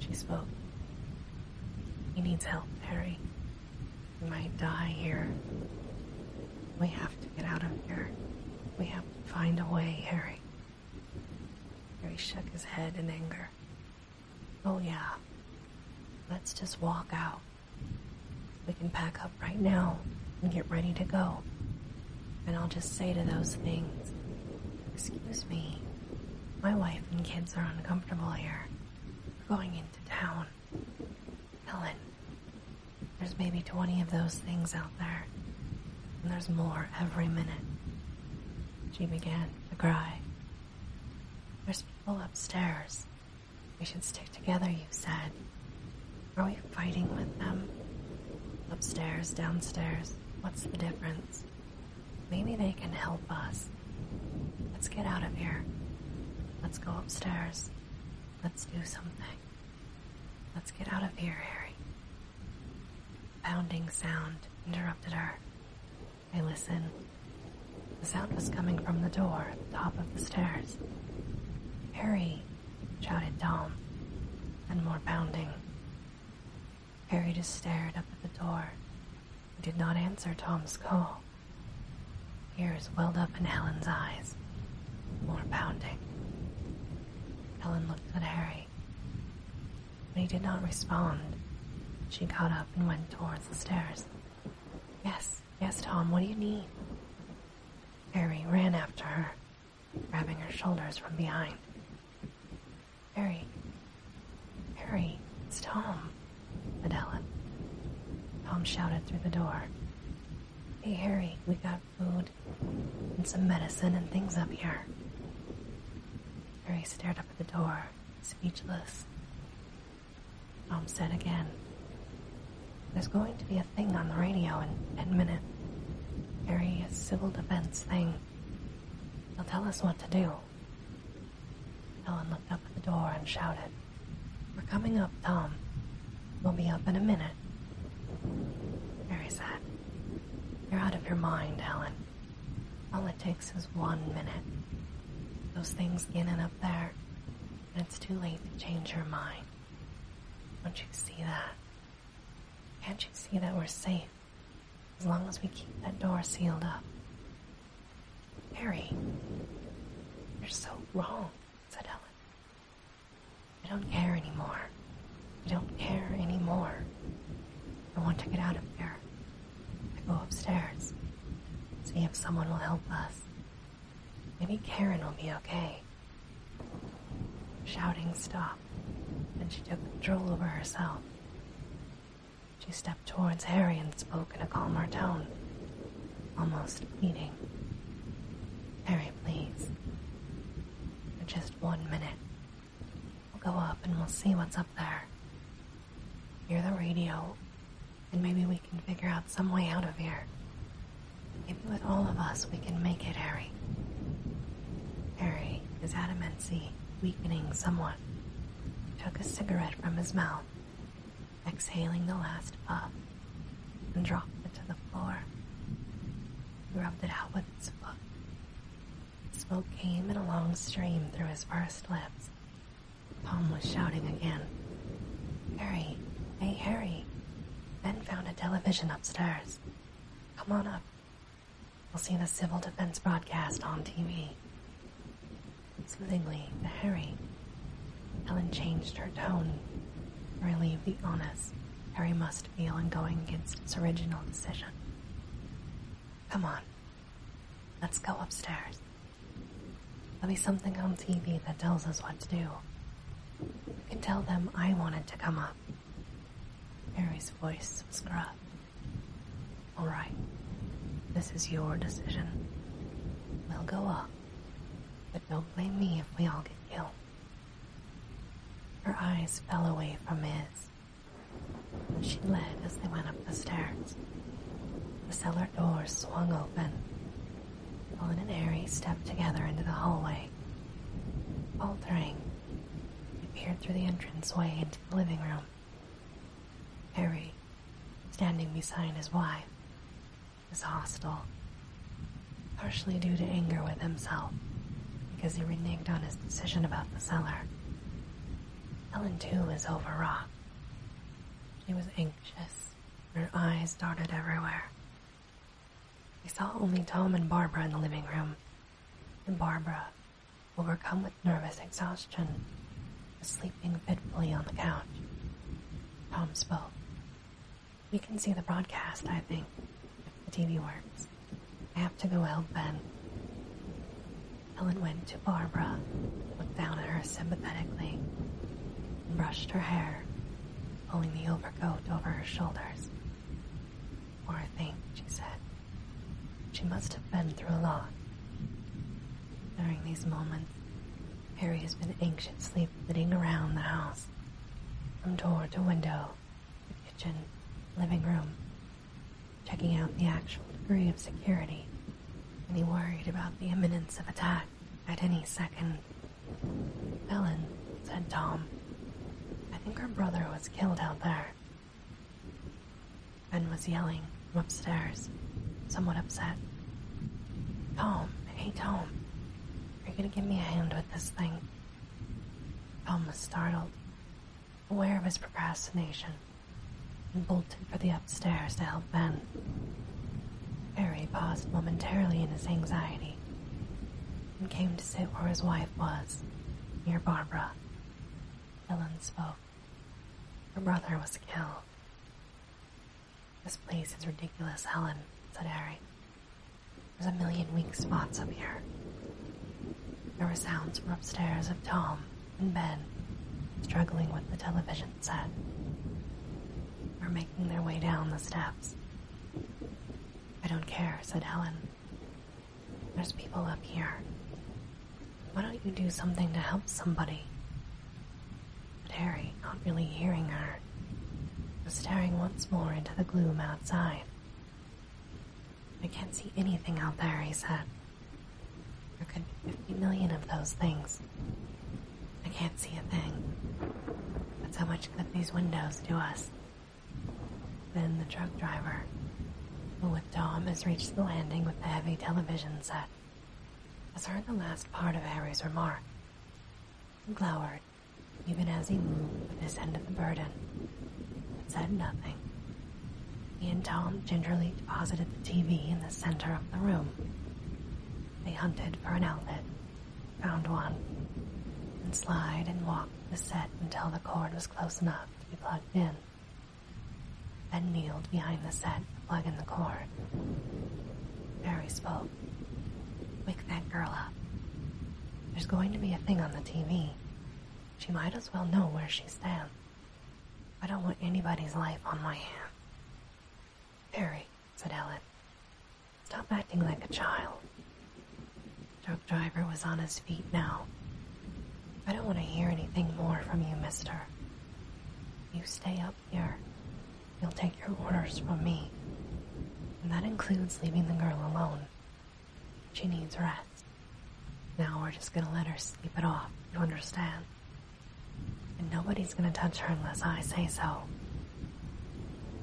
She spoke. He needs help, Harry. He might die here. We have to get out of here. We have Find a way, Harry. Harry shook his head in anger. Oh, yeah. Let's just walk out. We can pack up right now and get ready to go. And I'll just say to those things, Excuse me, my wife and kids are uncomfortable here. We're going into town. Helen, there's maybe 20 of those things out there, and there's more every minute. She began to cry. There's people upstairs. We should stick together, you said. Are we fighting with them? Upstairs, downstairs, what's the difference? Maybe they can help us. Let's get out of here. Let's go upstairs. Let's do something. Let's get out of here, Harry. A pounding sound interrupted her. I listened. The sound was coming from the door at the top of the stairs. Harry, shouted Tom, and more pounding. Harry just stared up at the door and did not answer Tom's call. Tears welled up in Helen's eyes more pounding. Helen looked at Harry. When he did not respond, she got up and went towards the stairs. Yes, yes, Tom, what do you need? Harry ran after her, grabbing her shoulders from behind. Harry, Harry, it's Tom, Madeline. Tom shouted through the door. Hey, Harry, we got food and some medicine and things up here. Harry stared up at the door, speechless. Tom said again, There's going to be a thing on the radio in ten minutes. Harry, a civil defense thing. They'll tell us what to do. Helen looked up at the door and shouted, We're coming up, Tom. We'll be up in a minute. Mary said. You're out of your mind, Helen. All it takes is one minute. Those things in and up there, and it's too late to change your mind. Don't you see that? Can't you see that we're safe as long as we keep that door sealed up? Harry, you're so wrong, said Helen. I don't care anymore. I don't care anymore. I want to get out of here. I go upstairs. See if someone will help us. Maybe Karen will be okay. Shouting stopped, and she took control over herself. She stepped towards Harry and spoke in a calmer tone, almost pleading. Harry, please. For just one minute. We'll go up and we'll see what's up there. Hear the radio, and maybe we can figure out some way out of here. If with all of us we can make it, Harry. Harry, his adamancy weakening somewhat, took a cigarette from his mouth, exhaling the last puff and dropped it to the floor. He rubbed it out with his foot. Smoke came in a long stream through his pursed lips. Palm was shouting again. Harry, hey Harry. Ben found a television upstairs. Come on up. We'll see the civil defense broadcast on TV. Soothingly to Harry, Helen changed her tone to relieve the onus Harry must feel in going against its original decision. Come on, let's go upstairs. Let me something on TV that tells us what to do. You can tell them I wanted to come up. Mary's voice was gruff. All right, this is your decision. We'll go up, but don't blame me if we all get ill. Her eyes fell away from his. She led as they went up the stairs. The cellar door swung open. Colin and Harry stepped together into the hallway. Faltering, they peered through the entranceway into the living room. Harry, standing beside his wife, was hostile partially due to anger with himself because he reneged on his decision about the cellar. Ellen, too, was overwrought. She was anxious, her eyes darted everywhere. He saw only Tom and Barbara in the living room, and Barbara, overcome with nervous exhaustion, was sleeping fitfully on the couch. Tom spoke. You can see the broadcast, I think. If the TV works. I have to go help Ben. Ellen went to Barbara, looked down at her sympathetically, brushed her hair, pulling the overcoat over her shoulders. Poor thing, she said. She must have been through a lot. During these moments, Harry has been anxiously flitting around the house, from door to window, kitchen, living room, checking out the actual degree of security. And he worried about the imminence of attack at any second. Ellen, said Tom, I think her brother was killed out there. Ben was yelling from upstairs, somewhat upset. Tom, hey Tom, are you gonna give me a hand with this thing? Tom was startled, aware of his procrastination, and bolted for the upstairs to help Ben. Harry paused momentarily in his anxiety and came to sit where his wife was, near Barbara. Helen spoke. Her brother was killed. This place is ridiculous, Helen, said Harry. There's a million weak spots up here. There were sounds from upstairs of Tom and Ben struggling with the television set. or making their way down the steps. I don't care, said Helen. There's people up here. Why don't you do something to help somebody? But Harry, not really hearing her, was staring once more into the gloom outside. I can't see anything out there, he said. There could be 50 million of those things. I can't see a thing. But how much good these windows do us. Then the truck driver, who with Tom has reached the landing with the heavy television set, has heard the last part of Harry's remark. glowered even as he moved with his end of the burden, but said nothing. He and Tom gingerly deposited the TV in the center of the room. They hunted for an outlet, found one, and slid and walked the set until the cord was close enough to be plugged in. Then kneeled behind the set plugging the cord. Barry spoke. Wake that girl up. There's going to be a thing on the TV. She might as well know where she stands. I don't want anybody's life on my hands. Perry, said Ellen, stop acting like a child. The truck driver was on his feet now. I don't want to hear anything more from you, mister. You stay up here. You'll take your orders from me. And that includes leaving the girl alone. She needs rest. Now we're just gonna let her sleep it off, you understand? And nobody's gonna touch her unless I say so.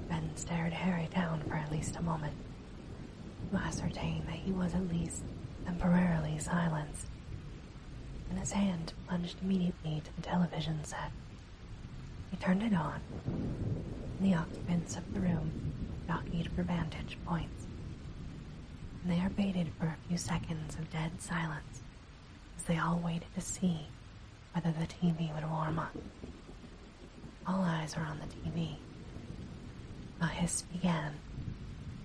Ben stared Harry down for at least a moment to ascertain that he was at least temporarily silenced, and his hand plunged immediately to the television set. He turned it on, and the occupants of the room jockeyed for vantage points. they there waited for a few seconds of dead silence as they all waited to see whether the TV would warm up. All eyes were on the TV. A hiss began,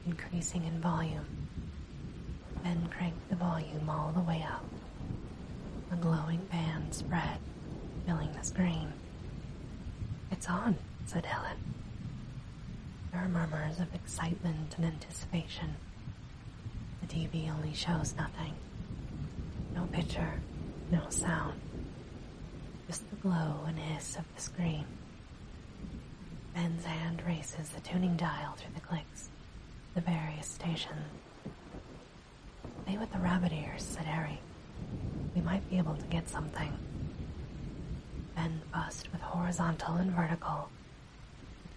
increasing in volume, then cranked the volume all the way up. A glowing band spread, filling the screen. It's on, said Helen. There are murmurs of excitement and anticipation. The TV only shows nothing. No picture, no sound. Just the glow and hiss of the screen. Ben's hand races the tuning dial through the clicks, the various stations. They with the rabbit ears, said Harry. We might be able to get something. Then bust with horizontal and vertical,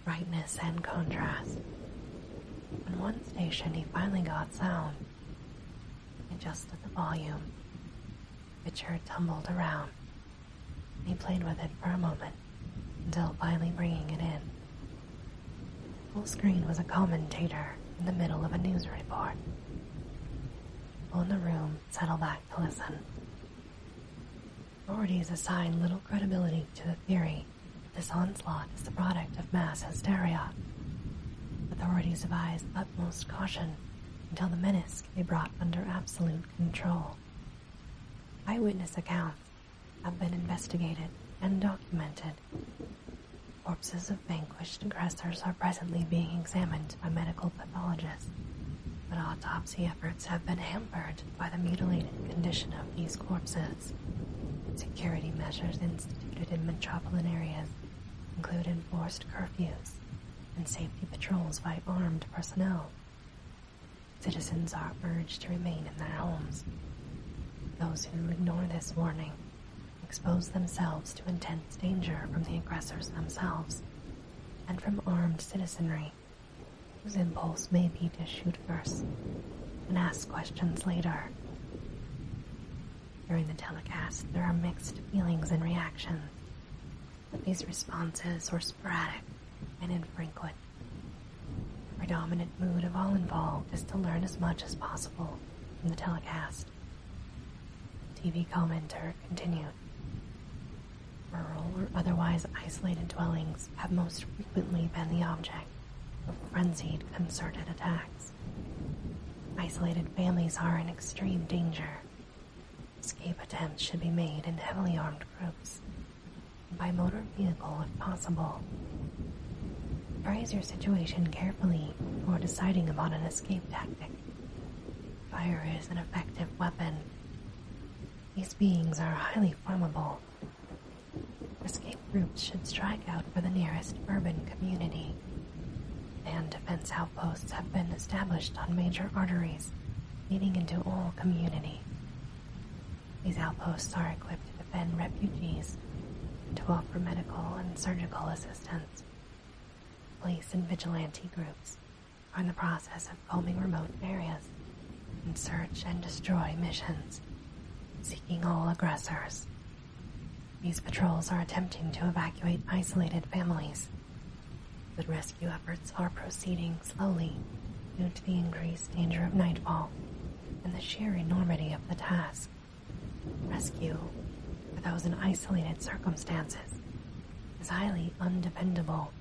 brightness and contrast. On one station, he finally got sound. He adjusted the volume. Richard tumbled around. He played with it for a moment, until finally bringing it in. Full screen was a commentator in the middle of a news report. People in the room settle back to listen. Authorities assign little credibility to the theory this onslaught is the product of mass hysteria. Authorities advise utmost caution until the menace can be brought under absolute control. Eyewitness accounts have been investigated and documented Corpses of vanquished aggressors are presently being examined by medical pathologists, but autopsy efforts have been hampered by the mutilated condition of these corpses. Security measures instituted in metropolitan areas include enforced curfews and safety patrols by armed personnel. Citizens are urged to remain in their homes. Those who ignore this warning expose themselves to intense danger from the aggressors themselves and from armed citizenry, whose impulse may be to shoot first and ask questions later. During the telecast, there are mixed feelings and reactions, but these responses were sporadic and in Franklin, The predominant mood of all involved is to learn as much as possible from the telecast past. TV commenter continued. Rural or otherwise isolated dwellings have most frequently been the object of frenzied, concerted attacks. Isolated families are in extreme danger. Escape attempts should be made in heavily armed groups, by motor vehicle if possible. Appraise your situation carefully carefully before deciding upon an escape tactic. Fire is an effective weapon. These beings are highly flammable. Escape groups should strike out for the nearest urban community. And defense outposts have been established on major arteries leading into all community. These outposts are equipped to defend refugees, to offer medical and surgical assistance, Police and vigilante groups are in the process of combing remote areas in search and destroy missions, seeking all aggressors. These patrols are attempting to evacuate isolated families, but rescue efforts are proceeding slowly due to the increased danger of nightfall and the sheer enormity of the task. Rescue, for those in isolated circumstances, is highly undependable.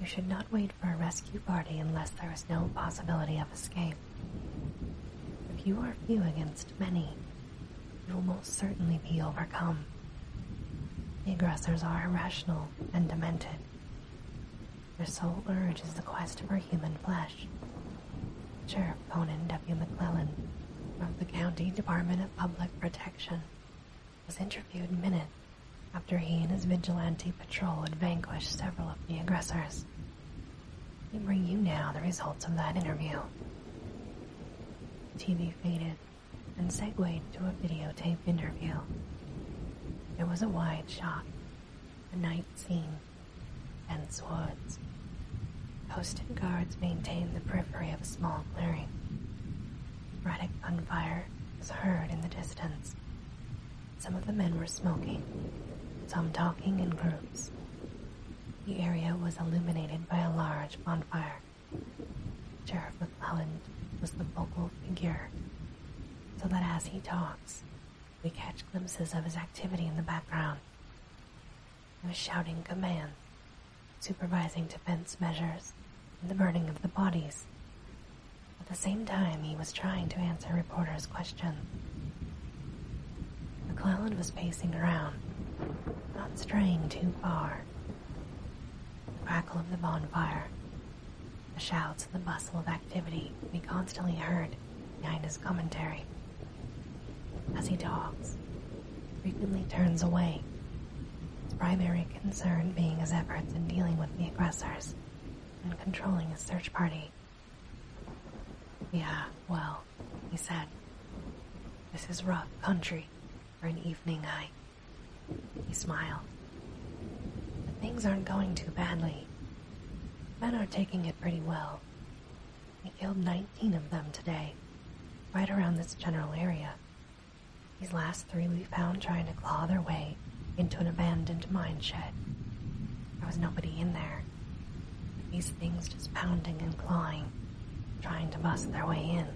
You should not wait for a rescue party unless there is no possibility of escape. If you are few against many, you will most certainly be overcome. The aggressors are irrational and demented. Their sole urge is the quest for human flesh, Sheriff Conan W. McClellan of the County Department of Public Protection was interviewed minutes after he and his vigilante patrol had vanquished several of the aggressors. We bring you now the results of that interview. TV faded and segued to a videotape interview. It was a wide shot, a night scene, and swords. Posted guards maintain the periphery of a small clearing. Erratic gunfire was heard in the distance. Some of the men were smoking, some talking in groups. The area was illuminated by a large bonfire. Sheriff McClelland was the focal figure, so that as he talks, we catch glimpses of his activity in the background was shouting commands, supervising defense measures, and the burning of the bodies. At the same time, he was trying to answer reporters' questions. McClellan was pacing around, not straying too far. The crackle of the bonfire, the shouts and the bustle of activity we constantly heard behind his commentary as he talks, frequently turns away, his primary concern being his efforts in dealing with the aggressors and controlling his search party. Yeah, well, he said, this is rough country for an evening hike. He smiled. But things aren't going too badly. Men are taking it pretty well. We killed 19 of them today, right around this general area. These last three we found trying to claw their way into an abandoned mine shed. There was nobody in there. These things just pounding and clawing, trying to bust their way in.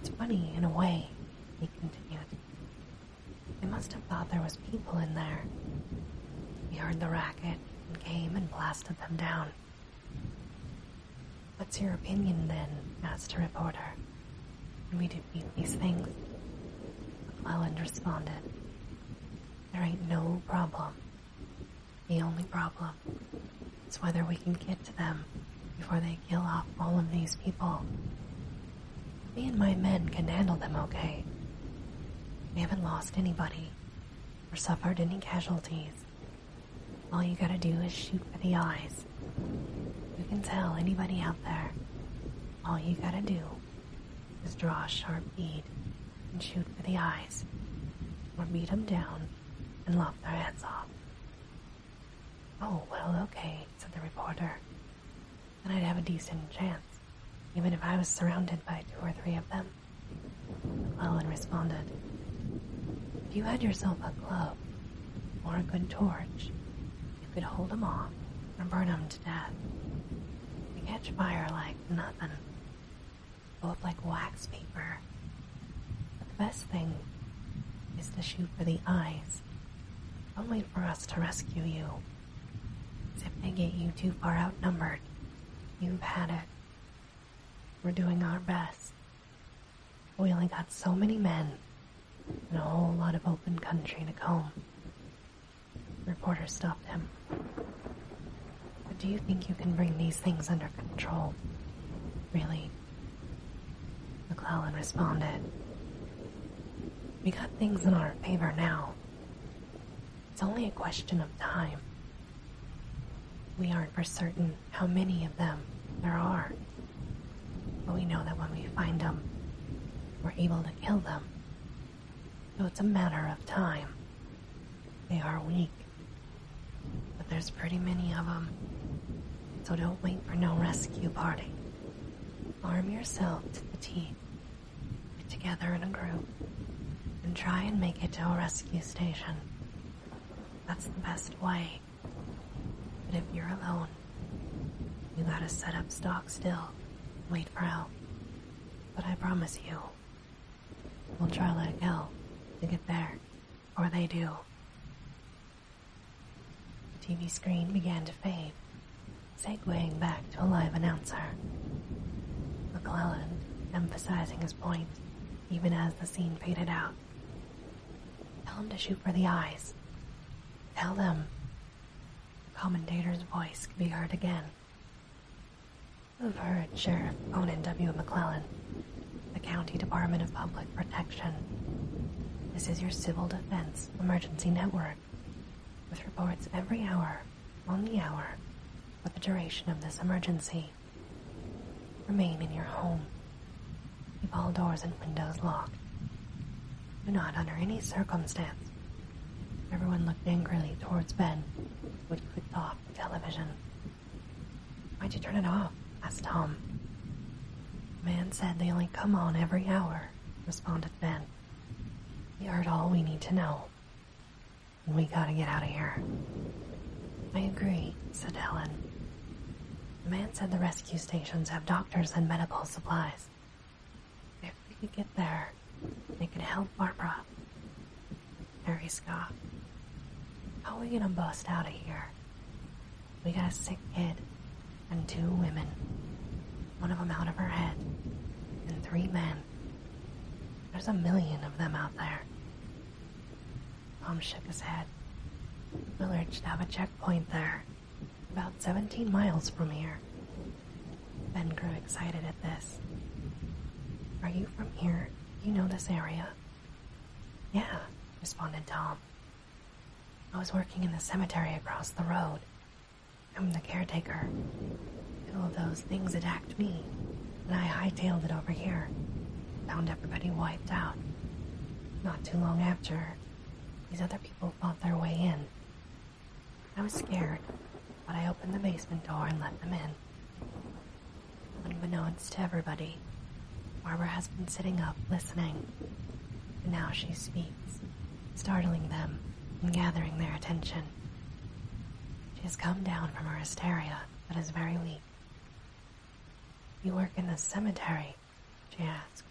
It's funny, in a way, he continued. They must have thought there was people in there. We heard the racket and came and blasted them down. What's your opinion then, Master reporter. we do these things, McClellan responded, There ain't no problem. The only problem is whether we can get to them before they kill off all of these people. Me and my men can handle them okay. We haven't lost anybody or suffered any casualties. All you gotta do is shoot for the eyes. You can tell anybody out there. All you gotta do is draw a sharp bead and shoot for the eyes, or beat 'em down and lop their heads off. Oh, well, okay, said the reporter. Then I'd have a decent chance, even if I was surrounded by two or three of them. McClellan responded, If you had yourself a club or a good torch, you could hold 'em off and burn 'em to death. They catch fire like nothing, go up like wax paper. But the best thing is to shoot for the eyes. Don't wait for us to rescue you. If they get you too far outnumbered, you've had it. We're doing our best. We only got so many men and a whole lot of open country to comb. The reporter stopped him. But do you think you can bring these things under control? Really? McClellan responded. We got things in our favor now. It's only a question of time. We aren't for certain how many of them there are, but we know that when we find them, we're able to kill them. So it's a matter of time. They are weak, but there's pretty many of them, so don't wait for no rescue party. Arm yourself to the teeth. Get together in a group and try and make it to a rescue station. That's the best way. But if you're alone, you gotta set up stock still, wait for help. But I promise you, we'll try like hell to get there, or they do. TV screen began to fade, segueing back to a live announcer. McClellan emphasizing his point even as the scene faded out. Tell them to shoot for the eyes. Tell them. Commentator's voice could be heard again. You've heard Sheriff Conan W. McClellan, the County Department of Public Protection. This is your civil defense emergency network, with reports every hour, on the hour, for the duration of this emergency. Remain in your home. Keep all doors and windows locked. Do not, under any circumstance. Everyone looked angrily towards Ben, who had clicked off the television. Why'd you turn it off? asked Tom. The man said they only come on every hour, responded Ben. We heard all we need to know. We gotta get out of here. I agree, said Helen. The man said the rescue stations have doctors and medical supplies. If we could get there, they could help Barbara. Harry scoffed. How are we gonna bust out of here? We got a sick kid and two women, one of 'em out of her head, and three men. There's a million of them out there. Tom shook his head. Millard should have a checkpoint there, about 17 miles from here. Ben grew excited at this. Are you from here? You know this area? Yeah, responded Tom. I was working in the cemetery across the road. I'm the caretaker. All those things attacked me, and I hightailed it over here. Found everybody wiped out. Not too long after, these other people fought their way in. I was scared, but I opened the basement door and let them in. Unbeknownst to everybody, Barbara has been sitting up listening. now she speaks, startling them and gathering their attention. She has come down from her hysteria, but is very weak. You work in the cemetery, she asked.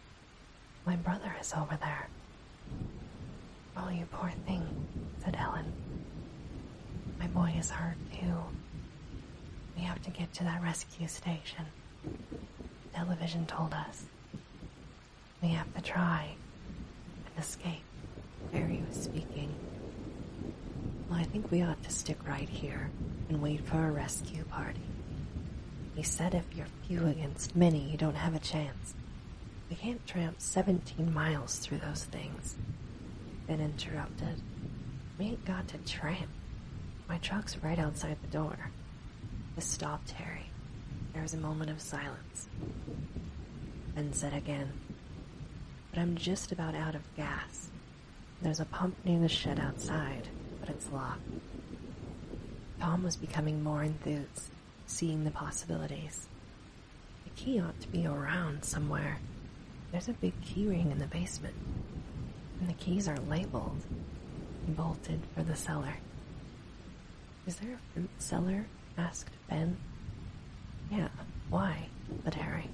My brother is over there. Oh, you poor thing, said Helen. My boy is hurt too. We have to get to that rescue station. Television told us. We have to try and escape. Barry was speaking. Well, I think we ought to stick right here and wait for a rescue party. He said if you're few against many, you don't have a chance. We can't tramp 17 miles through those things. Then interrupted. We ain't got to tramp. My truck's right outside the door. This stopped Harry. There was a moment of silence. Then said again, But I'm just about out of gas. There's a pump near the shed outside, but it's locked. Tom was becoming more enthused, seeing the possibilities. The key ought to be around somewhere. There's a big key ring in the basement, and the keys are labeled, bolted for the cellar. Is there a fruit cellar? asked Ben. Yeah, why? But Harry,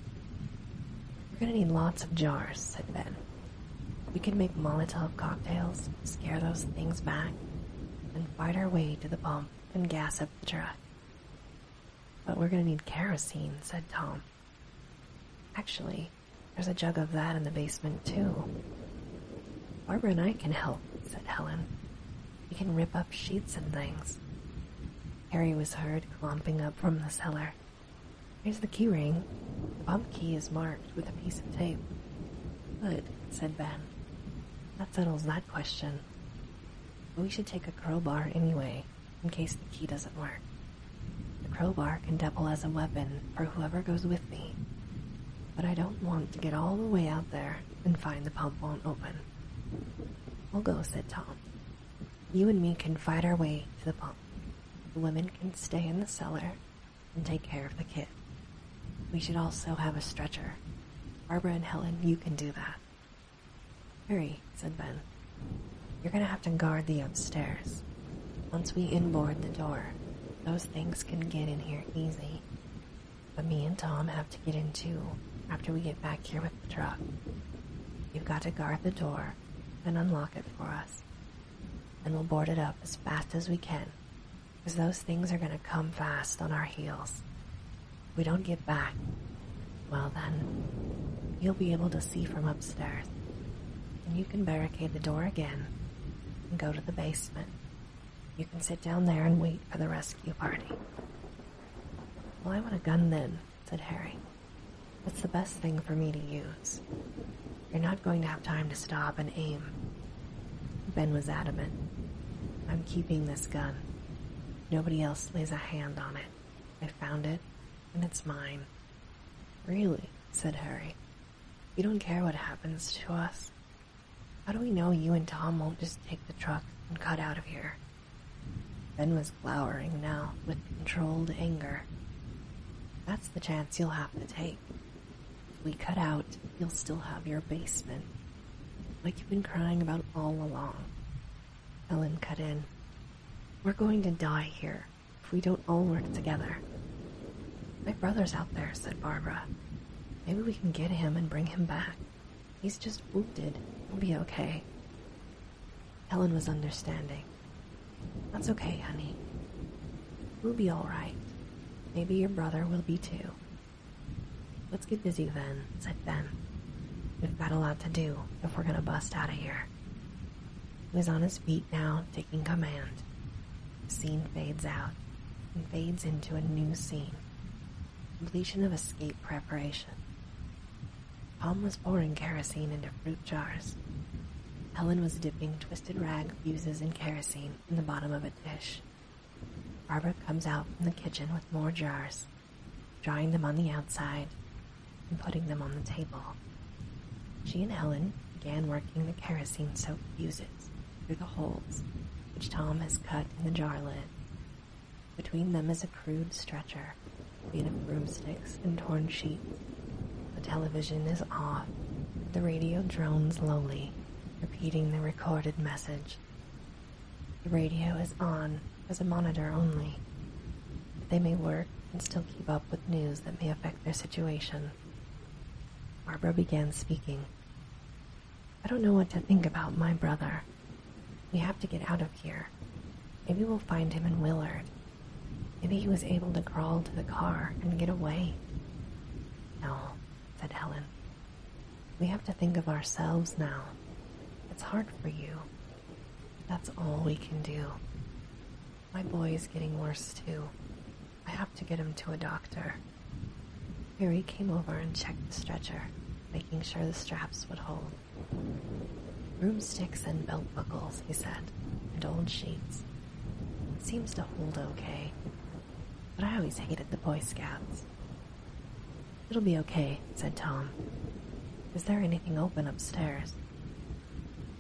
we're gonna need lots of jars, said Ben. We could make Molotov cocktails, scare those things back, and fight our way to the pump and gas up the truck. But we're gonna need kerosene, said Tom. Actually, there's a jug of that in the basement, too. Barbara and I can help, said Helen. We can rip up sheets and things. Harry was heard clomping up from the cellar. Here's the key ring. The pump key is marked with a piece of tape. Good, said Ben. That settles that question. But we should take a crowbar anyway, in case the key doesn't work. The crowbar can double as a weapon for whoever goes with me. But I don't want to get all the way out there and find the pump won't open. We'll go, said Tom. You and me can fight our way to the pump. The women can stay in the cellar and take care of the kid. We should also have a stretcher. Barbara and Helen, you can do that. Hurry, said Ben. You're gonna have to guard the upstairs. Once we inboard the door, those things can get in here easy. But me and Tom have to get in too after we get back here the truck. You've got to guard the door and unlock it for us. And we'll board it up as fast as we can, because those things are going to come fast on our heels. we don't get back, well then, you'll be able to see from upstairs. And you can barricade the door again and go to the basement. You can sit down there and wait for the rescue party. Well, I want a gun then, said Harry. It's the best thing for me to use. You're not going to have time to stop and aim. Ben was adamant. I'm keeping this gun. Nobody else lays a hand on it. I found it, and it's mine. Really, said Harry. You don't care what happens to us. How do we know you and Tom won't just take the truck and cut out of here? Ben was glowering now with controlled anger. That's the chance you'll have to take. If we cut out, you'll still have your basement. Like you've been crying about all along. Ellen cut in. We're going to die here if we don't all work together. My brother's out there, said Barbara. Maybe we can get him and bring him back. He's just wounded. we will be okay. Helen was understanding. That's okay, honey. We'll be alright. Maybe your brother will be too. Let's get busy then, said Ben. We've got a lot to do if we're gonna bust out of here. He's on his feet now, taking command. The scene fades out and fades into a new scene. Completion of escape preparation. Tom was pouring kerosene into fruit jars. Helen was dipping twisted rag fuses in kerosene in the bottom of a dish. Barbara comes out from the kitchen with more jars, drying them on the outside and putting them on the table. She and Helen began working the kerosene soaked fuses through the holes which Tom has cut in the jar lid. Between them is a crude stretcher made broomsticks and torn sheets. The television is off. The radio drones lowly, repeating the recorded message. The radio is on as a monitor only. They may work and still keep up with news that may affect their situation. Barbara began speaking. I don't know what to think about my brother. We have to get out of here. Maybe we'll find him in Willard. Maybe he was able to crawl to the car and get away. No, said Helen. We have to think of ourselves now. It's hard for you. That's all we can do. My boy is getting worse too. I have to get him to a doctor. Harry came over and checked the stretcher, making sure the straps would hold. Broomsticks and belt buckles, he said, and old sheets. seems to hold okay. But I always hated the Boy Scouts. It'll be okay, said Tom. Is there anything open upstairs?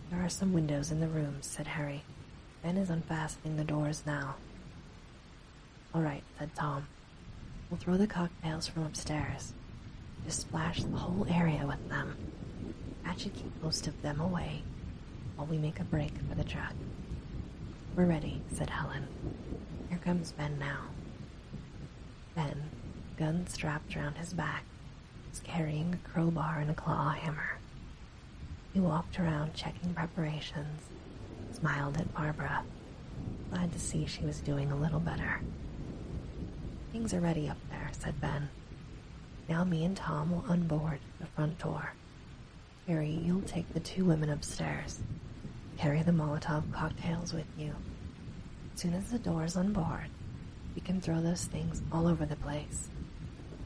There are some windows in the rooms, said Harry. Ben is unfastening the doors now. All right, said Tom. We'll throw the cocktails from upstairs. Just splash the whole area with them. That should keep most of them away while we make a break for the truck. We're ready, said Helen. Here comes Ben now. Ben, gun strapped round his back, was carrying a crowbar and a claw hammer. He walked around checking preparations, smiled at Barbara, glad to see she was doing a little better. Things are ready up there, said Ben. Now me and Tom will unboard the front door. Harry, you'll take the two women upstairs. Carry the Molotov cocktails with you. As soon as the door is unboarded, you can throw those things all over the place.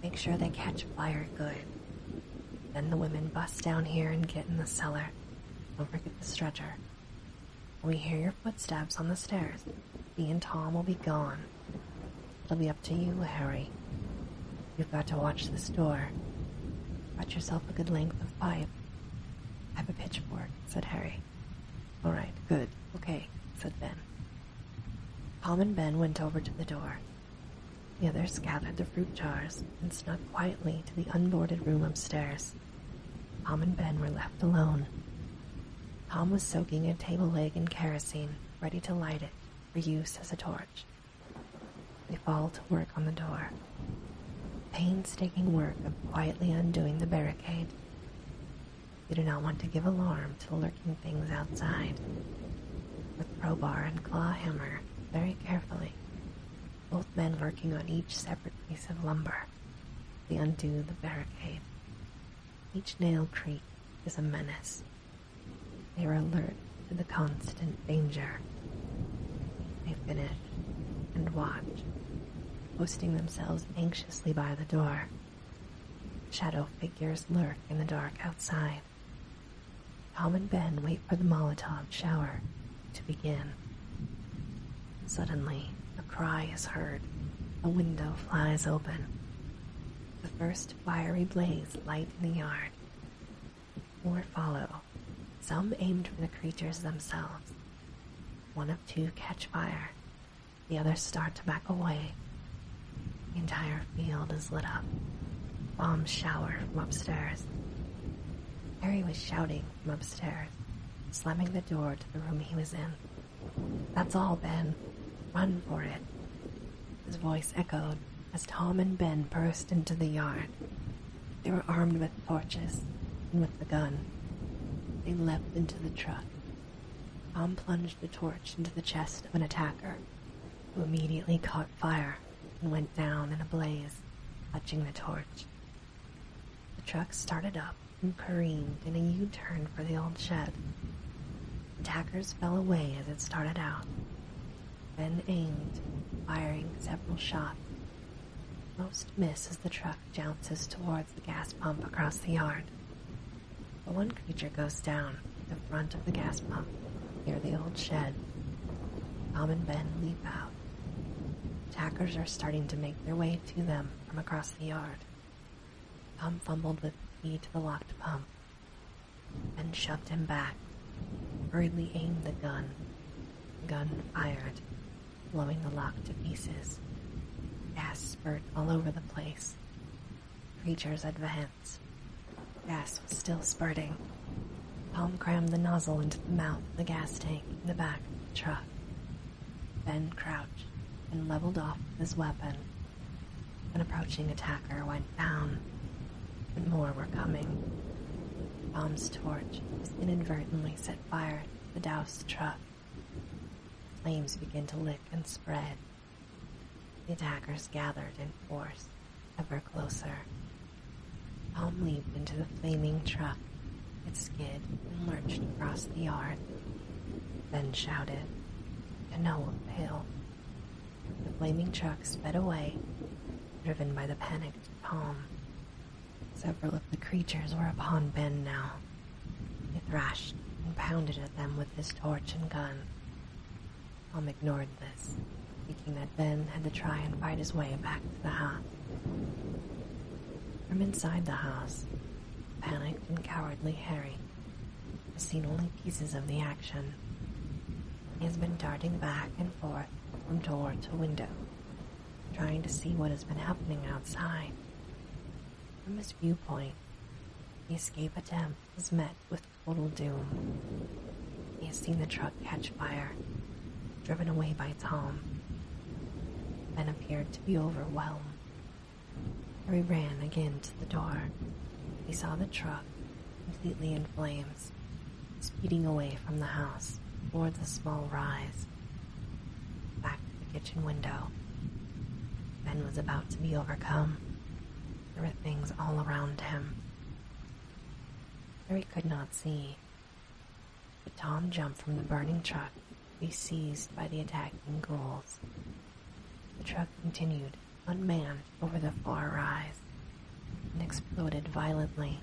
Make sure they catch fire good. Then the women bust down here and get in the cellar. Don't forget the stretcher. When we hear your footsteps on the stairs, me and Tom will be gone. It'll be up to you, Harry. You've got to watch the door. Cut yourself a good length of pipe. I have a pitchfork, said Harry. All right, good, okay, said Ben. Tom and Ben went over to the door. The others gathered the fruit jars and snuck quietly to the unboarded room upstairs. Tom and Ben were left alone. Tom was soaking a table leg in kerosene, ready to light it for use as a torch. They fall to work on the door. Painstaking work of quietly undoing the barricade. They do not want to give alarm to lurking things outside. With crowbar and claw hammer, very carefully, both men working on each separate piece of lumber, they undo the barricade. Each nail creak is a menace. They are alert to the constant danger. They finish and watch, posting themselves anxiously by the door. Shadow figures lurk in the dark outside. Tom and Ben wait for the Molotov shower to begin. Suddenly, a cry is heard. A window flies open. The first fiery blaze light in the yard. More follow, some aimed for the creatures themselves. One of two catch fire, the others start to back away. The entire field is lit up. Bombs shower from upstairs. Harry was shouting from upstairs, slamming the door to the room he was in. That's all, Ben. Run for it. His voice echoed as Tom and Ben burst into the yard. They were armed with torches and with the gun. They leaped into the truck. Tom plunged the torch into the chest of an attacker, who immediately caught fire and went down in a blaze, clutching the torch. The truck started up and careened in a U-turn for the old shed. Tackers fell away as it started out, Ben aimed, firing several shots. Most miss as the truck jounces towards the gas pump across the yard. But one creature goes down the front of the gas pump near the old shed. Tom and Ben leap out. Tackers are starting to make their way to them from across the yard. Palm fumbled with key to the locked pump, then shoved him back, hurriedly aimed the gun. gun fired, blowing the lock to pieces. Gas spurted all over the place. Creatures advanced. Gas was still spurting. Palm crammed the nozzle into the mouth of the gas tank in the back truck. Ben crouched and leveled off his weapon. An approaching attacker went down, but more were coming. Tom's torch inadvertently set fire to the doused truck. Flames began to lick and spread. The attackers gathered in force, ever closer. Tom leaped into the flaming truck. It skidded and lurched across the yard Ben shouted, Canoa Pale. The flaming truck sped away, driven by the panicked palm. Several of the creatures were upon Ben now. He thrashed and pounded at them with his torch and gun. Tom ignored this, thinking that Ben had to try and fight his way back to the house. From inside the house, panicked and cowardly Harry has seen only pieces of the action. He has been darting back and forth from door to window, trying to see what has been happening outside. From his viewpoint, the escape attempt is met with total doom. He has seen the truck catch fire, driven away by Tom, Then appeared to be overwhelmed Harry ran again to the door. He saw the truck, completely in flames, speeding away from the house toward the small rise. Back to the kitchen window. Ben was about to be overcome. There were things all around him. Harry could not see, but Tom jumped from the burning truck be seized by the attacking ghouls. The truck continued, unmanned, over the far rise and exploded violently.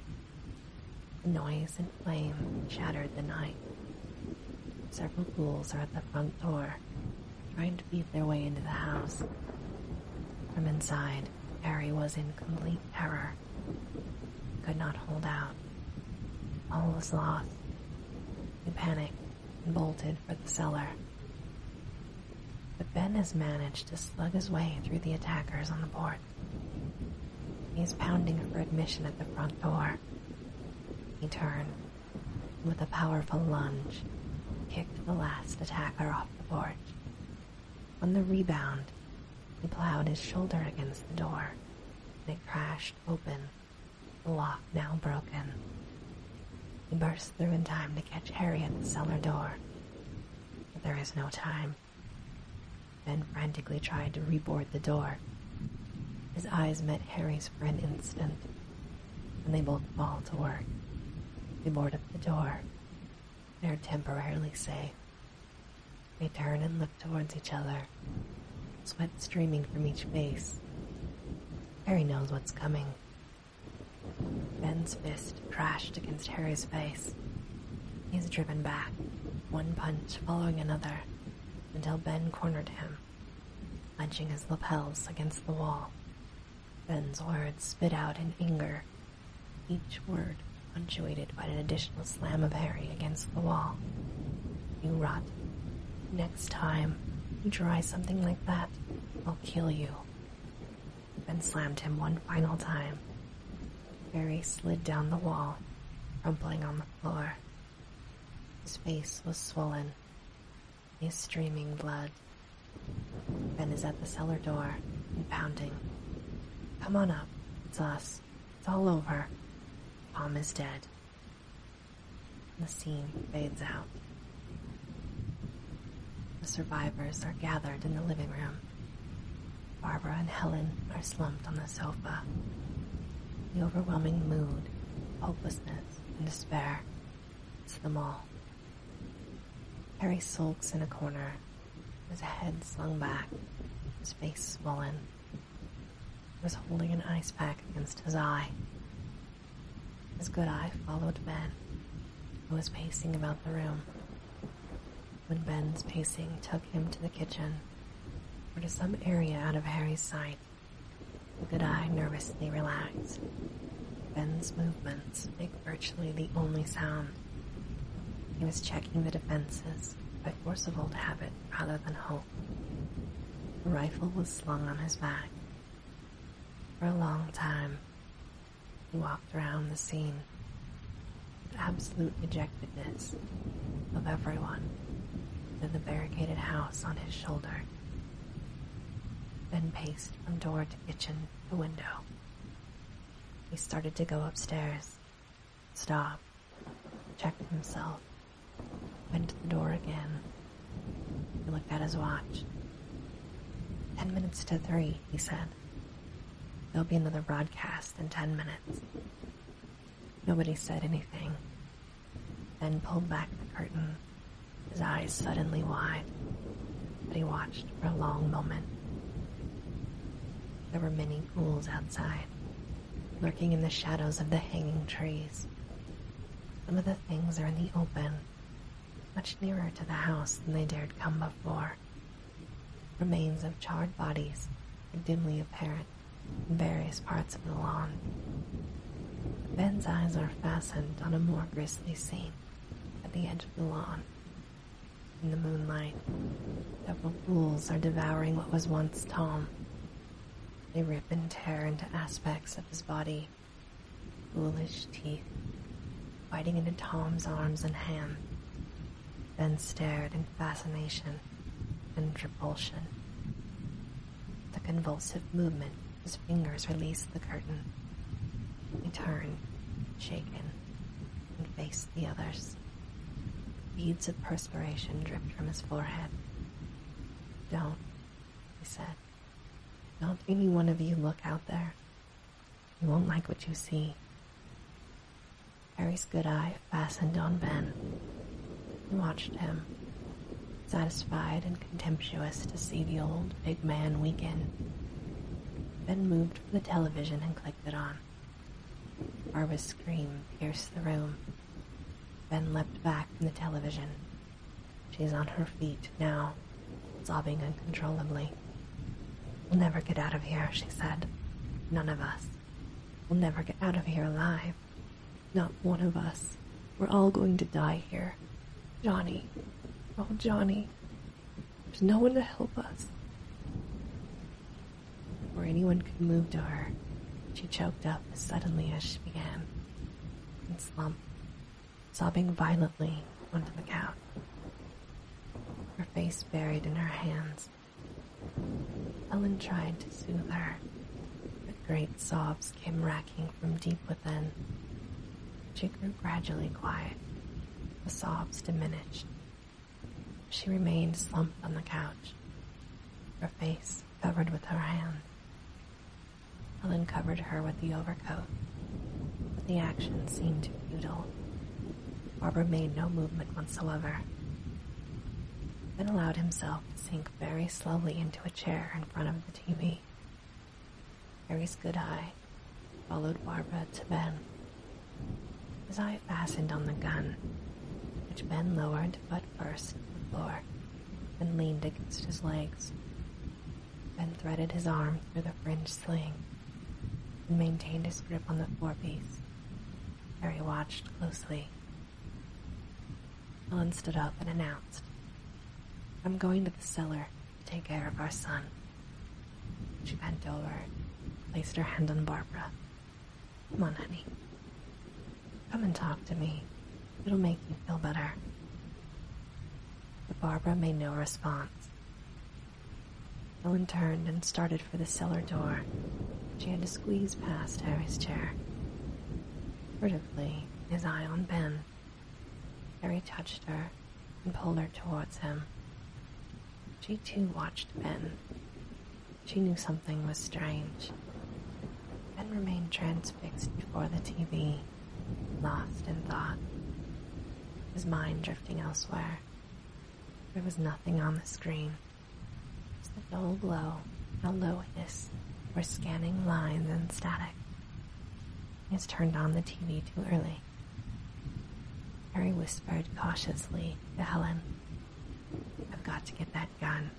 The noise and flame shattered the night. Several ghouls are at the front door, trying to beat their way into the house. From inside, Harry was in complete terror. could not hold out. All was lost. In panic and bolted for the cellar. But Ben has managed to slug his way through the attackers on the porch. He is pounding for admission at the front door. He turned, and with a powerful lunge, kicked the last attacker off the porch. On the rebound, he plowed his shoulder against the door, and it crashed open the lock now broken. He bursts through in time to catch Harry at the cellar door. But there is no time. Ben frantically tried to reboard the door. His eyes met Harry's for an instant, and they both fall to work. They board up the door. They are temporarily safe. They turn and look towards each other sweat streaming from each face. Harry knows what's coming. Ben's fist crashed against Harry's face. He's driven back, one punch following another, until Ben cornered him, punching his lapels against the wall. Ben's words spit out in anger, each word punctuated by an additional slam of Harry against the wall. You rot Next time you try something like that, I'll kill you. Ben slammed him one final time. Barry slid down the wall, crumpling on the floor. His face was swollen. his streaming blood. Ben is at the cellar door pounding. Come on up. It's us. It's all over. Palm is dead. The scene fades out. The survivors are gathered in the living room. Barbara and Helen are slumped on the sofa. The overwhelming mood, hopelessness, and despair hits them all. Harry sulks in a corner, his head slung back, his face swollen. He was holding an ice pack against his eye, his good eye followed Ben, who was pacing about the room. When Ben's pacing took him to the kitchen, or to some area out of Harry's sight, the good eye nervously relaxed. Ben's movements make virtually the only sound. He was checking the defenses by force of old habit rather than hope. The rifle was slung on his back, for a long time, he walked around the scene with absolute dejectedness of everyone with the barricaded house on his shoulder, then paced from door to kitchen to window. He started to go upstairs, Stop. checked himself, Went to the door again. He looked at his watch. Ten minutes to three, he said. There'll be another broadcast in ten minutes. Nobody said anything. Then pulled back the curtain, his eyes suddenly wide. But he watched for a long moment. There were many ghouls outside, lurking in the shadows of the hanging trees. Some of the things are in the open, much nearer to the house than they dared come before. Remains of charred bodies are dimly apparent in various parts of the lawn. Ben's eyes are fastened on a more grisly scene at the edge of the lawn. In the moonlight, several ghouls are devouring what was once Tom. They rip and tear into aspects of his body foolish teeth, biting into Tom's arms and hand, then stared in fascination and repulsion. The convulsive movement his fingers released the curtain. He turned, shaken, and faced the others. Beads of perspiration dripped from his forehead. Don't, he said do Not any one of you look out there. You won't like what you see. Harry's good eye fastened on Ben and watched him, satisfied and contemptuous to see the old big man weaken. Ben moved for the television and clicked it on. Barbara's scream pierced the room. Ben leapt back from the television She's on her feet now, sobbing uncontrollably. We'll never get out of here, she said. None of us. We'll never get out of here alive. Not one of us. We're all going to die here. Johnny. Oh, Johnny. There's no one to help us. Before anyone could move to her, she choked up suddenly as she began and slumped sobbing violently onto the couch, her face buried in her hands. Ellen tried to soothe her, but great sobs came racking from deep within. She grew gradually quiet. The sobs diminished. She remained slumped on the couch, her face covered with her hand. Helen covered her with the overcoat, but the action seemed futile. Barbara made no movement whatsoever, then allowed himself to sink very slowly into a chair in front of the TV. Harry's good eye followed Barbara to Ben. His eye fastened on the gun, which Ben lowered butt first to the floor and leaned against his legs, then threaded his arm through the fringed sling and maintained his grip on the forepiece. Harry watched closely. Ellen stood up and announced, I'm going to the cellar to take care of our son. She bent over, placed her hand on Barbara. Come on, honey. Come and talk to me, It'll make you feel better. But Barbara made no response. Ellen turned and started for the cellar door. She had to squeeze past Harry's chair. Furtively, his eye on Ben, Harry touched her and pulled her towards him. She too watched Ben. She knew something was strange. Ben remained transfixed before the TV lost in thought, his mind drifting elsewhere. There was nothing on the screen, just the dull glow, a low hiss, or scanning lines and static. He has turned on the TV too early. Harry whispered cautiously to Helen, I've got to get that gun.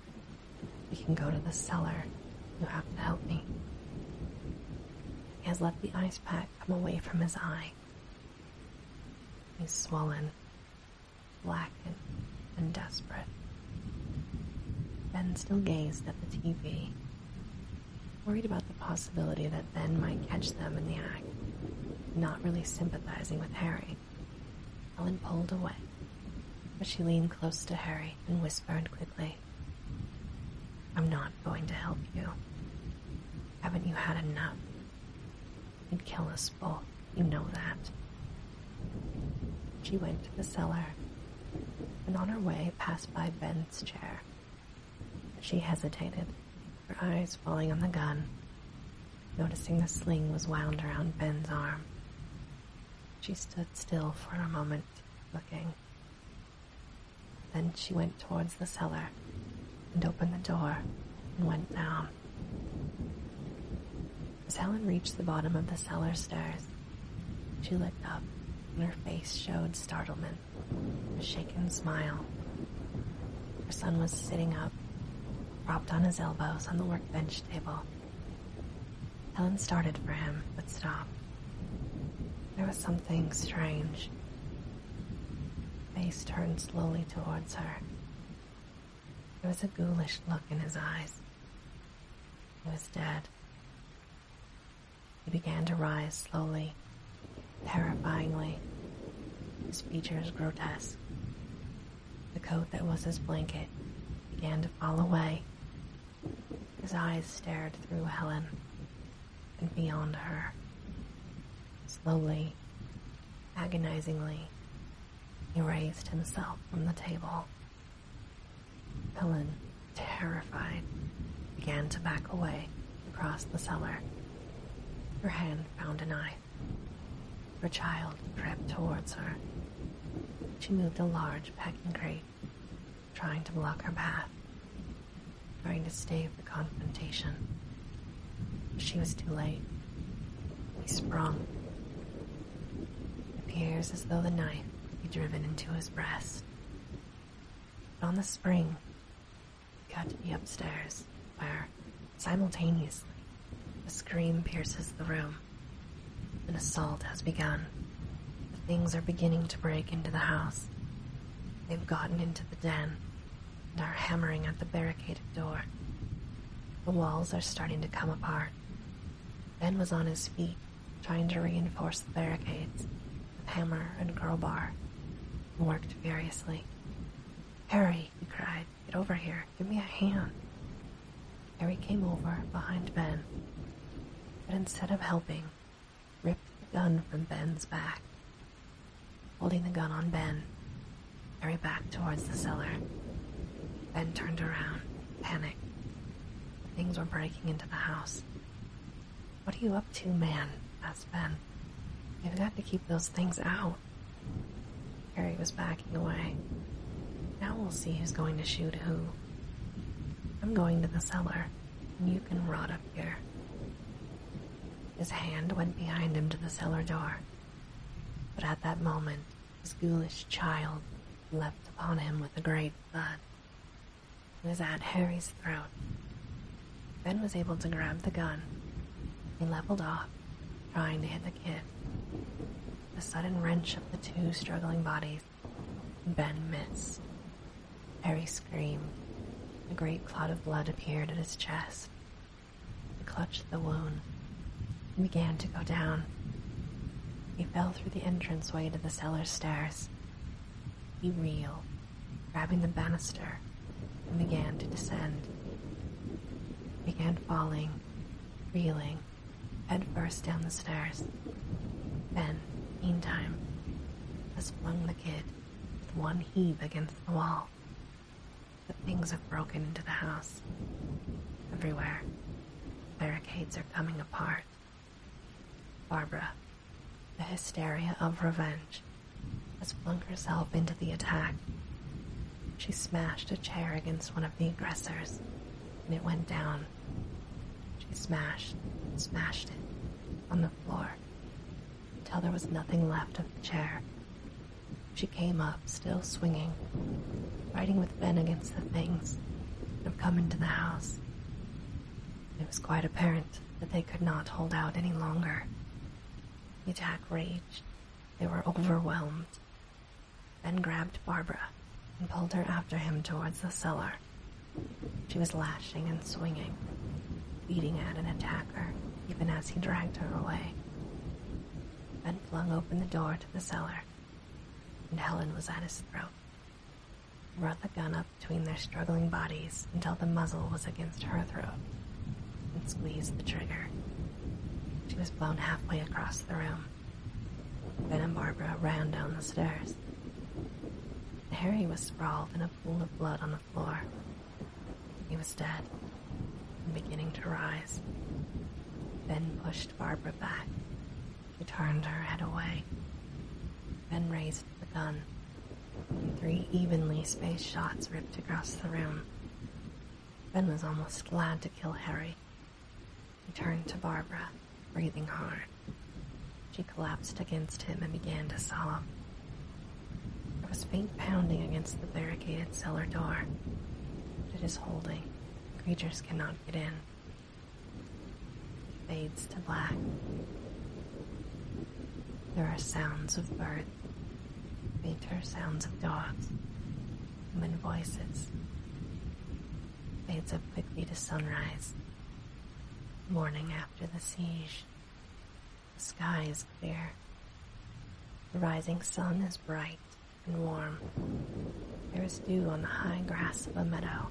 We can go to the cellar. You have to help me. He has let the ice pack come away from his eye. He's swollen, blackened, and desperate. Ben still gazed at the TV, worried about the possibility that Ben might catch them in the act, not really sympathizing with Harry. Ellen pulled away, but she leaned close to Harry and whispered quickly. I. am not going to help you. Haven't you had enough? You'd kill us both, you know that. She went to the cellar, and on her way passed by Ben's chair. She hesitated, her eyes falling on the gun, noticing the sling was wound around Ben's arm. She stood still for a moment, looking. Then she went towards the cellar and opened the door and went down. As Helen reached the bottom of the cellar stairs, she looked up and her face showed startlement, a shaken smile. Her son was sitting up, propped on his elbows on the workbench table, Helen started for him, but stopped. There was something strange. Face turned slowly towards her. There was a ghoulish look in his eyes. He was dead. He began to rise slowly, terrifyingly, his features grotesque. The coat that was his blanket began to fall away his eyes stared through Helen and beyond her. Slowly, agonizingly, he raised himself from the table. Helen, terrified, began to back away across the cellar. Her hand found a knife. Her child crept towards her. She moved a large packing crate trying to block her path, trying to stave the confrontation. She was too late. He sprung. It appears as though the knife would be driven into his breast. But on the spring, he got to be upstairs, where, simultaneously, a scream pierces the room an assault has begun. Things are beginning to break into the house. They've gotten into the den and are hammering at the barricaded door. The walls are starting to come apart. Ben was on his feet, trying to reinforce the barricades with hammer and crowbar. He worked furiously. Harry, he cried, get over here, give me a hand. Harry came over behind Ben, but instead of helping, ripped the gun from Ben's back. Holding the gun on Ben, Harry backed towards the cellar. Ben turned around, panicked. Things were breaking into the house. What are you up to, man? asked Ben. we have got to keep those things out. Harry was backing away. Now we'll see who's going to shoot who. I'm going to the cellar. You can rot up here. His hand went behind him to the cellar door, but at that moment his ghoulish child leapt upon him with a great thud. It was at Harry's throat. Ben was able to grab the gun. He leveled off, trying to hit the kid. The sudden wrench of the two struggling bodies Ben missed. Harry screamed. A great clot of blood appeared at his chest. He clutched the wound and began to go down. He fell through the entranceway to the cellar stairs. He reeled, grabbing the banister, and began to descend. He began falling, reeling, head first down the stairs. Ben, meantime, has flung the kid with one heave against the wall. But things have broken into the house. Everywhere, barricades are coming apart. Barbara, the hysteria of revenge, has flung herself into the attack. She smashed a chair against one of the aggressors, and it went down. She smashed smashed it on the floor till there was nothing left of the chair. She came up, still swinging, fighting with Ben against the things that have come into the house. It was quite apparent that they could not hold out any longer. The attack raged. They were overwhelmed. Ben grabbed Barbara and pulled her after him towards the cellar. She was lashing and swinging, beating at an attacker even as he dragged her away. Ben flung open the door to the cellar, and Helen was at his throat. He brought the gun up between their struggling bodies until the muzzle was against her throat, and squeezed the trigger. She was blown halfway across the room. Ben and Barbara ran down the stairs. Harry was sprawled in a pool of blood on the floor. He was dead and beginning to rise. Ben pushed Barbara back. She turned her head away. Ben raised the gun. Three evenly spaced shots ripped across the room. Ben was almost glad to kill Harry. He turned to Barbara breathing hard. She collapsed against him and began to sob. There was faint pounding against the barricaded cellar door. It is holding. Creatures cannot get in. fades to black. There are sounds of birds, fainter sounds of dogs, human voices. Fades up with me to sunrise. Morning after the siege. The sky is clear. The rising sun is bright and warm. There is dew on the high grass of a meadow.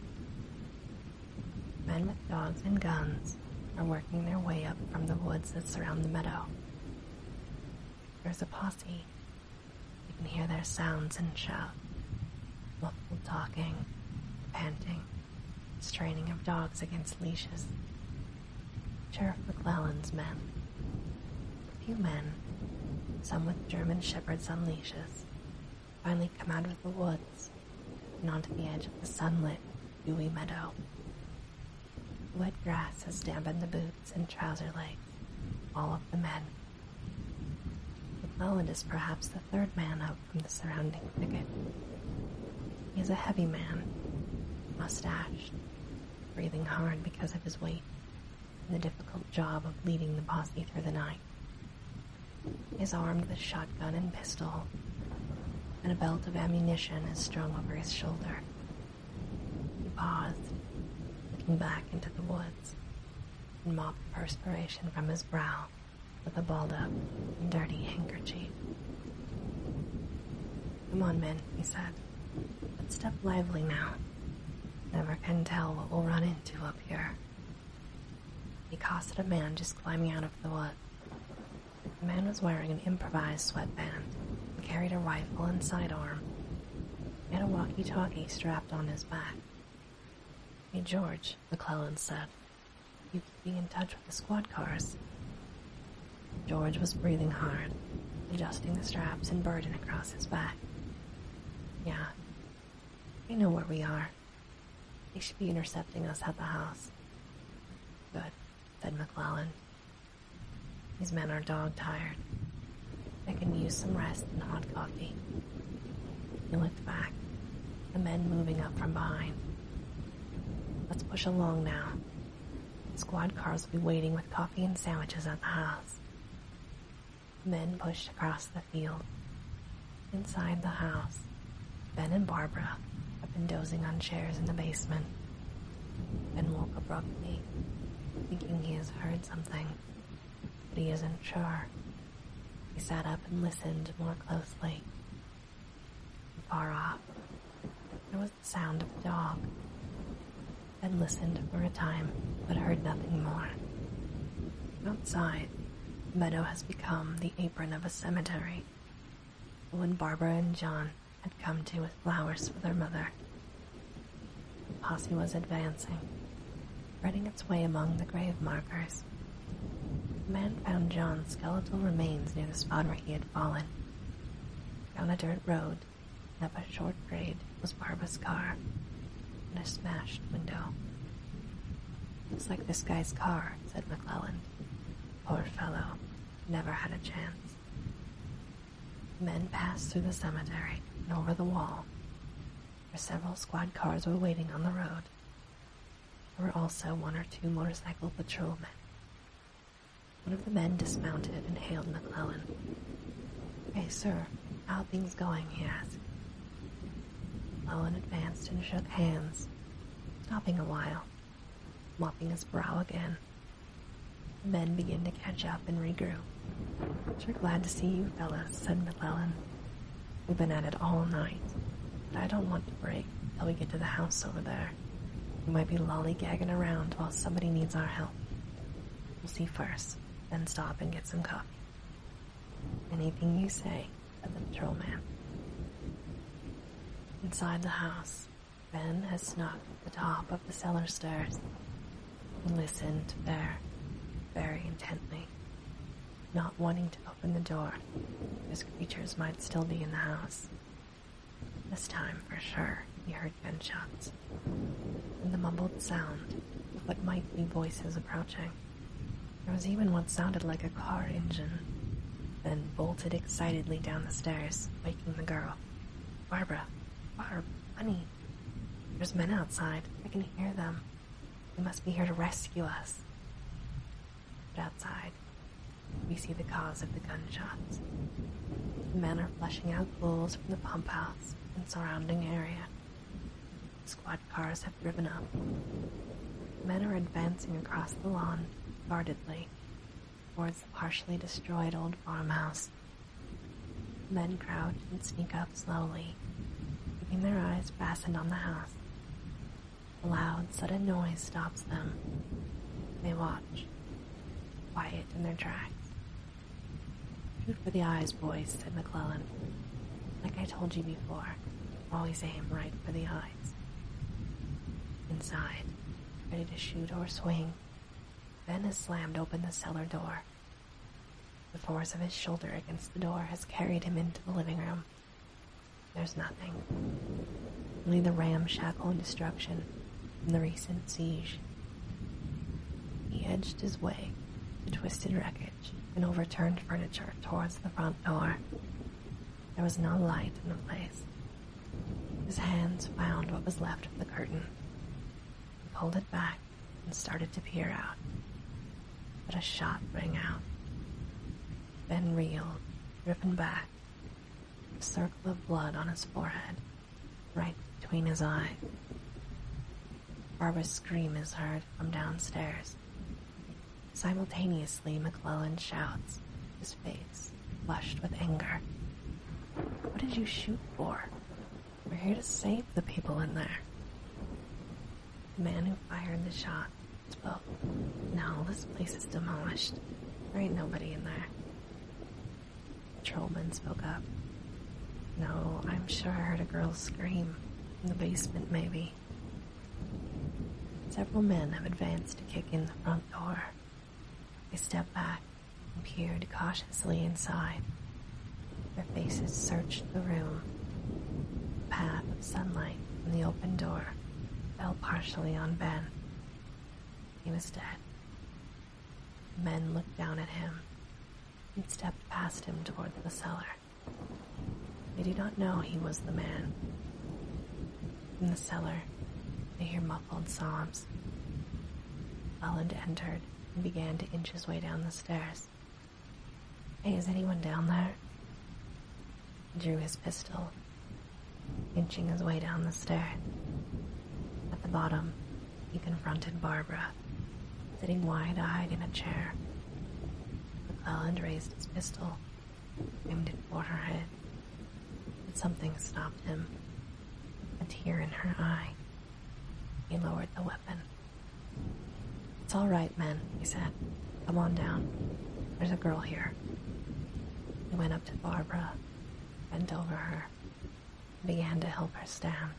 Men with dogs and guns are working their way up from the woods that surround the meadow. There's a posse. You can hear their sounds and shout, muffled talking, panting straining of dogs against leashes. Sheriff McClellan's men. A few men, some with German shepherds on leashes, finally come out of the woods and onto the edge of the sunlit, dewy meadow. wet grass has dampened the boots and trouser legs all of the men. McClellan is perhaps the third man up from the surrounding thicket. He is a heavy man, mustached, breathing hard because of his weight and the difficult job of leading the posse through the night. He is armed with shotgun and pistol, and a belt of ammunition is strung over his shoulder. He paused, looking back into the woods, and mopped perspiration from his brow with a balled up, dirty handkerchief. Come on, men, he said, but step lively now. Never can tell what we'll run into up here. He accosted a man just climbing out of the wood. The man was wearing an improvised sweatband carried a rifle and sidearm. and had a walkie talkie strapped on his back. Hey, George, McClellan said. You keeping in touch with the squad cars. George was breathing hard, adjusting the straps and burden across his back. Yeah, We know where we are. They should be intercepting us at the house. Good, said McClellan. These men are dog tired. They can use some rest and hot coffee. He looked back, the men moving up from behind. Let's push along now. Squad cars will be waiting with coffee and sandwiches at the house. The men pushed across the field. Inside the house, Ben and Barbara have been dozing on chairs in the basement. Ben woke abruptly, thinking he has heard something, but he isn't sure. He sat up and listened more closely. far off, there was the sound of a dog. Then listened for a time, but heard nothing more. Outside, the meadow has become the apron of a cemetery. When Barbara and John had come to with flowers for their mother, the posse was advancing, threading its way among the grave markers. The man found John's skeletal remains near the spot where he had fallen. Down a dirt road, and up a short grade, was Barbara's car and a smashed window. Looks like this guy's car, said McClellan. Poor fellow, never had a chance. men passed through the cemetery and over the wall, where several squad cars were waiting on the road. There were also one or two motorcycle patrolmen. One of the men dismounted and hailed McClellan. Hey, sir, how things going? he asked. McClellan advanced and shook hands, stopping a while, mopping his brow again. The men began to catch up and regroup. Sure glad to see you fellas, said McClellan, We've been at it all night, but I don't want to break till we get to the house over there. We might be lollygagging around while somebody needs our help. We'll see first, then stop and get some coffee. Anything you say, said the patrolman. Inside the house, Ben has snuck to the top of the cellar stairs. and listened there very intently not wanting to open the door, his creatures might still be in the house. This time, for sure, he heard gunshots. And the mumbled sound of what might be voices approaching. There was even what sounded like a car engine, then bolted excitedly down the stairs, waking the girl. Barbara, Barb, honey, there's men outside. I can hear them. They must be here to rescue us. But outside, we see the cause of the gunshots. men are flushing out ghouls from the pump house and surrounding area. Squad cars have driven up. Men are advancing across the lawn, guardedly, towards the partially destroyed old farmhouse. Men crouch and sneak up slowly, keeping their eyes fastened on the house. A loud, sudden noise stops them. They watch, quiet in their tracks. Shoot for the eyes, boys, said McClellan. Like I told you before, always aim right for the eyes. Inside, ready to shoot or swing, Ben has slammed open the cellar door. The force of his shoulder against the door has carried him into the living room. There's nothing. Only the ramshackle destruction from the recent siege. He edged his way through twisted wreckage and overturned furniture towards the front door. There was no light in the place. His hands found what was left of the curtain. He pulled it back and started to peer out. But a shot rang out then reeled, driven back, a circle of blood on his forehead, right between his eyes. Barbara's scream is heard from downstairs. Simultaneously, McClellan shouts, his face flushed with anger. What did you shoot for? We're here to save the people in there. The man who fired the shot well, no, this place is demolished. There ain't nobody in there. The Trollman spoke up. No, I'm sure I heard a girl scream. In the basement, maybe. Several men have advanced to kick in the front door. They stepped back and peered cautiously inside. Their faces searched the room. The path of sunlight from the open door fell partially on Ben. He was dead. men looked down at him and stepped past him toward the cellar. They did not know he was the man. In the cellar, they hear muffled sobs. Ellen entered and began to inch his way down the stairs. Hey, is anyone down there? drew his pistol, inching his way down the stair. At the bottom, he confronted Barbara, sitting wide-eyed in a chair. McClelland raised his pistol, aimed it for her head, but something stopped him. A tear in her eye. He lowered the weapon. It's all right, man," he said. Come on down. There's a girl here. He went up to Barbara, bent over her, and began to help her stand.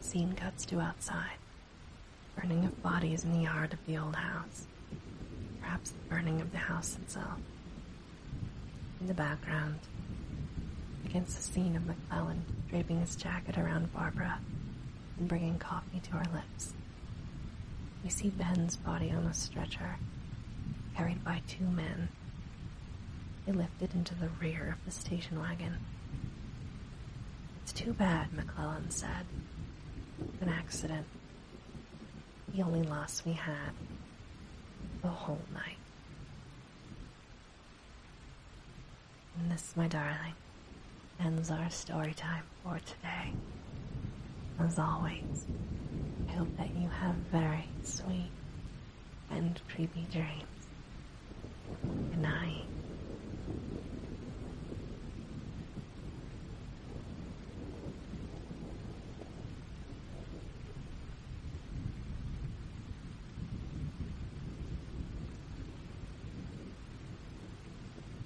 Scene cuts to outside. Burning of bodies in the yard of the old house. Perhaps the burning of the house itself. In the background, against the scene of McClellan draping his jacket around Barbara and bringing coffee to her lips. We see Ben's body on a stretcher, carried by two men. They lift it into the rear of the station wagon. It's too bad, McClellan said. An accident. The only loss we had. The whole night. And this, my darling, ends our story time for today. As always, I hope that you have very sweet and creepy dreams. Good